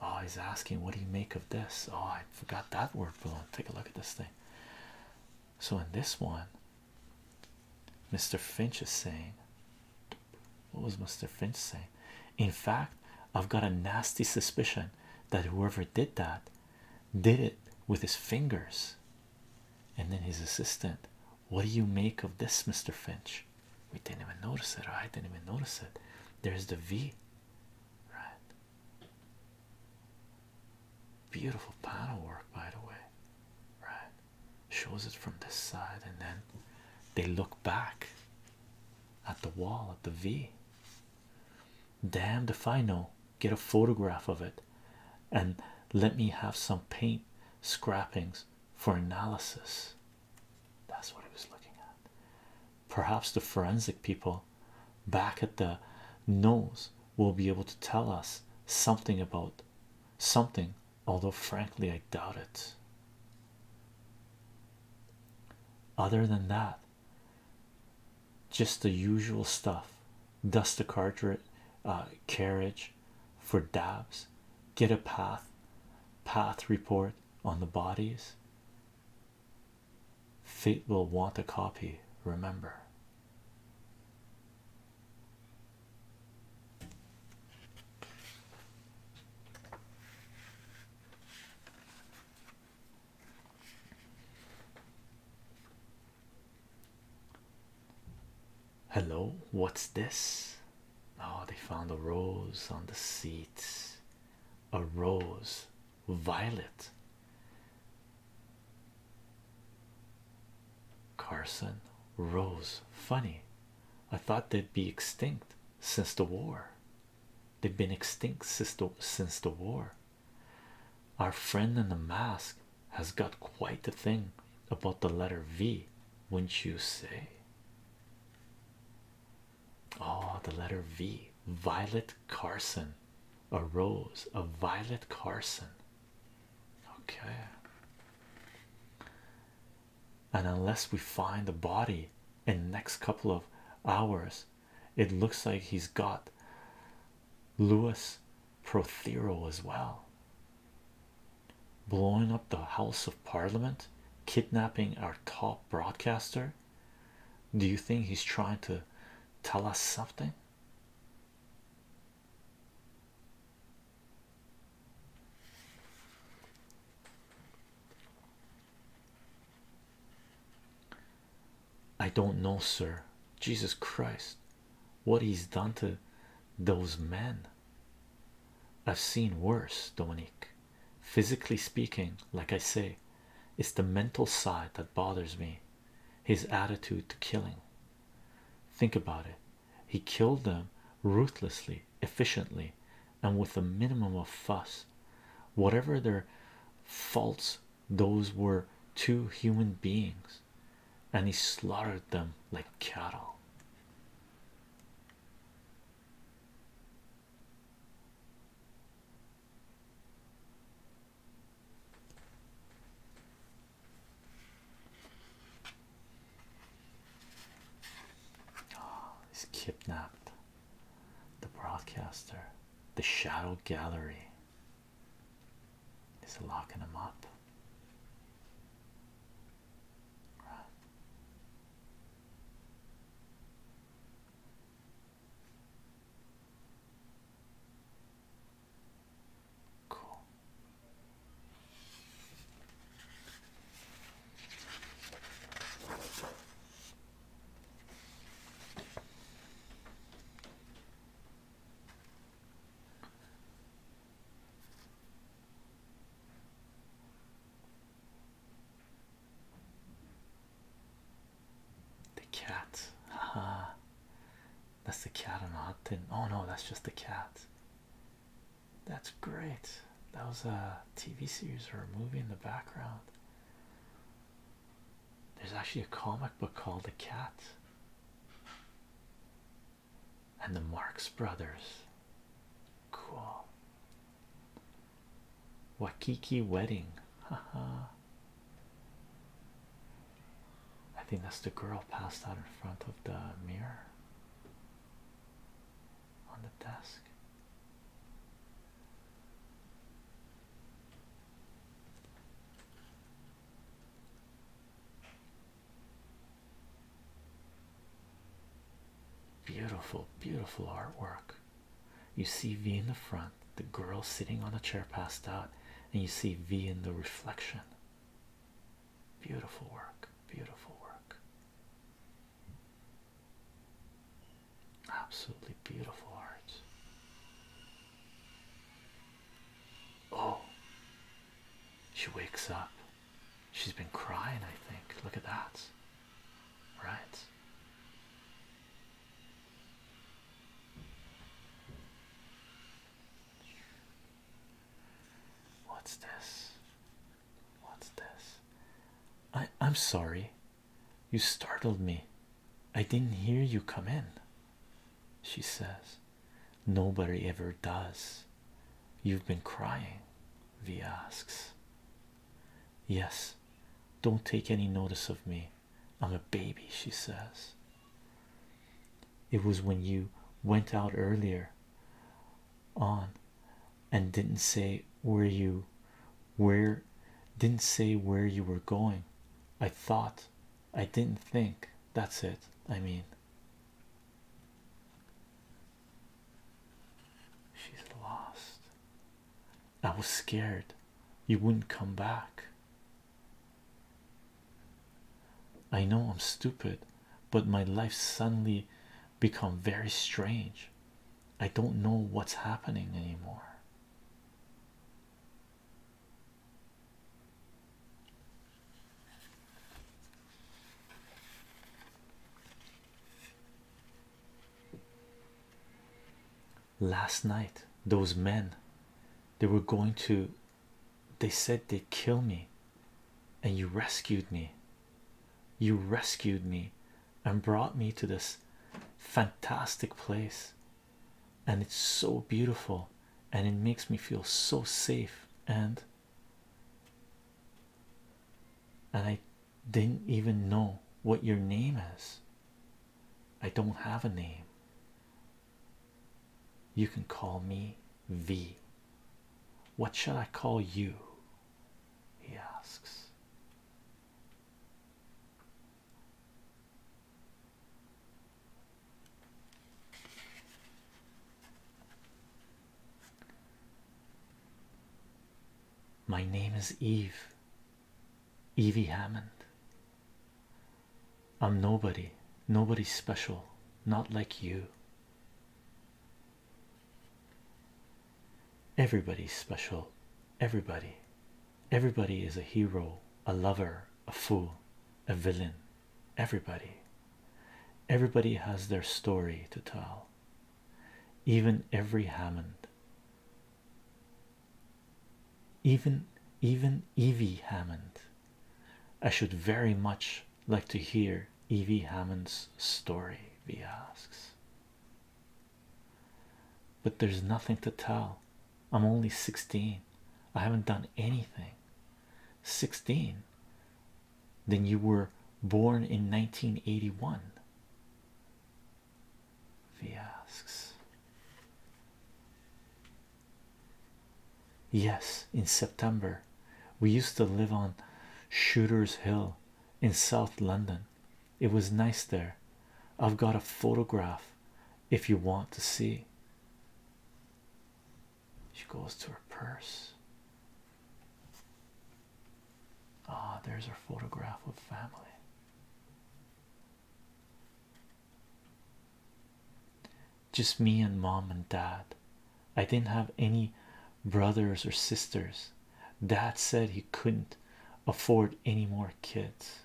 Oh, he's asking, What do you make of this? Oh, I forgot that word for long. Take a look at this thing. So, in this one, Mr. Finch is saying, What was Mr. Finch saying? In fact, I've got a nasty suspicion that whoever did that did it with his fingers. And then his assistant, what do you make of this, Mr. Finch? We didn't even notice it, I didn't even notice it. There's the V, right? Beautiful panel work, by the way, right? Shows it from this side, and then they look back at the wall at the V damned if I know. Get a photograph of it and let me have some paint scrappings for analysis. That's what he was looking at. Perhaps the forensic people back at the nose will be able to tell us something about something, although frankly, I doubt it. Other than that, just the usual stuff dust the cartridge uh, carriage for dabs get a path path report on the bodies fate will want a copy remember Hello, what's this? Oh, they found a rose on the seats. A rose, violet. Carson, rose, funny. I thought they'd be extinct since the war. They've been extinct since the, since the war. Our friend in the mask has got quite a thing about the letter V, wouldn't you say? Oh, the letter V. Violet Carson. A rose, a Violet Carson. Okay. And unless we find the body in the next couple of hours, it looks like he's got Louis Prothero as well. Blowing up the House of Parliament, kidnapping our top broadcaster. Do you think he's trying to tell us something? I don't know, sir. Jesus Christ, what he's done to those men. I've seen worse, Dominique. Physically speaking, like I say, it's the mental side that bothers me. His attitude to killing. Think about it. He killed them ruthlessly, efficiently, and with a minimum of fuss. Whatever their faults those were two human beings, and he slaughtered them like cattle. Oh, he's kidnapped. The broadcaster, the shadow gallery is locking them up. Cool. The cat, haha, that's the cat on the Oh no, that's just the cat. That's great. That was a TV series or a movie in the background. There's actually a comic book called The Cat and the Marx Brothers. Cool. Wakiki Wedding. Haha. I think that's the girl passed out in front of the mirror on the desk. Beautiful, beautiful artwork. You see V in the front, the girl sitting on a chair passed out, and you see V in the reflection. Beautiful work, beautiful work. Absolutely beautiful art. Oh, she wakes up. She's been crying, I think. Look at that. Right. What's this? What's this? I I'm sorry. You startled me. I didn't hear you come in, she says. Nobody ever does. You've been crying, He asks. Yes, don't take any notice of me. I'm a baby, she says. It was when you went out earlier on and didn't say where you where didn't say where you were going. I thought I didn't think that's it. I mean, she's lost. I was scared you wouldn't come back. I know I'm stupid, but my life suddenly become very strange. I don't know what's happening anymore. Last night, those men they were going to they said they'd kill me, and you rescued me. You rescued me and brought me to this fantastic place and it's so beautiful and it makes me feel so safe and and I didn't even know what your name is. I don't have a name. You can call me V. What shall I call you? He asks. My name is Eve. Evie Hammond. I'm nobody, nobody special, not like you. Everybody's special, everybody, Everybody is a hero, a lover, a fool, a villain. Everybody. Everybody has their story to tell. Even every Hammond. Even even Evie Hammond. I should very much like to hear Evie Hammond's story, V asks. But there's nothing to tell, I'm only 16. I haven't done anything. 16. Then you were born in 1981. V asks. Yes, in September. We used to live on Shooter's Hill in South London. It was nice there. I've got a photograph if you want to see. She goes to her purse. Ah, there's her photograph of family. Just me and mom and dad. I didn't have any brothers or sisters. Dad said he couldn't afford any more kids.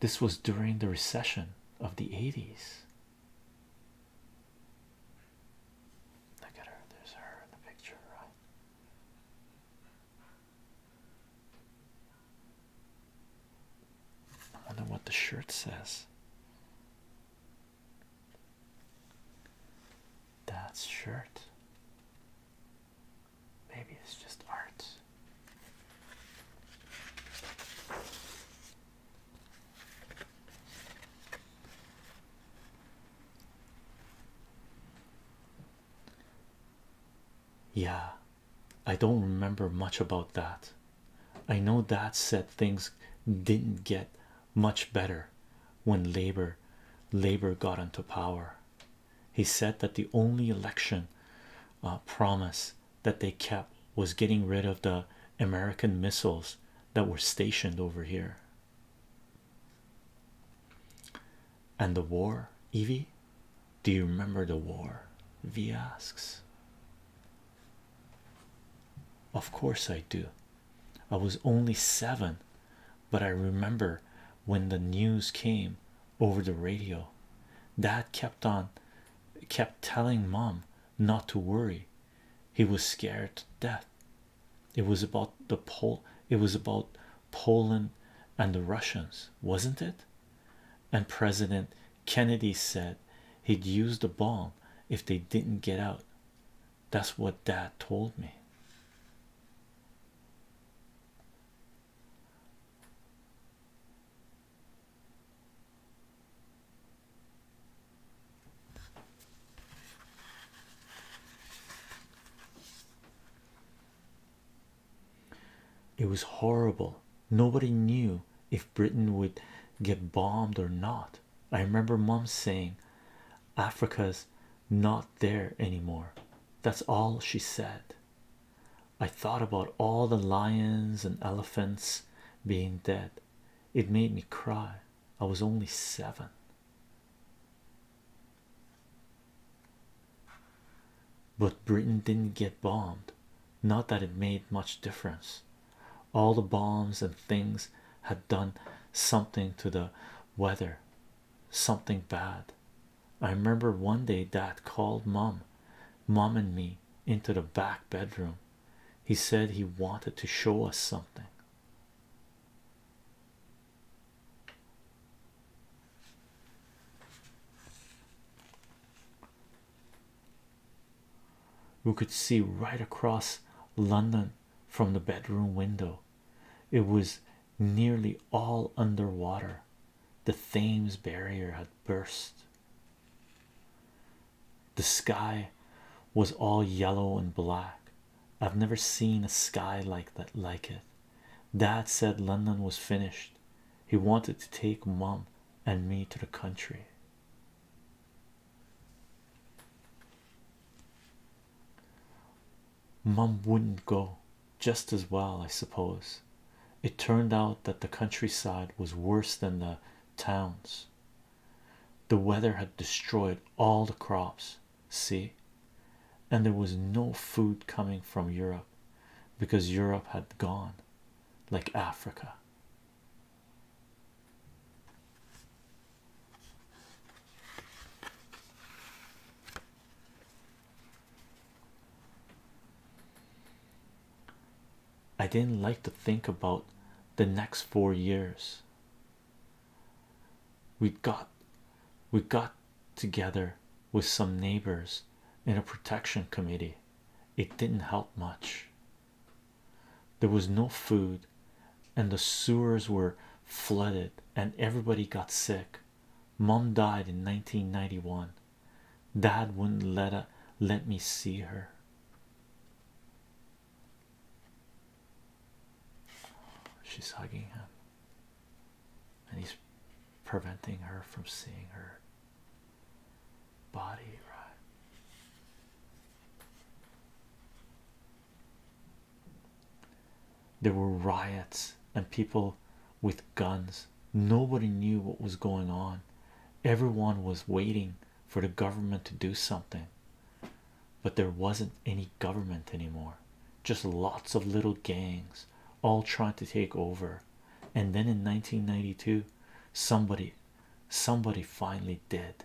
This was during the recession of the 80s. Look at her, there's her in the picture, right? I wonder what the shirt says. That's shirt. Maybe it's just art. Yeah, I don't remember much about that. I know Dad said things didn't get much better when labor labor got into power he said that the only election uh, promise that they kept was getting rid of the American missiles that were stationed over here. And the war, Evie, do you remember the war? V asks. Of course, I do. I was only seven, but I remember when the news came over the radio. Dad kept on kept telling mom not to worry. He was scared to death. It was about the Pol it was about Poland and the Russians, wasn't it? And President Kennedy said he'd use the bomb if they didn't get out. That's what dad told me. It was horrible. Nobody knew if Britain would get bombed or not. I remember mom saying, Africa's not there anymore. That's all she said. I thought about all the lions and elephants being dead. It made me cry. I was only seven. But Britain didn't get bombed. Not that it made much difference. All the bombs and things had done something to the weather, something bad. I remember one day dad called mom, mom and me into the back bedroom. He said he wanted to show us something. We could see right across London from the bedroom window. It was nearly all under water, The Thames barrier had burst. The sky was all yellow and black. I've never seen a sky like that like it. Dad said London was finished. He wanted to take Mum and me to the country. Mum wouldn't go just as well, I suppose. It turned out that the countryside was worse than the towns. The weather had destroyed all the crops, see, and there was no food coming from Europe because Europe had gone like Africa. I didn't like to think about the next four years. We got we got together with some neighbors in a protection committee. It didn't help much. There was no food, and the sewers were flooded, and everybody got sick. Mom died in 1991. Dad wouldn't let a, let me see her. She's hugging him, and he's preventing her from seeing her body, right? There were riots and people with guns. Nobody knew what was going on. Everyone was waiting for the government to do something, but there wasn't any government anymore. Just lots of little gangs all trying to take over. And then in 1992, somebody somebody finally did.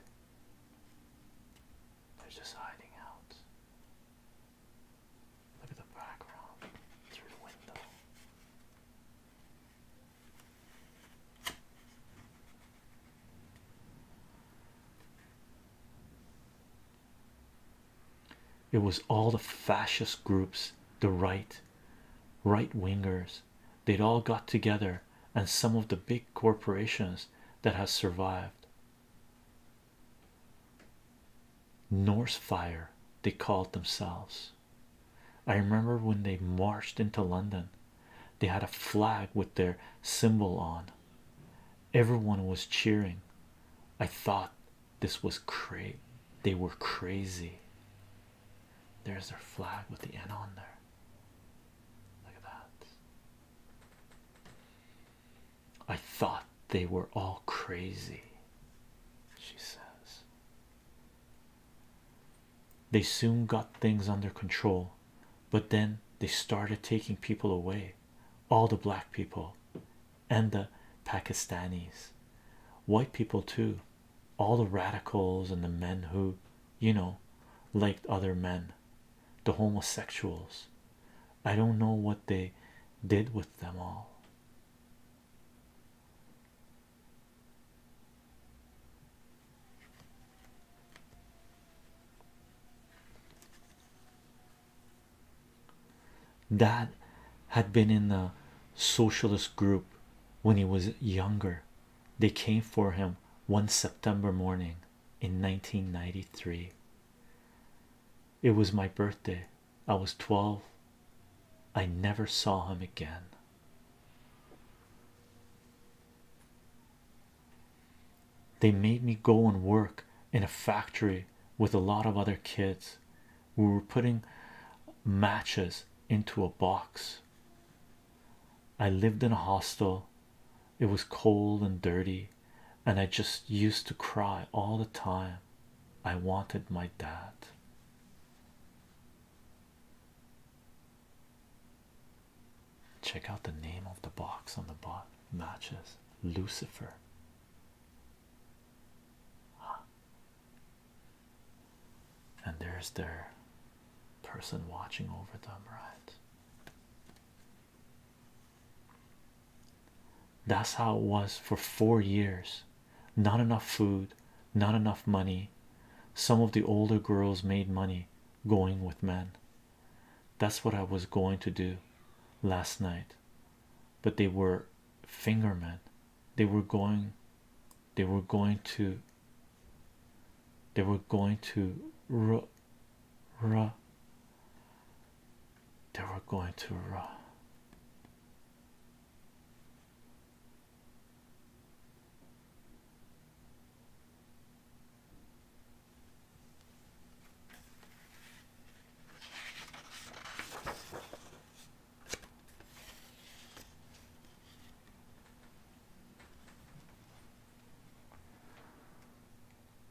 They're just hiding out. Look at the background through the window. It was all the fascist groups, the right, right wingers, they'd all got together, and some of the big corporations that has survived. Norse Fire, they called themselves. I remember when they marched into London, they had a flag with their symbol on. Everyone was cheering. I thought this was crazy. They were crazy. There's their flag with the N on there. Look at that. I thought they were all crazy, she says. They soon got things under control, but then they started taking people away all the black people and the Pakistanis, white people, too, all the radicals and the men who, you know, liked other men, the homosexuals. I don't know what they did with them all. Dad had been in the socialist group when he was younger. They came for him one September morning in 1993. It was my birthday, I was 12. I never saw him again. They made me go and work in a factory with a lot of other kids. We were putting matches into a box. I lived in a hostel. It was cold and dirty, and I just used to cry all the time. I wanted my dad. Check out the name of the box on the bot matches Lucifer. And there's their person watching over them, right? That's how it was for four years. Not enough food, not enough money. Some of the older girls made money going with men. That's what I was going to do last night, but they were fingermen. They were going, they were going to, they were going to, ru, ru, they were going to, ru.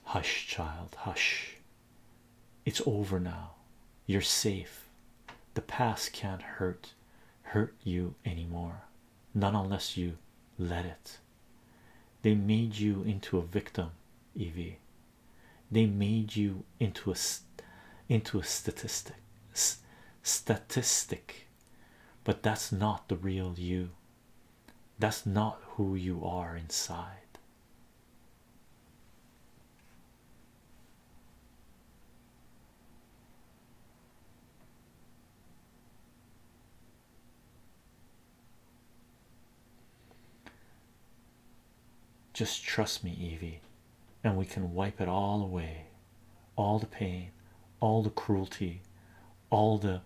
Hush, child, hush. It's over now. You're safe. The past can't hurt hurt you anymore. None unless you let it. They made you into a victim, Evie. They made you into a into a statistic statistic. But that's not the real you. That's not who you are inside. Just trust me, Evie, and we can wipe it all away all the pain, all the cruelty, all the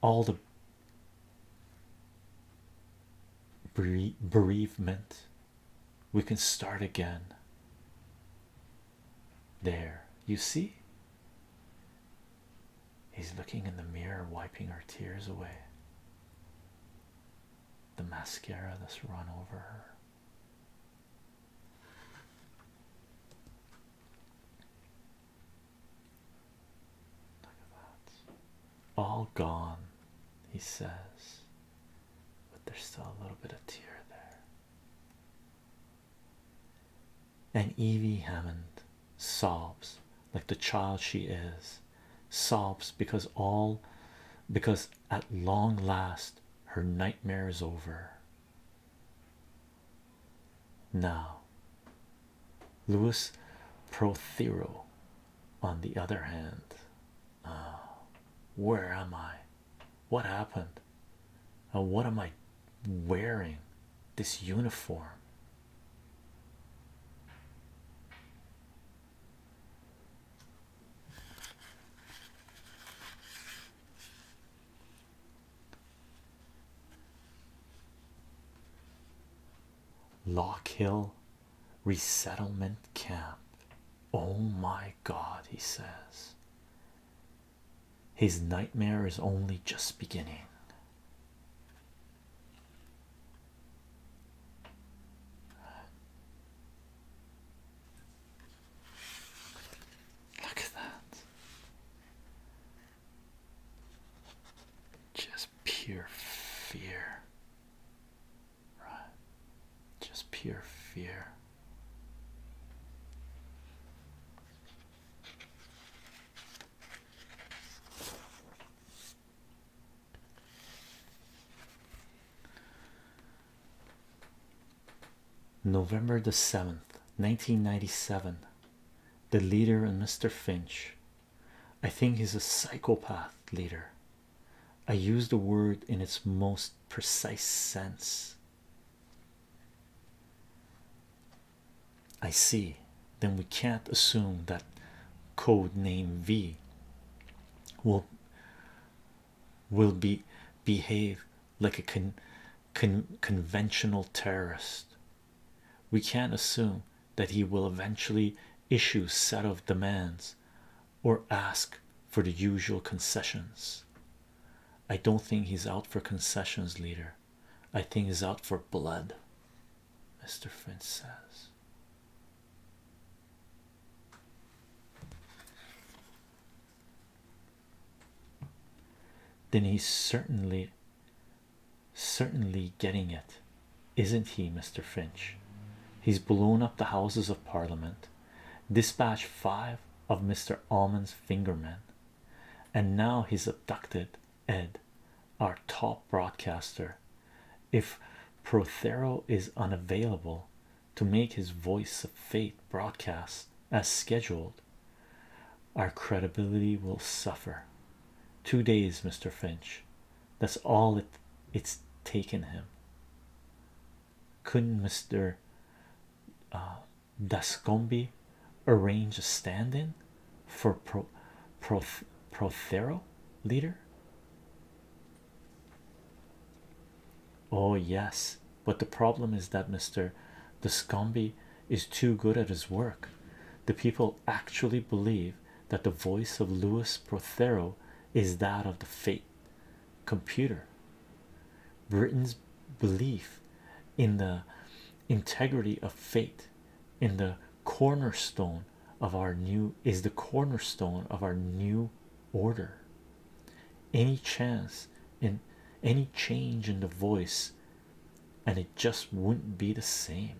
all the bereavement we can start again. There, you see, he's looking in the mirror, wiping her tears away. The mascara that's run over her. Look at that all gone, he says, but there's still a little bit of tear there. And Evie Hammond sobs like the child she is, sobs because all because at long last her nightmare is over. Now, Louis Prothero on the other hand, uh, where am I? What happened? And what am I wearing? This uniform. Lockhill resettlement camp. Oh my god, he says. His nightmare is only just beginning. Look at that. Just pure fear right? Just pure fear. November the 7th, 1997. The leader and Mr. Finch. I think he's a psychopath leader. I use the word in its most precise sense. I see. Then we can't assume that code name V will will be behave like a conventional terrorist. We can't assume that he will eventually issue set of demands or ask for the usual concessions. I don't think he's out for concessions, leader. I think he's out for blood, Mr. Finch says. Then he's certainly, certainly getting it, isn't he, Mr. Finch? He's blown up the Houses of Parliament dispatch five of Mr. Almond's fingermen, and now he's abducted Ed, our top broadcaster. If Prothero is unavailable to make his voice of fate broadcast as scheduled, our credibility will suffer. Two days, Mr. Finch. That's all it it's taken him couldn't Mr. Uh, Dascombe arrange a stand in for Prothero leader? Oh, yes, but the problem is that Mr. Dascombe is too good at his work. The people actually believe that the voice of Louis Prothero is that of the fate computer. Britain's belief in the integrity of fate in the cornerstone of our new is the cornerstone of our new order. Any chance in any change in the voice, and it just wouldn't be the same.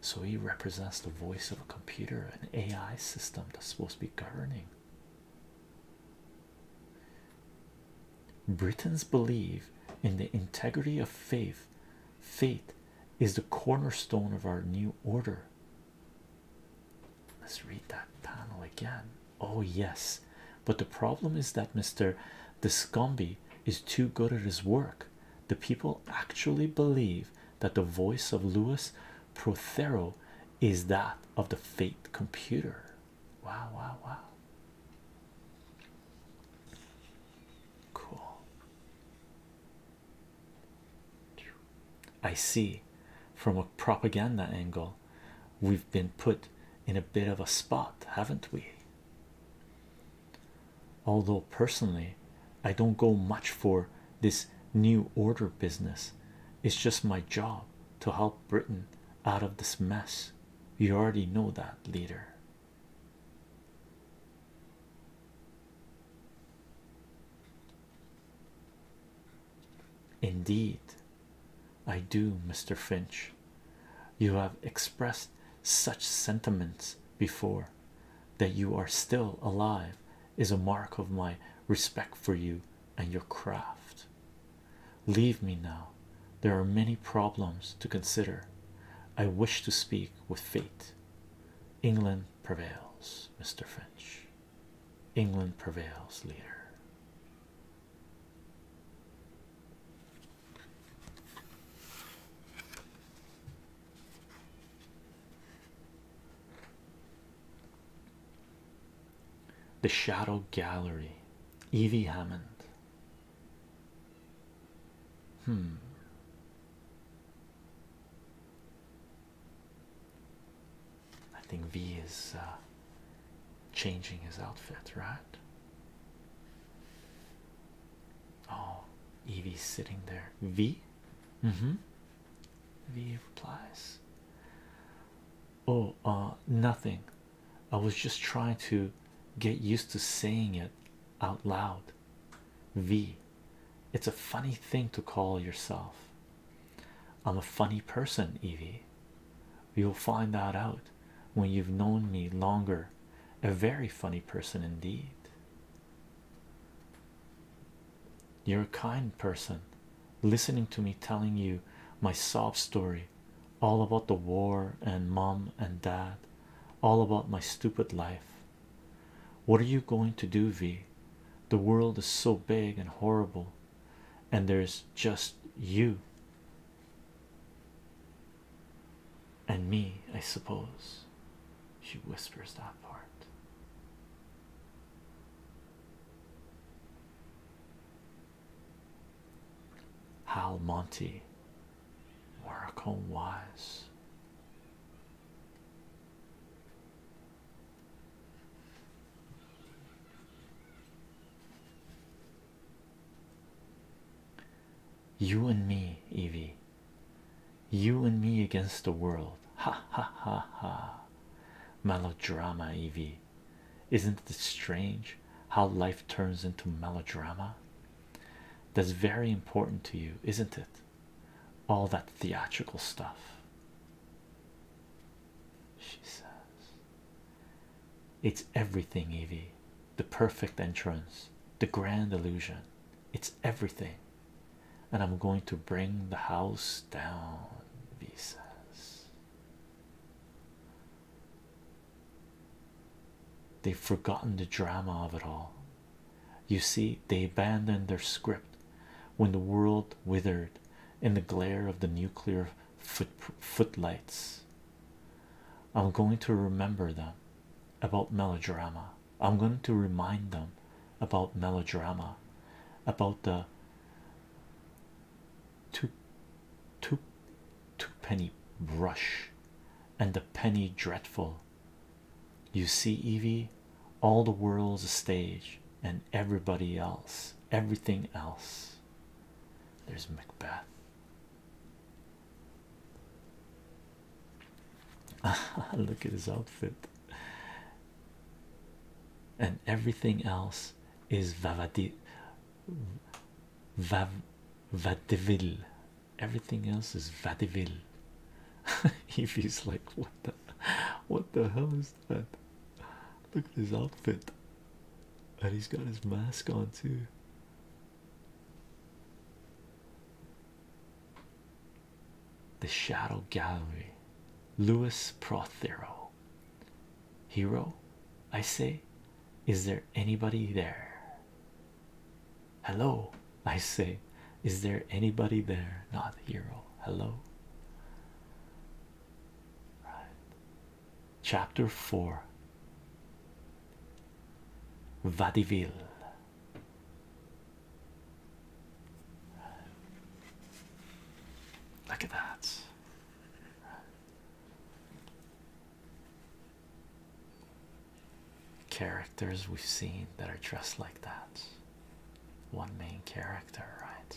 So he represents the voice of a computer, an AI system that's supposed to be governing. Britons believe in the integrity of faith. Faith is the cornerstone of our new order. Let's read that panel again. Oh, yes, but the problem is that Mr. Descombi is too good at his work. The people actually believe that the voice of Lewis Prothero is that of the Fate computer. Wow, wow, wow. Cool. I see from a propaganda angle, we've been put in a bit of a spot, haven't we? Although, personally, I don't go much for this new order business. It's just my job to help Britain out of this mess. You already know that, leader. Indeed, I do, Mr. Finch. You have expressed such sentiments before, that you are still alive is a mark of my respect for you and your craft. Leave me now. There are many problems to consider. I wish to speak with fate. England prevails, Mr. Finch. England prevails, leader. The Shadow Gallery, Evie Hammond. Hmm. I think V is uh, changing his outfit, right? Oh, Evie's sitting there. V? Mm hmm. Evie replies, Oh, uh, nothing. I was just trying to get used to saying it out loud. V, it's a funny thing to call yourself. I'm a funny person, Evie. You'll find that out when you've known me longer. A very funny person indeed. You're a kind person listening to me telling you my sob story all about the war and mum and dad, all about my stupid life. What are you going to do, V? The world is so big and horrible, and there's just you and me, I suppose. She whispers that part. Hal Monty, Waracombe Wise. You and me, Evie, you and me against the world. Ha ha ha ha. Melodrama, Evie. Isn't it strange how life turns into melodrama? That's very important to you, isn't it? All that theatrical stuff. She says, It's everything, Evie. The perfect entrance, the grand illusion. It's everything and I'm going to bring the house down, V says. They've forgotten the drama of it all. You see, they abandoned their script when the world withered in the glare of the nuclear footlights. I'm going to remember them about melodrama. I'm going to remind them about melodrama, about the two, two, two penny brush and the penny dreadful. You see, Evie, all the world's a stage and everybody else, everything else. There's Macbeth. Look at his outfit and everything else is Vavadi Vadivil. Everything else is Vadivil. Evie's like, what the what the hell is that? Look at his outfit. And he's got his mask on too. The Shadow Gallery, Louis Prothero. Hero, I say, is there anybody there? Hello, I say, is there anybody there? Not hero, hello. Right. Chapter 4 Vadiville Right. Look at that. Right. Characters we've seen that are dressed like that. One main character, right?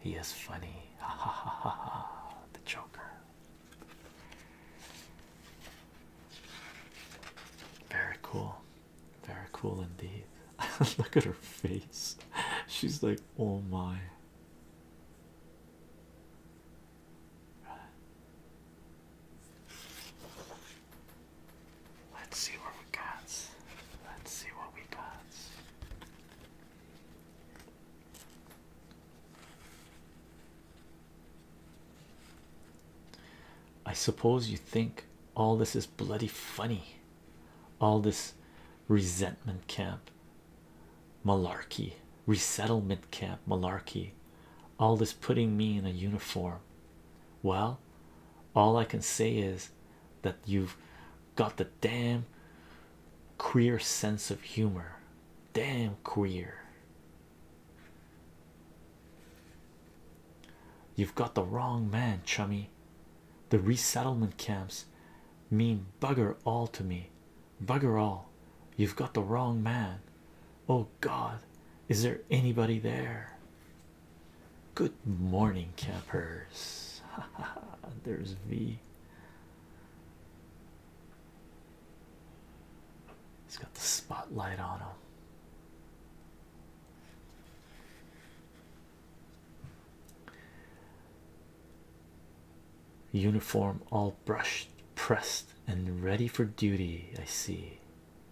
He is funny. Ha ha ha ha ha. The Joker. Very cool. Very cool indeed. Look at her face. She's like, oh my. Let's see what we got. Let's see what we got. I suppose you think all this is bloody funny all this resentment camp malarkey resettlement camp malarkey all this putting me in a uniform well all i can say is that you've got the damn queer sense of humor damn queer you've got the wrong man chummy the resettlement camps mean bugger all to me. Bugger all. You've got the wrong man. Oh God, is there anybody there? Good morning, campers. There's V. He's got the spotlight on him. Uniform all brushed, pressed, and ready for duty. I see.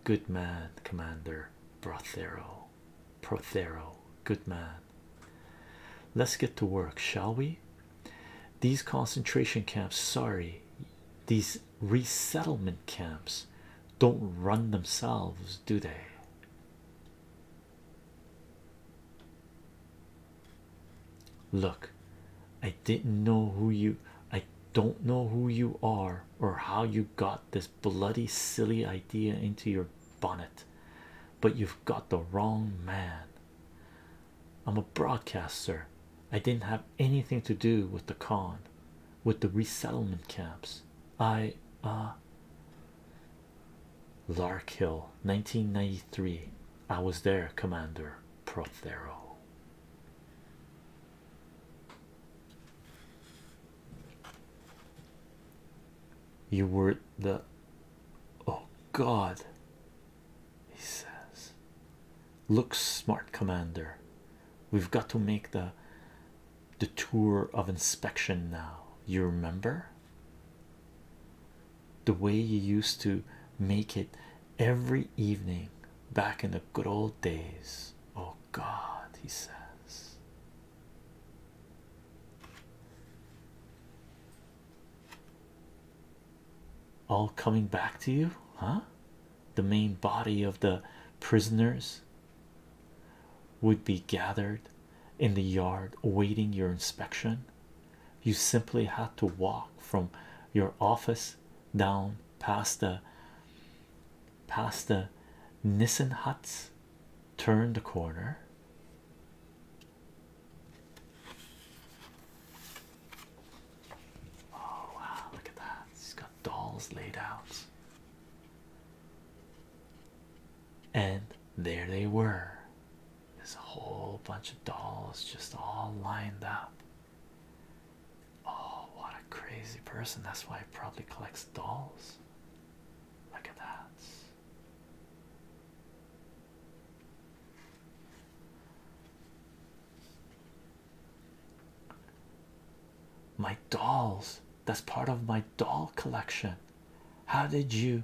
Good man, Commander Prothero. Prothero, good man. Let's get to work, shall we? These concentration camps, sorry, these resettlement camps don't run themselves, do they? Look, I didn't know who you I don't know who you are or how you got this bloody silly idea into your bonnet, but you've got the wrong man. I'm a broadcaster. I didn't have anything to do with the con, with the resettlement camps. I uh Lark Hill, 1993. I was there, Commander Prothero. You were the oh god, he says. Look smart, Commander. We've got to make the the tour of inspection now. You remember the way you used to make it every evening back in the good old days. Oh, God, he says. All coming back to you, huh? The main body of the prisoners would be gathered in the yard awaiting your inspection. You simply had to walk from your office down past the past the Nissen huts, turn the corner. Oh wow, look at that. He's got dolls laid out. And there they were. There's a whole bunch of dolls just all lined up. Oh, what a crazy person. That's why he probably collects dolls. Look at that. My dolls. That's part of my doll collection. How did you?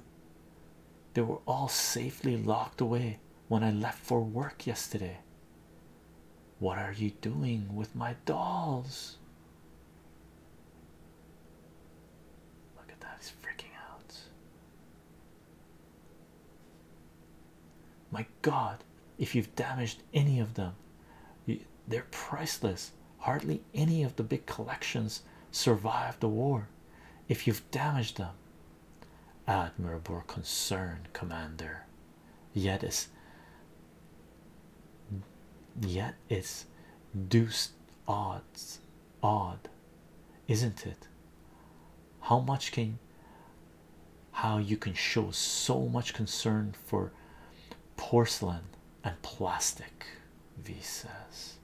They were all safely locked away when I left for work yesterday. What are you doing with my dolls? Look at that, he's freaking out. My God, if you've damaged any of them, you, they're priceless. Hardly any of the big collections survived the war. If you've damaged them, admirable concern, Commander. Yet it's, yet it's deuced odds, odd, isn't it? How much can how you can show so much concern for porcelain and plastic, V says.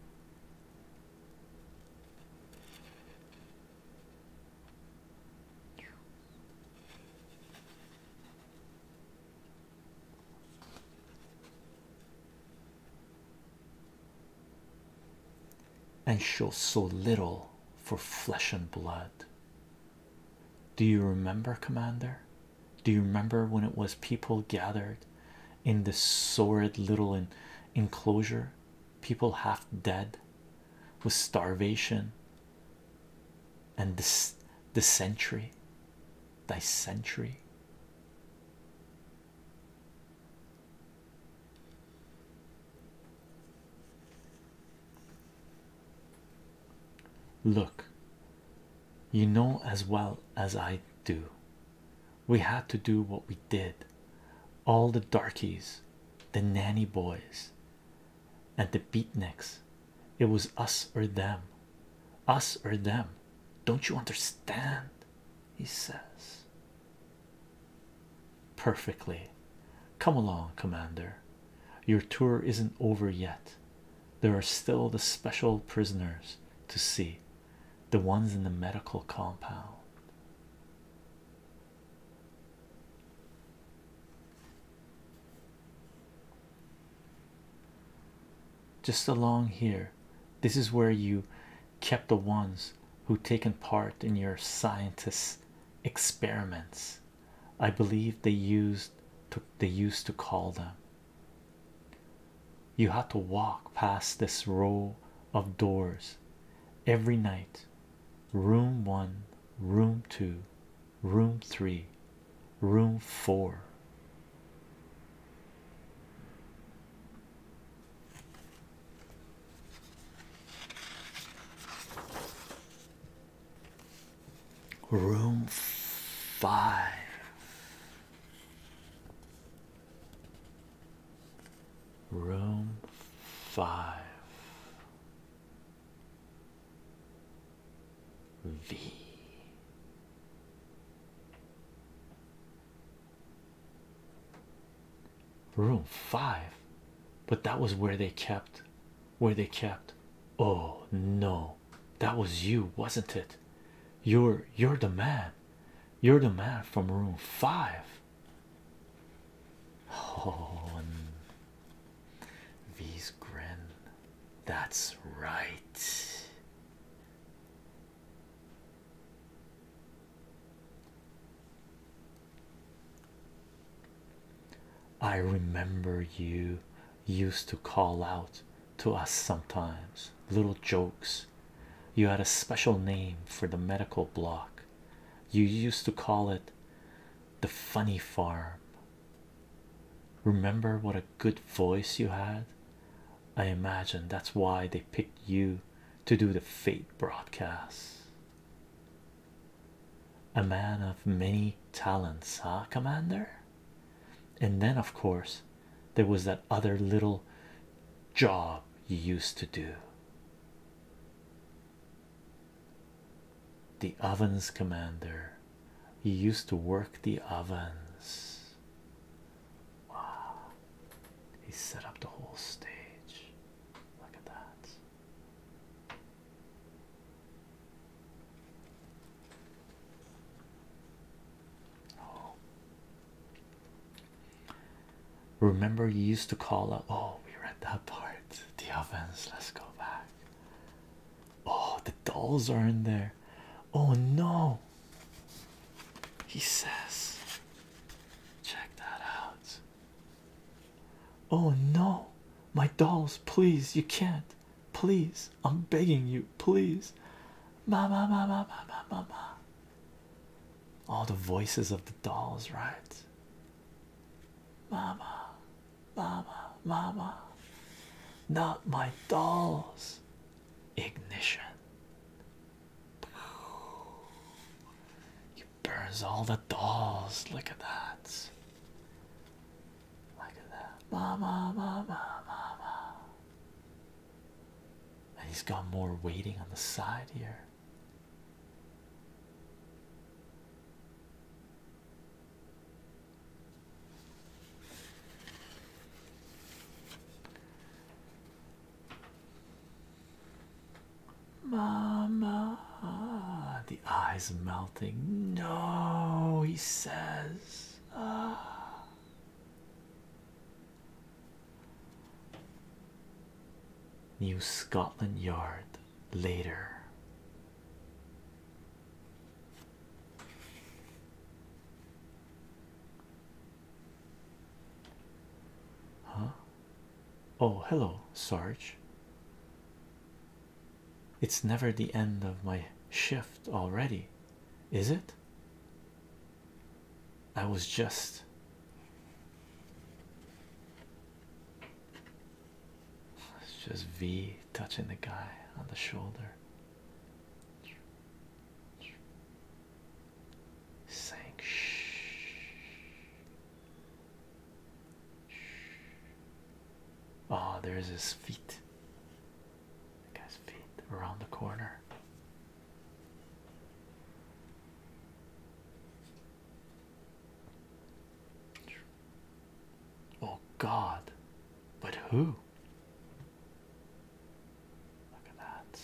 And show so little for flesh and blood. Do you remember, Commander? Do you remember when it was people gathered in this sordid little enclosure? People half dead with starvation and this the century, thy century. Look, you know as well as I do, we had to do what we did. All the darkies, the nanny boys, and the beatniks, it was us or them, us or them. Don't you understand? He says, Perfectly. Come along, Commander. Your tour isn't over yet. There are still the special prisoners to see, the ones in the medical compound. Just along here, this is where you kept the ones who taken part in your scientists' experiments. I believe they used to call them you had to walk past this row of doors every night room one, room two, room three, room four. Room five Room five V. Room five, but that was where they kept, where they kept. Oh no, that was you, wasn't it? You're you're the man. You're the man from room five. Oh, V's grin. That's right. I remember you used to call out to us sometimes, little jokes. You had a special name for the medical block, you used to call it the funny farm. Remember what a good voice you had? I imagine that's why they picked you to do the fate broadcasts. A man of many talents, huh, Commander? And then, of course, there was that other little job you used to do. The ovens commander, you used to work the ovens. Wow, he set up the whole stage. Look at that. Oh. Remember, you used to call up. Oh, we read that part. The ovens. Let's go back. Oh, the dolls are in there. Oh no. He says, check that out. Oh no, my dolls, please, you can't. Please, I'm begging you, please. Mama, mama, mama, mama. All the voices of the dolls, right? Mama, mama, mama. Not my dolls. Ignition. You burns all the dolls. Look at that. Look at that. Mama, mama, mama. And he's got more waiting on the side here. Mama, the eyes melting. No, he says. Ah. New Scotland Yard later. Huh? Oh, hello, Sarge. It's never the end of my shift already, is it? I was just it's just V touching the guy on the shoulder. Saying shh. Ah, there's his feet. The guy's feet around the corner. Oh God, but who? Look at that.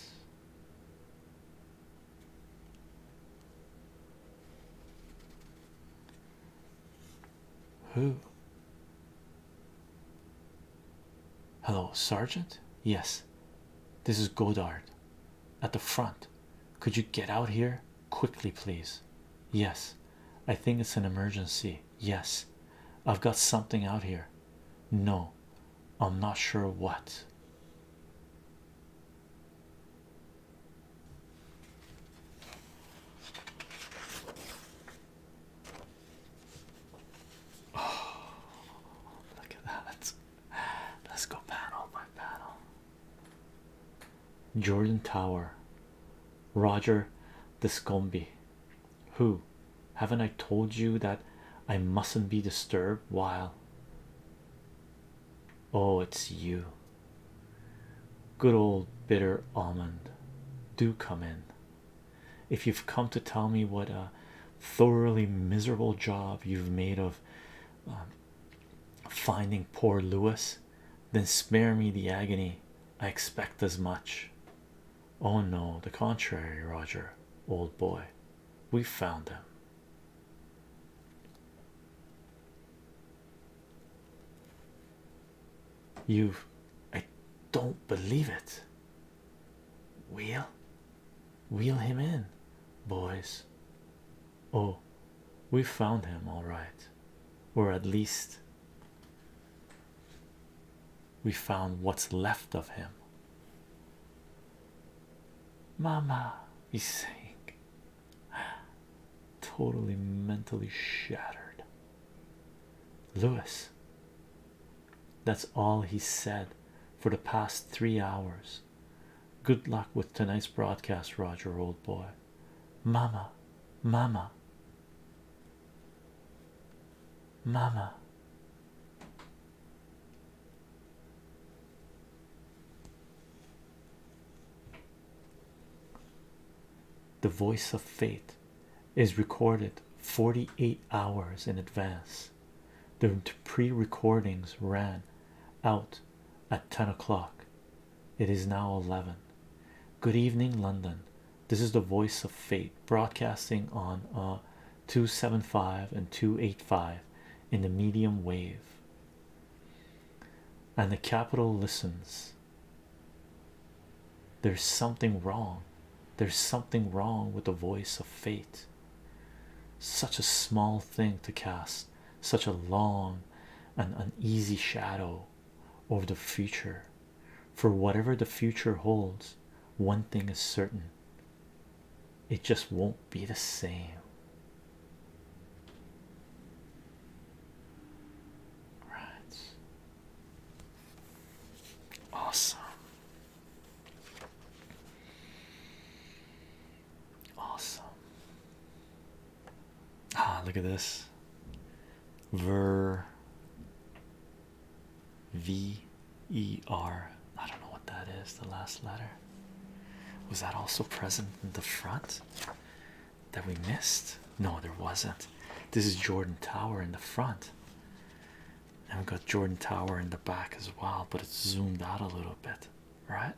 Who? Hello, Sergeant. Yes, this is Godard at the front. Could you get out here quickly, please? Yes, I think it's an emergency. Yes, I've got something out here. No, I'm not sure what. Oh, look at that. Let's, let's go panel by panel. Jordan Tower, Roger Descombi. Who haven't I told you that I mustn't be disturbed while? Oh, it's you. Good old bitter almond. Do come in if you've come to tell me what a thoroughly miserable job you've made of um, finding poor Lewis, then spare me the agony. I expect as much. Oh no, the contrary, Roger, old boy. We found him. you I don't believe it. we Wheel, Wheel him in, boys. Oh, we found him, all right, or at least we found what's left of him. Mama, he's saying, totally mentally shattered. Lewis, that's all he said for the past three hours. Good luck with tonight's broadcast, Roger, old boy. Mama, mama, mama. The voice of fate is recorded 48 hours in advance. The pre-recordings ran out at 10 o'clock. It is now 11. Good evening, London. This is the voice of fate broadcasting on uh, 275 and 285 in the medium wave. And the capital listens. There's something wrong. There's something wrong with the voice of fate. Such a small thing to cast such a long and uneasy shadow over the future. For whatever the future holds, one thing is certain it just won't be the same. Right. Awesome. Awesome. Ah, look at this. Ver V E R. I don't know what that is, the last letter. Was that also present in the front that we missed? No, there wasn't. This is Jordan Tower in the front and we've got Jordan Tower in the back as well, but it's zoomed out a little bit, right?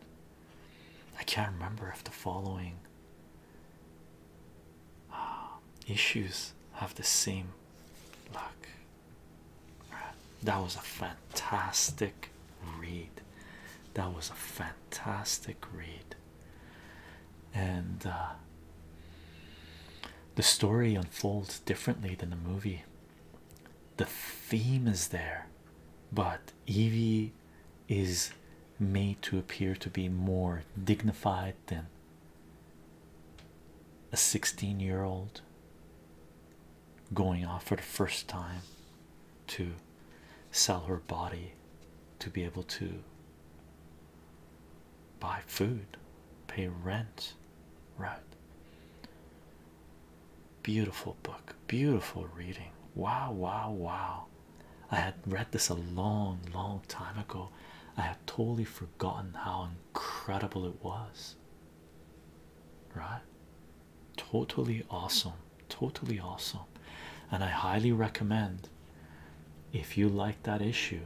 I can't remember if the following uh, issues have the same look. Right. That was a fantastic read. That was a fantastic read. And uh, the story unfolds differently than the movie the theme is there, but Evie is made to appear to be more dignified than a 16 year old going off for the first time to sell her body to be able to buy food, pay rent, right? Beautiful book, beautiful reading. Wow, wow, wow. I had read this a long, long time ago. I had totally forgotten how incredible it was, right? Totally awesome, totally awesome. And I highly recommend if you like that issue,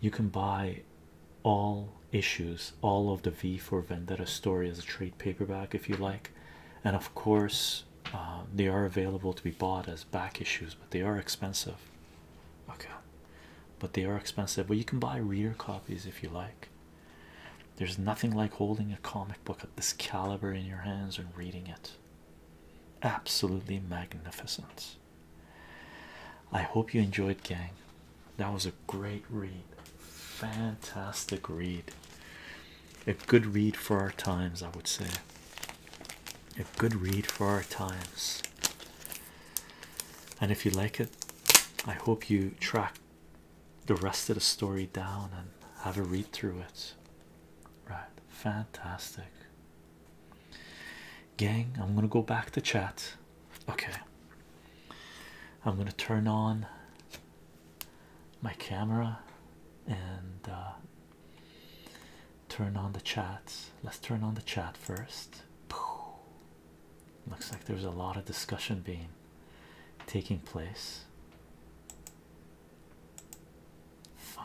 you can buy all issues, all of the V for Vendetta story as a trade paperback, if you like. And of course, uh, they are available to be bought as back issues, but they are expensive. Okay, but they are expensive. Well, you can buy reader copies if you like. There's nothing like holding a comic book of this caliber in your hands and reading it. Absolutely magnificent. I hope you enjoyed, gang. That was a great read, fantastic read, a good read for our times, I would say. A good read for our times. And if you like it, I hope you track the rest of the story down and have a read through it. Right, fantastic gang i'm gonna go back to chat okay i'm gonna turn on my camera and uh, turn on the chat let's turn on the chat first looks like there's a lot of discussion being taking place fun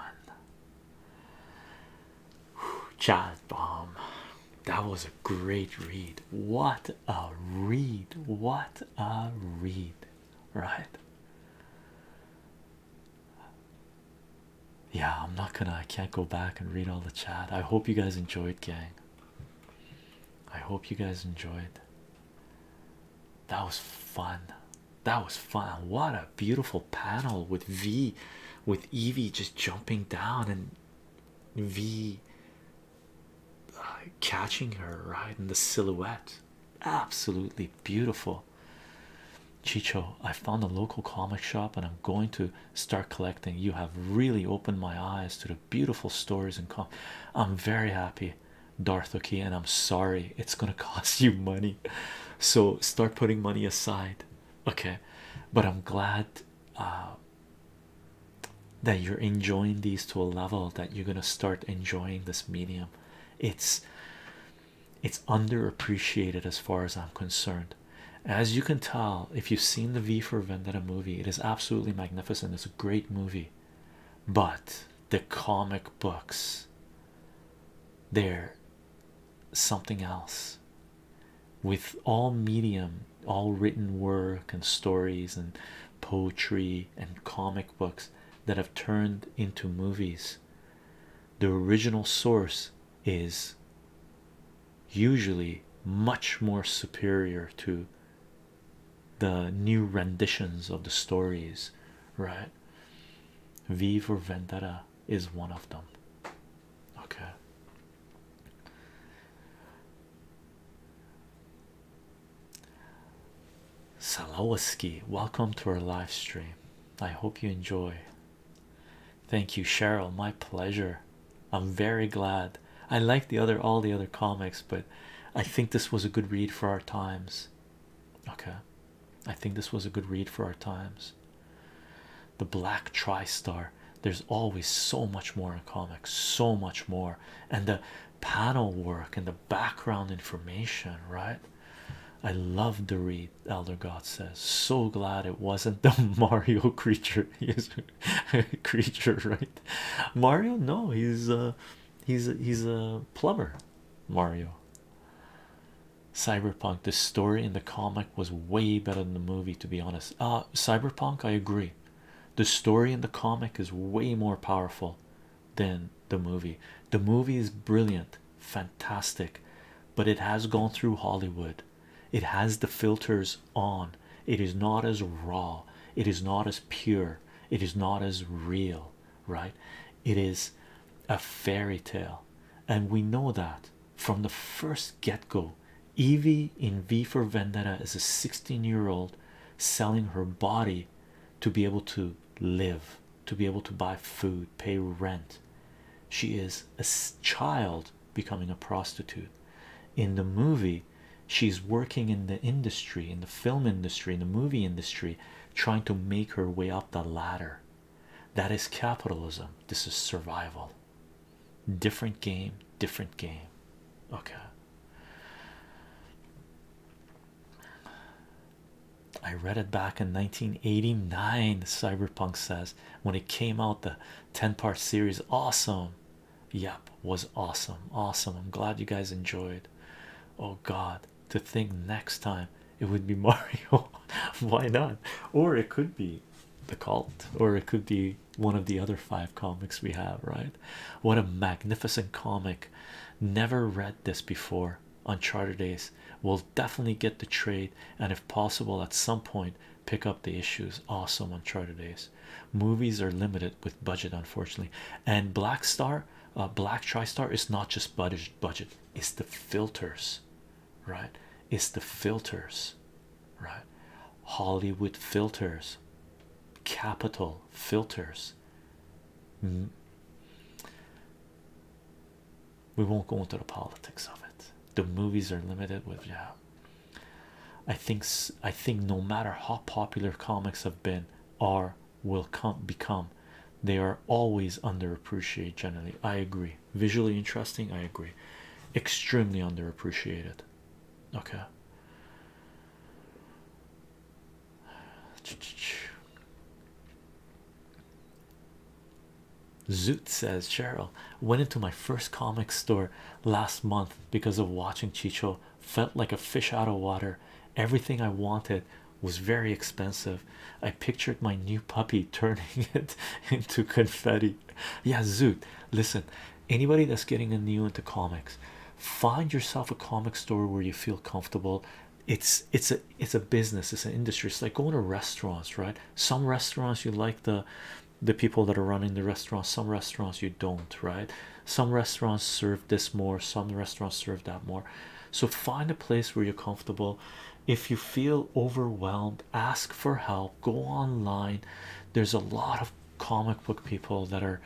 Chat bomb that was a great read. What a read! What a read, right? Yeah, I'm not gonna, I can't go back and read all the chat. I hope you guys enjoyed, gang. I hope you guys enjoyed. That was fun. That was fun. What a beautiful panel with V, with Evie just jumping down and V uh, catching her right in the silhouette. Absolutely beautiful. Chicho, I found a local comic shop and I'm going to start collecting. You have really opened my eyes to the beautiful stories and com. I'm very happy, Darthoki, and I'm sorry it's gonna cost you money. So start putting money aside, okay? But I'm glad uh, that you're enjoying these to a level that you're gonna start enjoying this medium. It's it's underappreciated as far as I'm concerned. As you can tell, if you've seen the V for Vendetta movie, it is absolutely magnificent. It's a great movie, but the comic books they're something else with all medium, all written work and stories and poetry and comic books that have turned into movies. The original source is usually much more superior to the new renditions of the stories, right? V for Vendetta is one of them, Okay. Salawaski, welcome to our live stream. I hope you enjoy. Thank you, Cheryl. My pleasure. I'm very glad. I like the other all the other comics, but I think this was a good read for our times. Okay. I think this was a good read for our times. The Black Tri-Star there's always so much more in comics, so much more, and the panel work and the background information, right? I love to read, Elder God says. So glad it wasn't the Mario creature. Yes, creature, right? Mario, no, he's a uh, he's he's a plumber. Mario. Cyberpunk, the story in the comic was way better than the movie, to be honest. Uh, Cyberpunk, I agree the story in the comic is way more powerful than the movie. The movie is brilliant, fantastic, but it has gone through Hollywood. It has the filters on. It is not as raw. It is not as pure. It is not as real, right? It is a fairy tale, and we know that from the first get go. Evie in V for Vendetta is a 16 year old selling her body to be able to live, to be able to buy food, pay rent. She is a child becoming a prostitute. In the movie, she's working in the industry, in the film industry, in the movie industry, trying to make her way up the ladder. That is capitalism, this is survival different game, different game. Okay. I read it back in 1989. Cyberpunk says when it came out, the 10 part series, awesome. Yep, was awesome. Awesome. I'm glad you guys enjoyed. Oh, God, to think next time it would be Mario. Why not? Or it could be the cult, or it could be one of the other five comics we have, right? What a magnificent comic! Never read this before. On Charter Days will definitely get the trade, and if possible, at some point, pick up the issues. Awesome, on Charter Days. Movies are limited with budget, unfortunately. And Black Star, uh, Black TriStar is not just budget, budget, it's the filters, right? It's the filters right? Hollywood filters, capital filters. Mm. We won't go into the politics of it. The movies are limited with yeah. I think I think no matter how popular comics have been are will come become, they are always underappreciated. Generally, I agree. Visually interesting, I agree. Extremely underappreciated. Okay, Zoot says Cheryl went into my first comic store last month because of watching Chicho. Felt like a fish out of water. Everything I wanted was very expensive. I pictured my new puppy turning it into confetti. Yeah, Zoot, listen, anybody that's getting a new into comics find yourself a comic store where you feel comfortable it's it's a it's a business it's an industry it's like going to restaurants right some restaurants you like the the people that are running the restaurants some restaurants you don't right some restaurants serve this more some restaurants serve that more so find a place where you're comfortable if you feel overwhelmed ask for help go online there's a lot of comic book people that are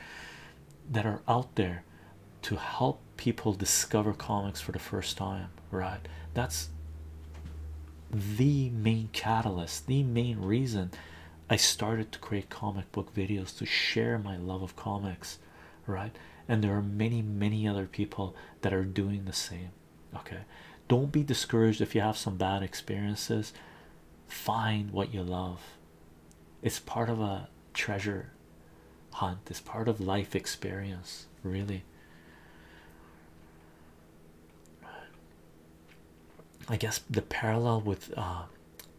that are out there to help people discover comics for the first time right that's the main catalyst the main reason i started to create comic book videos to share my love of comics right and there are many many other people that are doing the same okay don't be discouraged if you have some bad experiences find what you love it's part of a treasure hunt it's part of life experience really i guess the parallel with uh,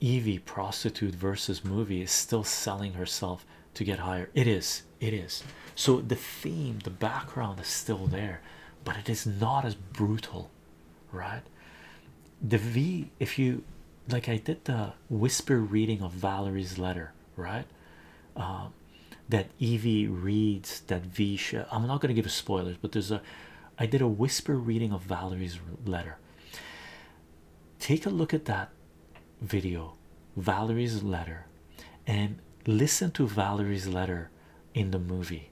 evie prostitute versus movie is still selling herself to get higher it is it is so the theme the background is still there but it is not as brutal right the v if you like i did the whisper reading of valerie's letter right um, that evie reads that v i'm not going to give a spoilers but there's a i did a whisper reading of valerie's letter take a look at that video valerie's letter and listen to valerie's letter in the movie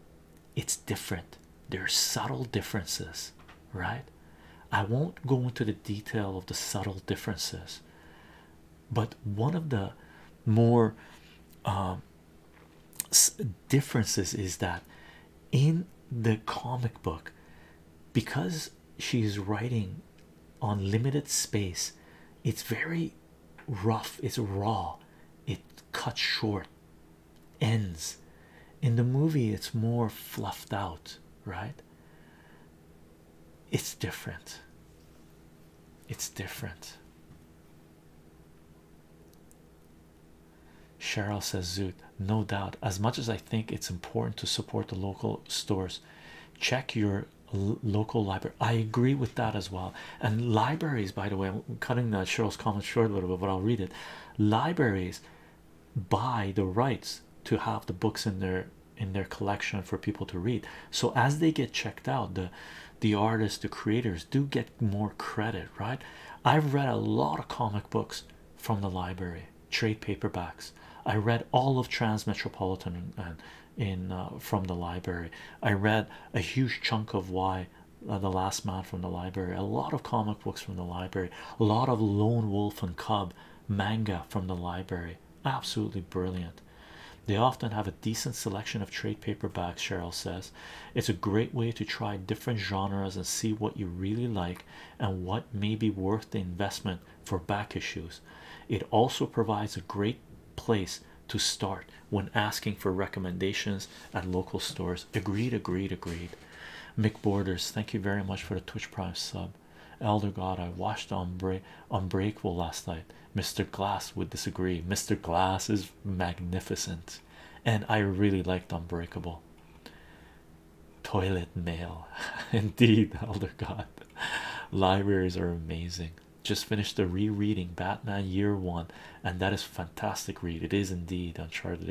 it's different. There are subtle differences, right? I won't go into the detail of the subtle differences, but one of the more um, differences is that in the comic book, because she is writing on limited space, it's very rough, it's raw, it cuts short ends in the movie it's more fluffed out right it's different it's different Cheryl says zoot no doubt as much as I think it's important to support the local stores check your local library I agree with that as well and libraries by the way I'm cutting that Cheryl's comment short a little bit but I'll read it libraries buy the rights to have the books in their in their collection for people to read so as they get checked out the the artists the creators do get more credit right i've read a lot of comic books from the library trade paperbacks i read all of Trans Metropolitan in uh, from the library i read a huge chunk of why uh, the last man from the library a lot of comic books from the library a lot of lone wolf and cub manga from the library absolutely brilliant they often have a decent selection of trade paperbacks cheryl says it's a great way to try different genres and see what you really like and what may be worth the investment for back issues it also provides a great place to start when asking for recommendations at local stores hours. Agreed, agreed, agreed. McBorders, thank you very much for the Twitch Prime sub. Elder God, I watched on Unbreakable last night. Mr. Glass would disagree. Mr. Glass is magnificent, and I really liked Unbreakable. Toilet mail, indeed, Elder God. Libraries are amazing. Just finished the rereading Batman Year One, and that is fantastic read. It is indeed Uncharted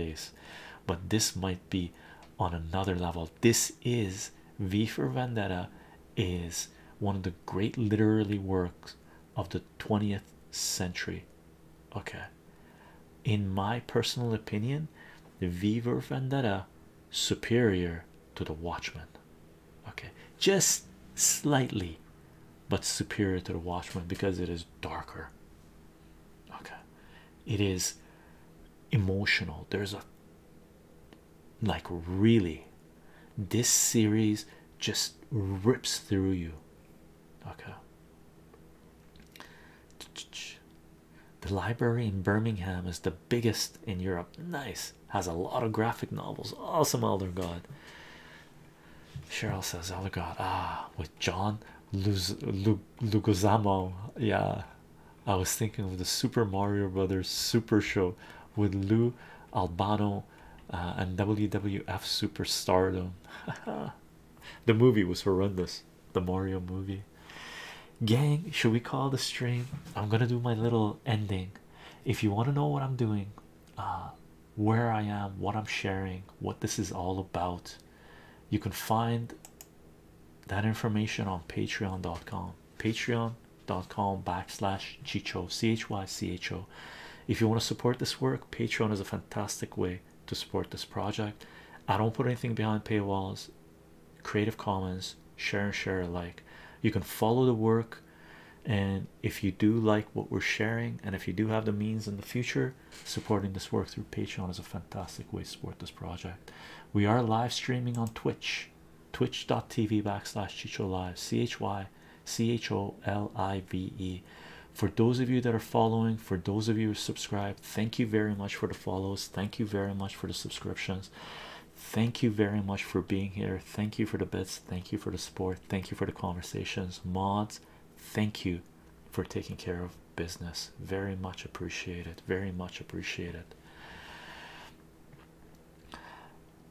but this might be on another level this is v for vendetta is one of the great literary works of the 20th century okay in my personal opinion the v for vendetta superior to the watchman okay just slightly but superior to the watchman because it is darker okay it is emotional there's a like really this series just rips through you okay the library in Birmingham is the biggest in Europe nice has a lot of graphic novels awesome elder god Cheryl says elder god ah John Luz Lu, Lugozamo. Yeah, I was thinking of the Super Mario Brothers Super Show with Lou Albano uh, and WWF Super Stardom. the movie was horrendous, the Mario movie. Gang, should we call the stream? I'm gonna do my little ending. If you want to know what I'm doing, uh, where I am, what I'm sharing, what this is all about, you can find that information on patreon.com patreon.com backslash chicho chycho if you want to support this work patreon is a fantastic way to support this project i don't put anything behind paywalls creative commons share and share alike you can follow the work and if you do like what we're sharing and if you do have the means in the future supporting this work through patreon is a fantastic way to support this project we are live streaming on twitch twitch.tv backslash chicho live c-h-y c-h-o-l-i-v-e for those of you that are following for those of you who subscribe thank you very much for the follows thank you very much for the subscriptions thank you very much for being here thank you for the bits thank you for the support thank you for the conversations mods thank you for taking care of business. Very much appreciated. Very much appreciated.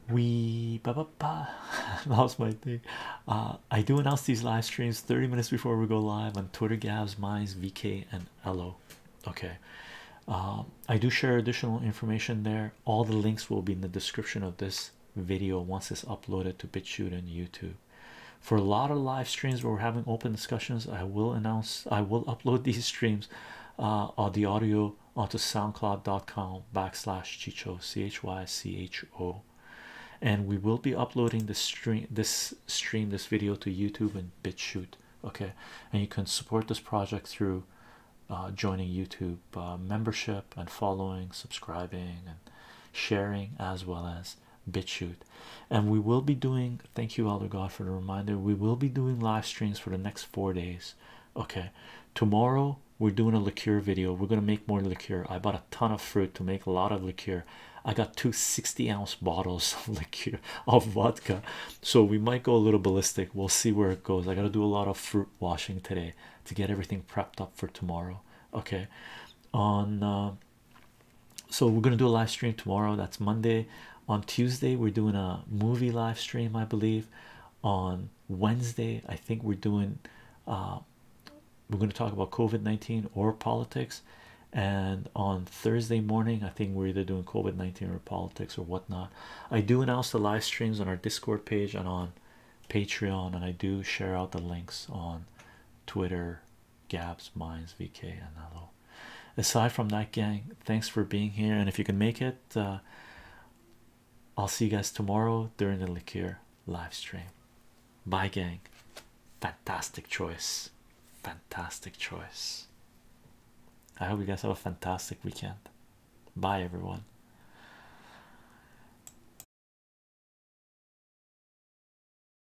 We ba ba ba. that was my thing. Uh, I do announce these live streams 30 minutes before we go live on Twitter, Gabs, Mines, VK, and Elo. Okay. Um, I do share additional information there. All the links will be in the description of this video once it's uploaded to BitChute and YouTube. For a lot of live streams where we're having open discussions, I will announce I will upload these streams uh, or the audio onto soundcloud.com backslash chicho c-h-y-c-h-o and we will be uploading this stream this stream this video to youtube and bitchute okay and you can support this project through uh, joining youtube uh, membership and following subscribing and sharing as well as Plus shoot, And we will be doing, thank you, Elder God, for the reminder. We will be doing live streams for the next four days. Okay, tomorrow we're doing a liqueur video. We're going to make more liqueur. I bought a ton of fruit to make a lot of liqueur. I got two 60 ounce bottles of liqueur of vodka, so we might go a little ballistic. We'll see where it goes. I got to do a lot of fruit washing today to get everything prepped up for tomorrow. Okay, on uh, so we're gonna do a live stream tomorrow. That's Monday. On Tuesday, we're doing a movie live stream, I believe. On Wednesday, I think we're doing uh, we're gonna talk about COVID 19 or politics. And on Thursday morning, I think we're either doing COVID 19 or politics or whatnot. I do announce the live streams on our Discord page and on Patreon, and I do share out the links on Twitter Gabs, Mines, VK, and Hello. Aside from that, gang, thanks for being here. And if you can make it, uh, I'll see you guys tomorrow during the liqueur live stream. Bye, gang. Fantastic choice. Fantastic choice. I hope you guys have a fantastic weekend. Bye, everyone.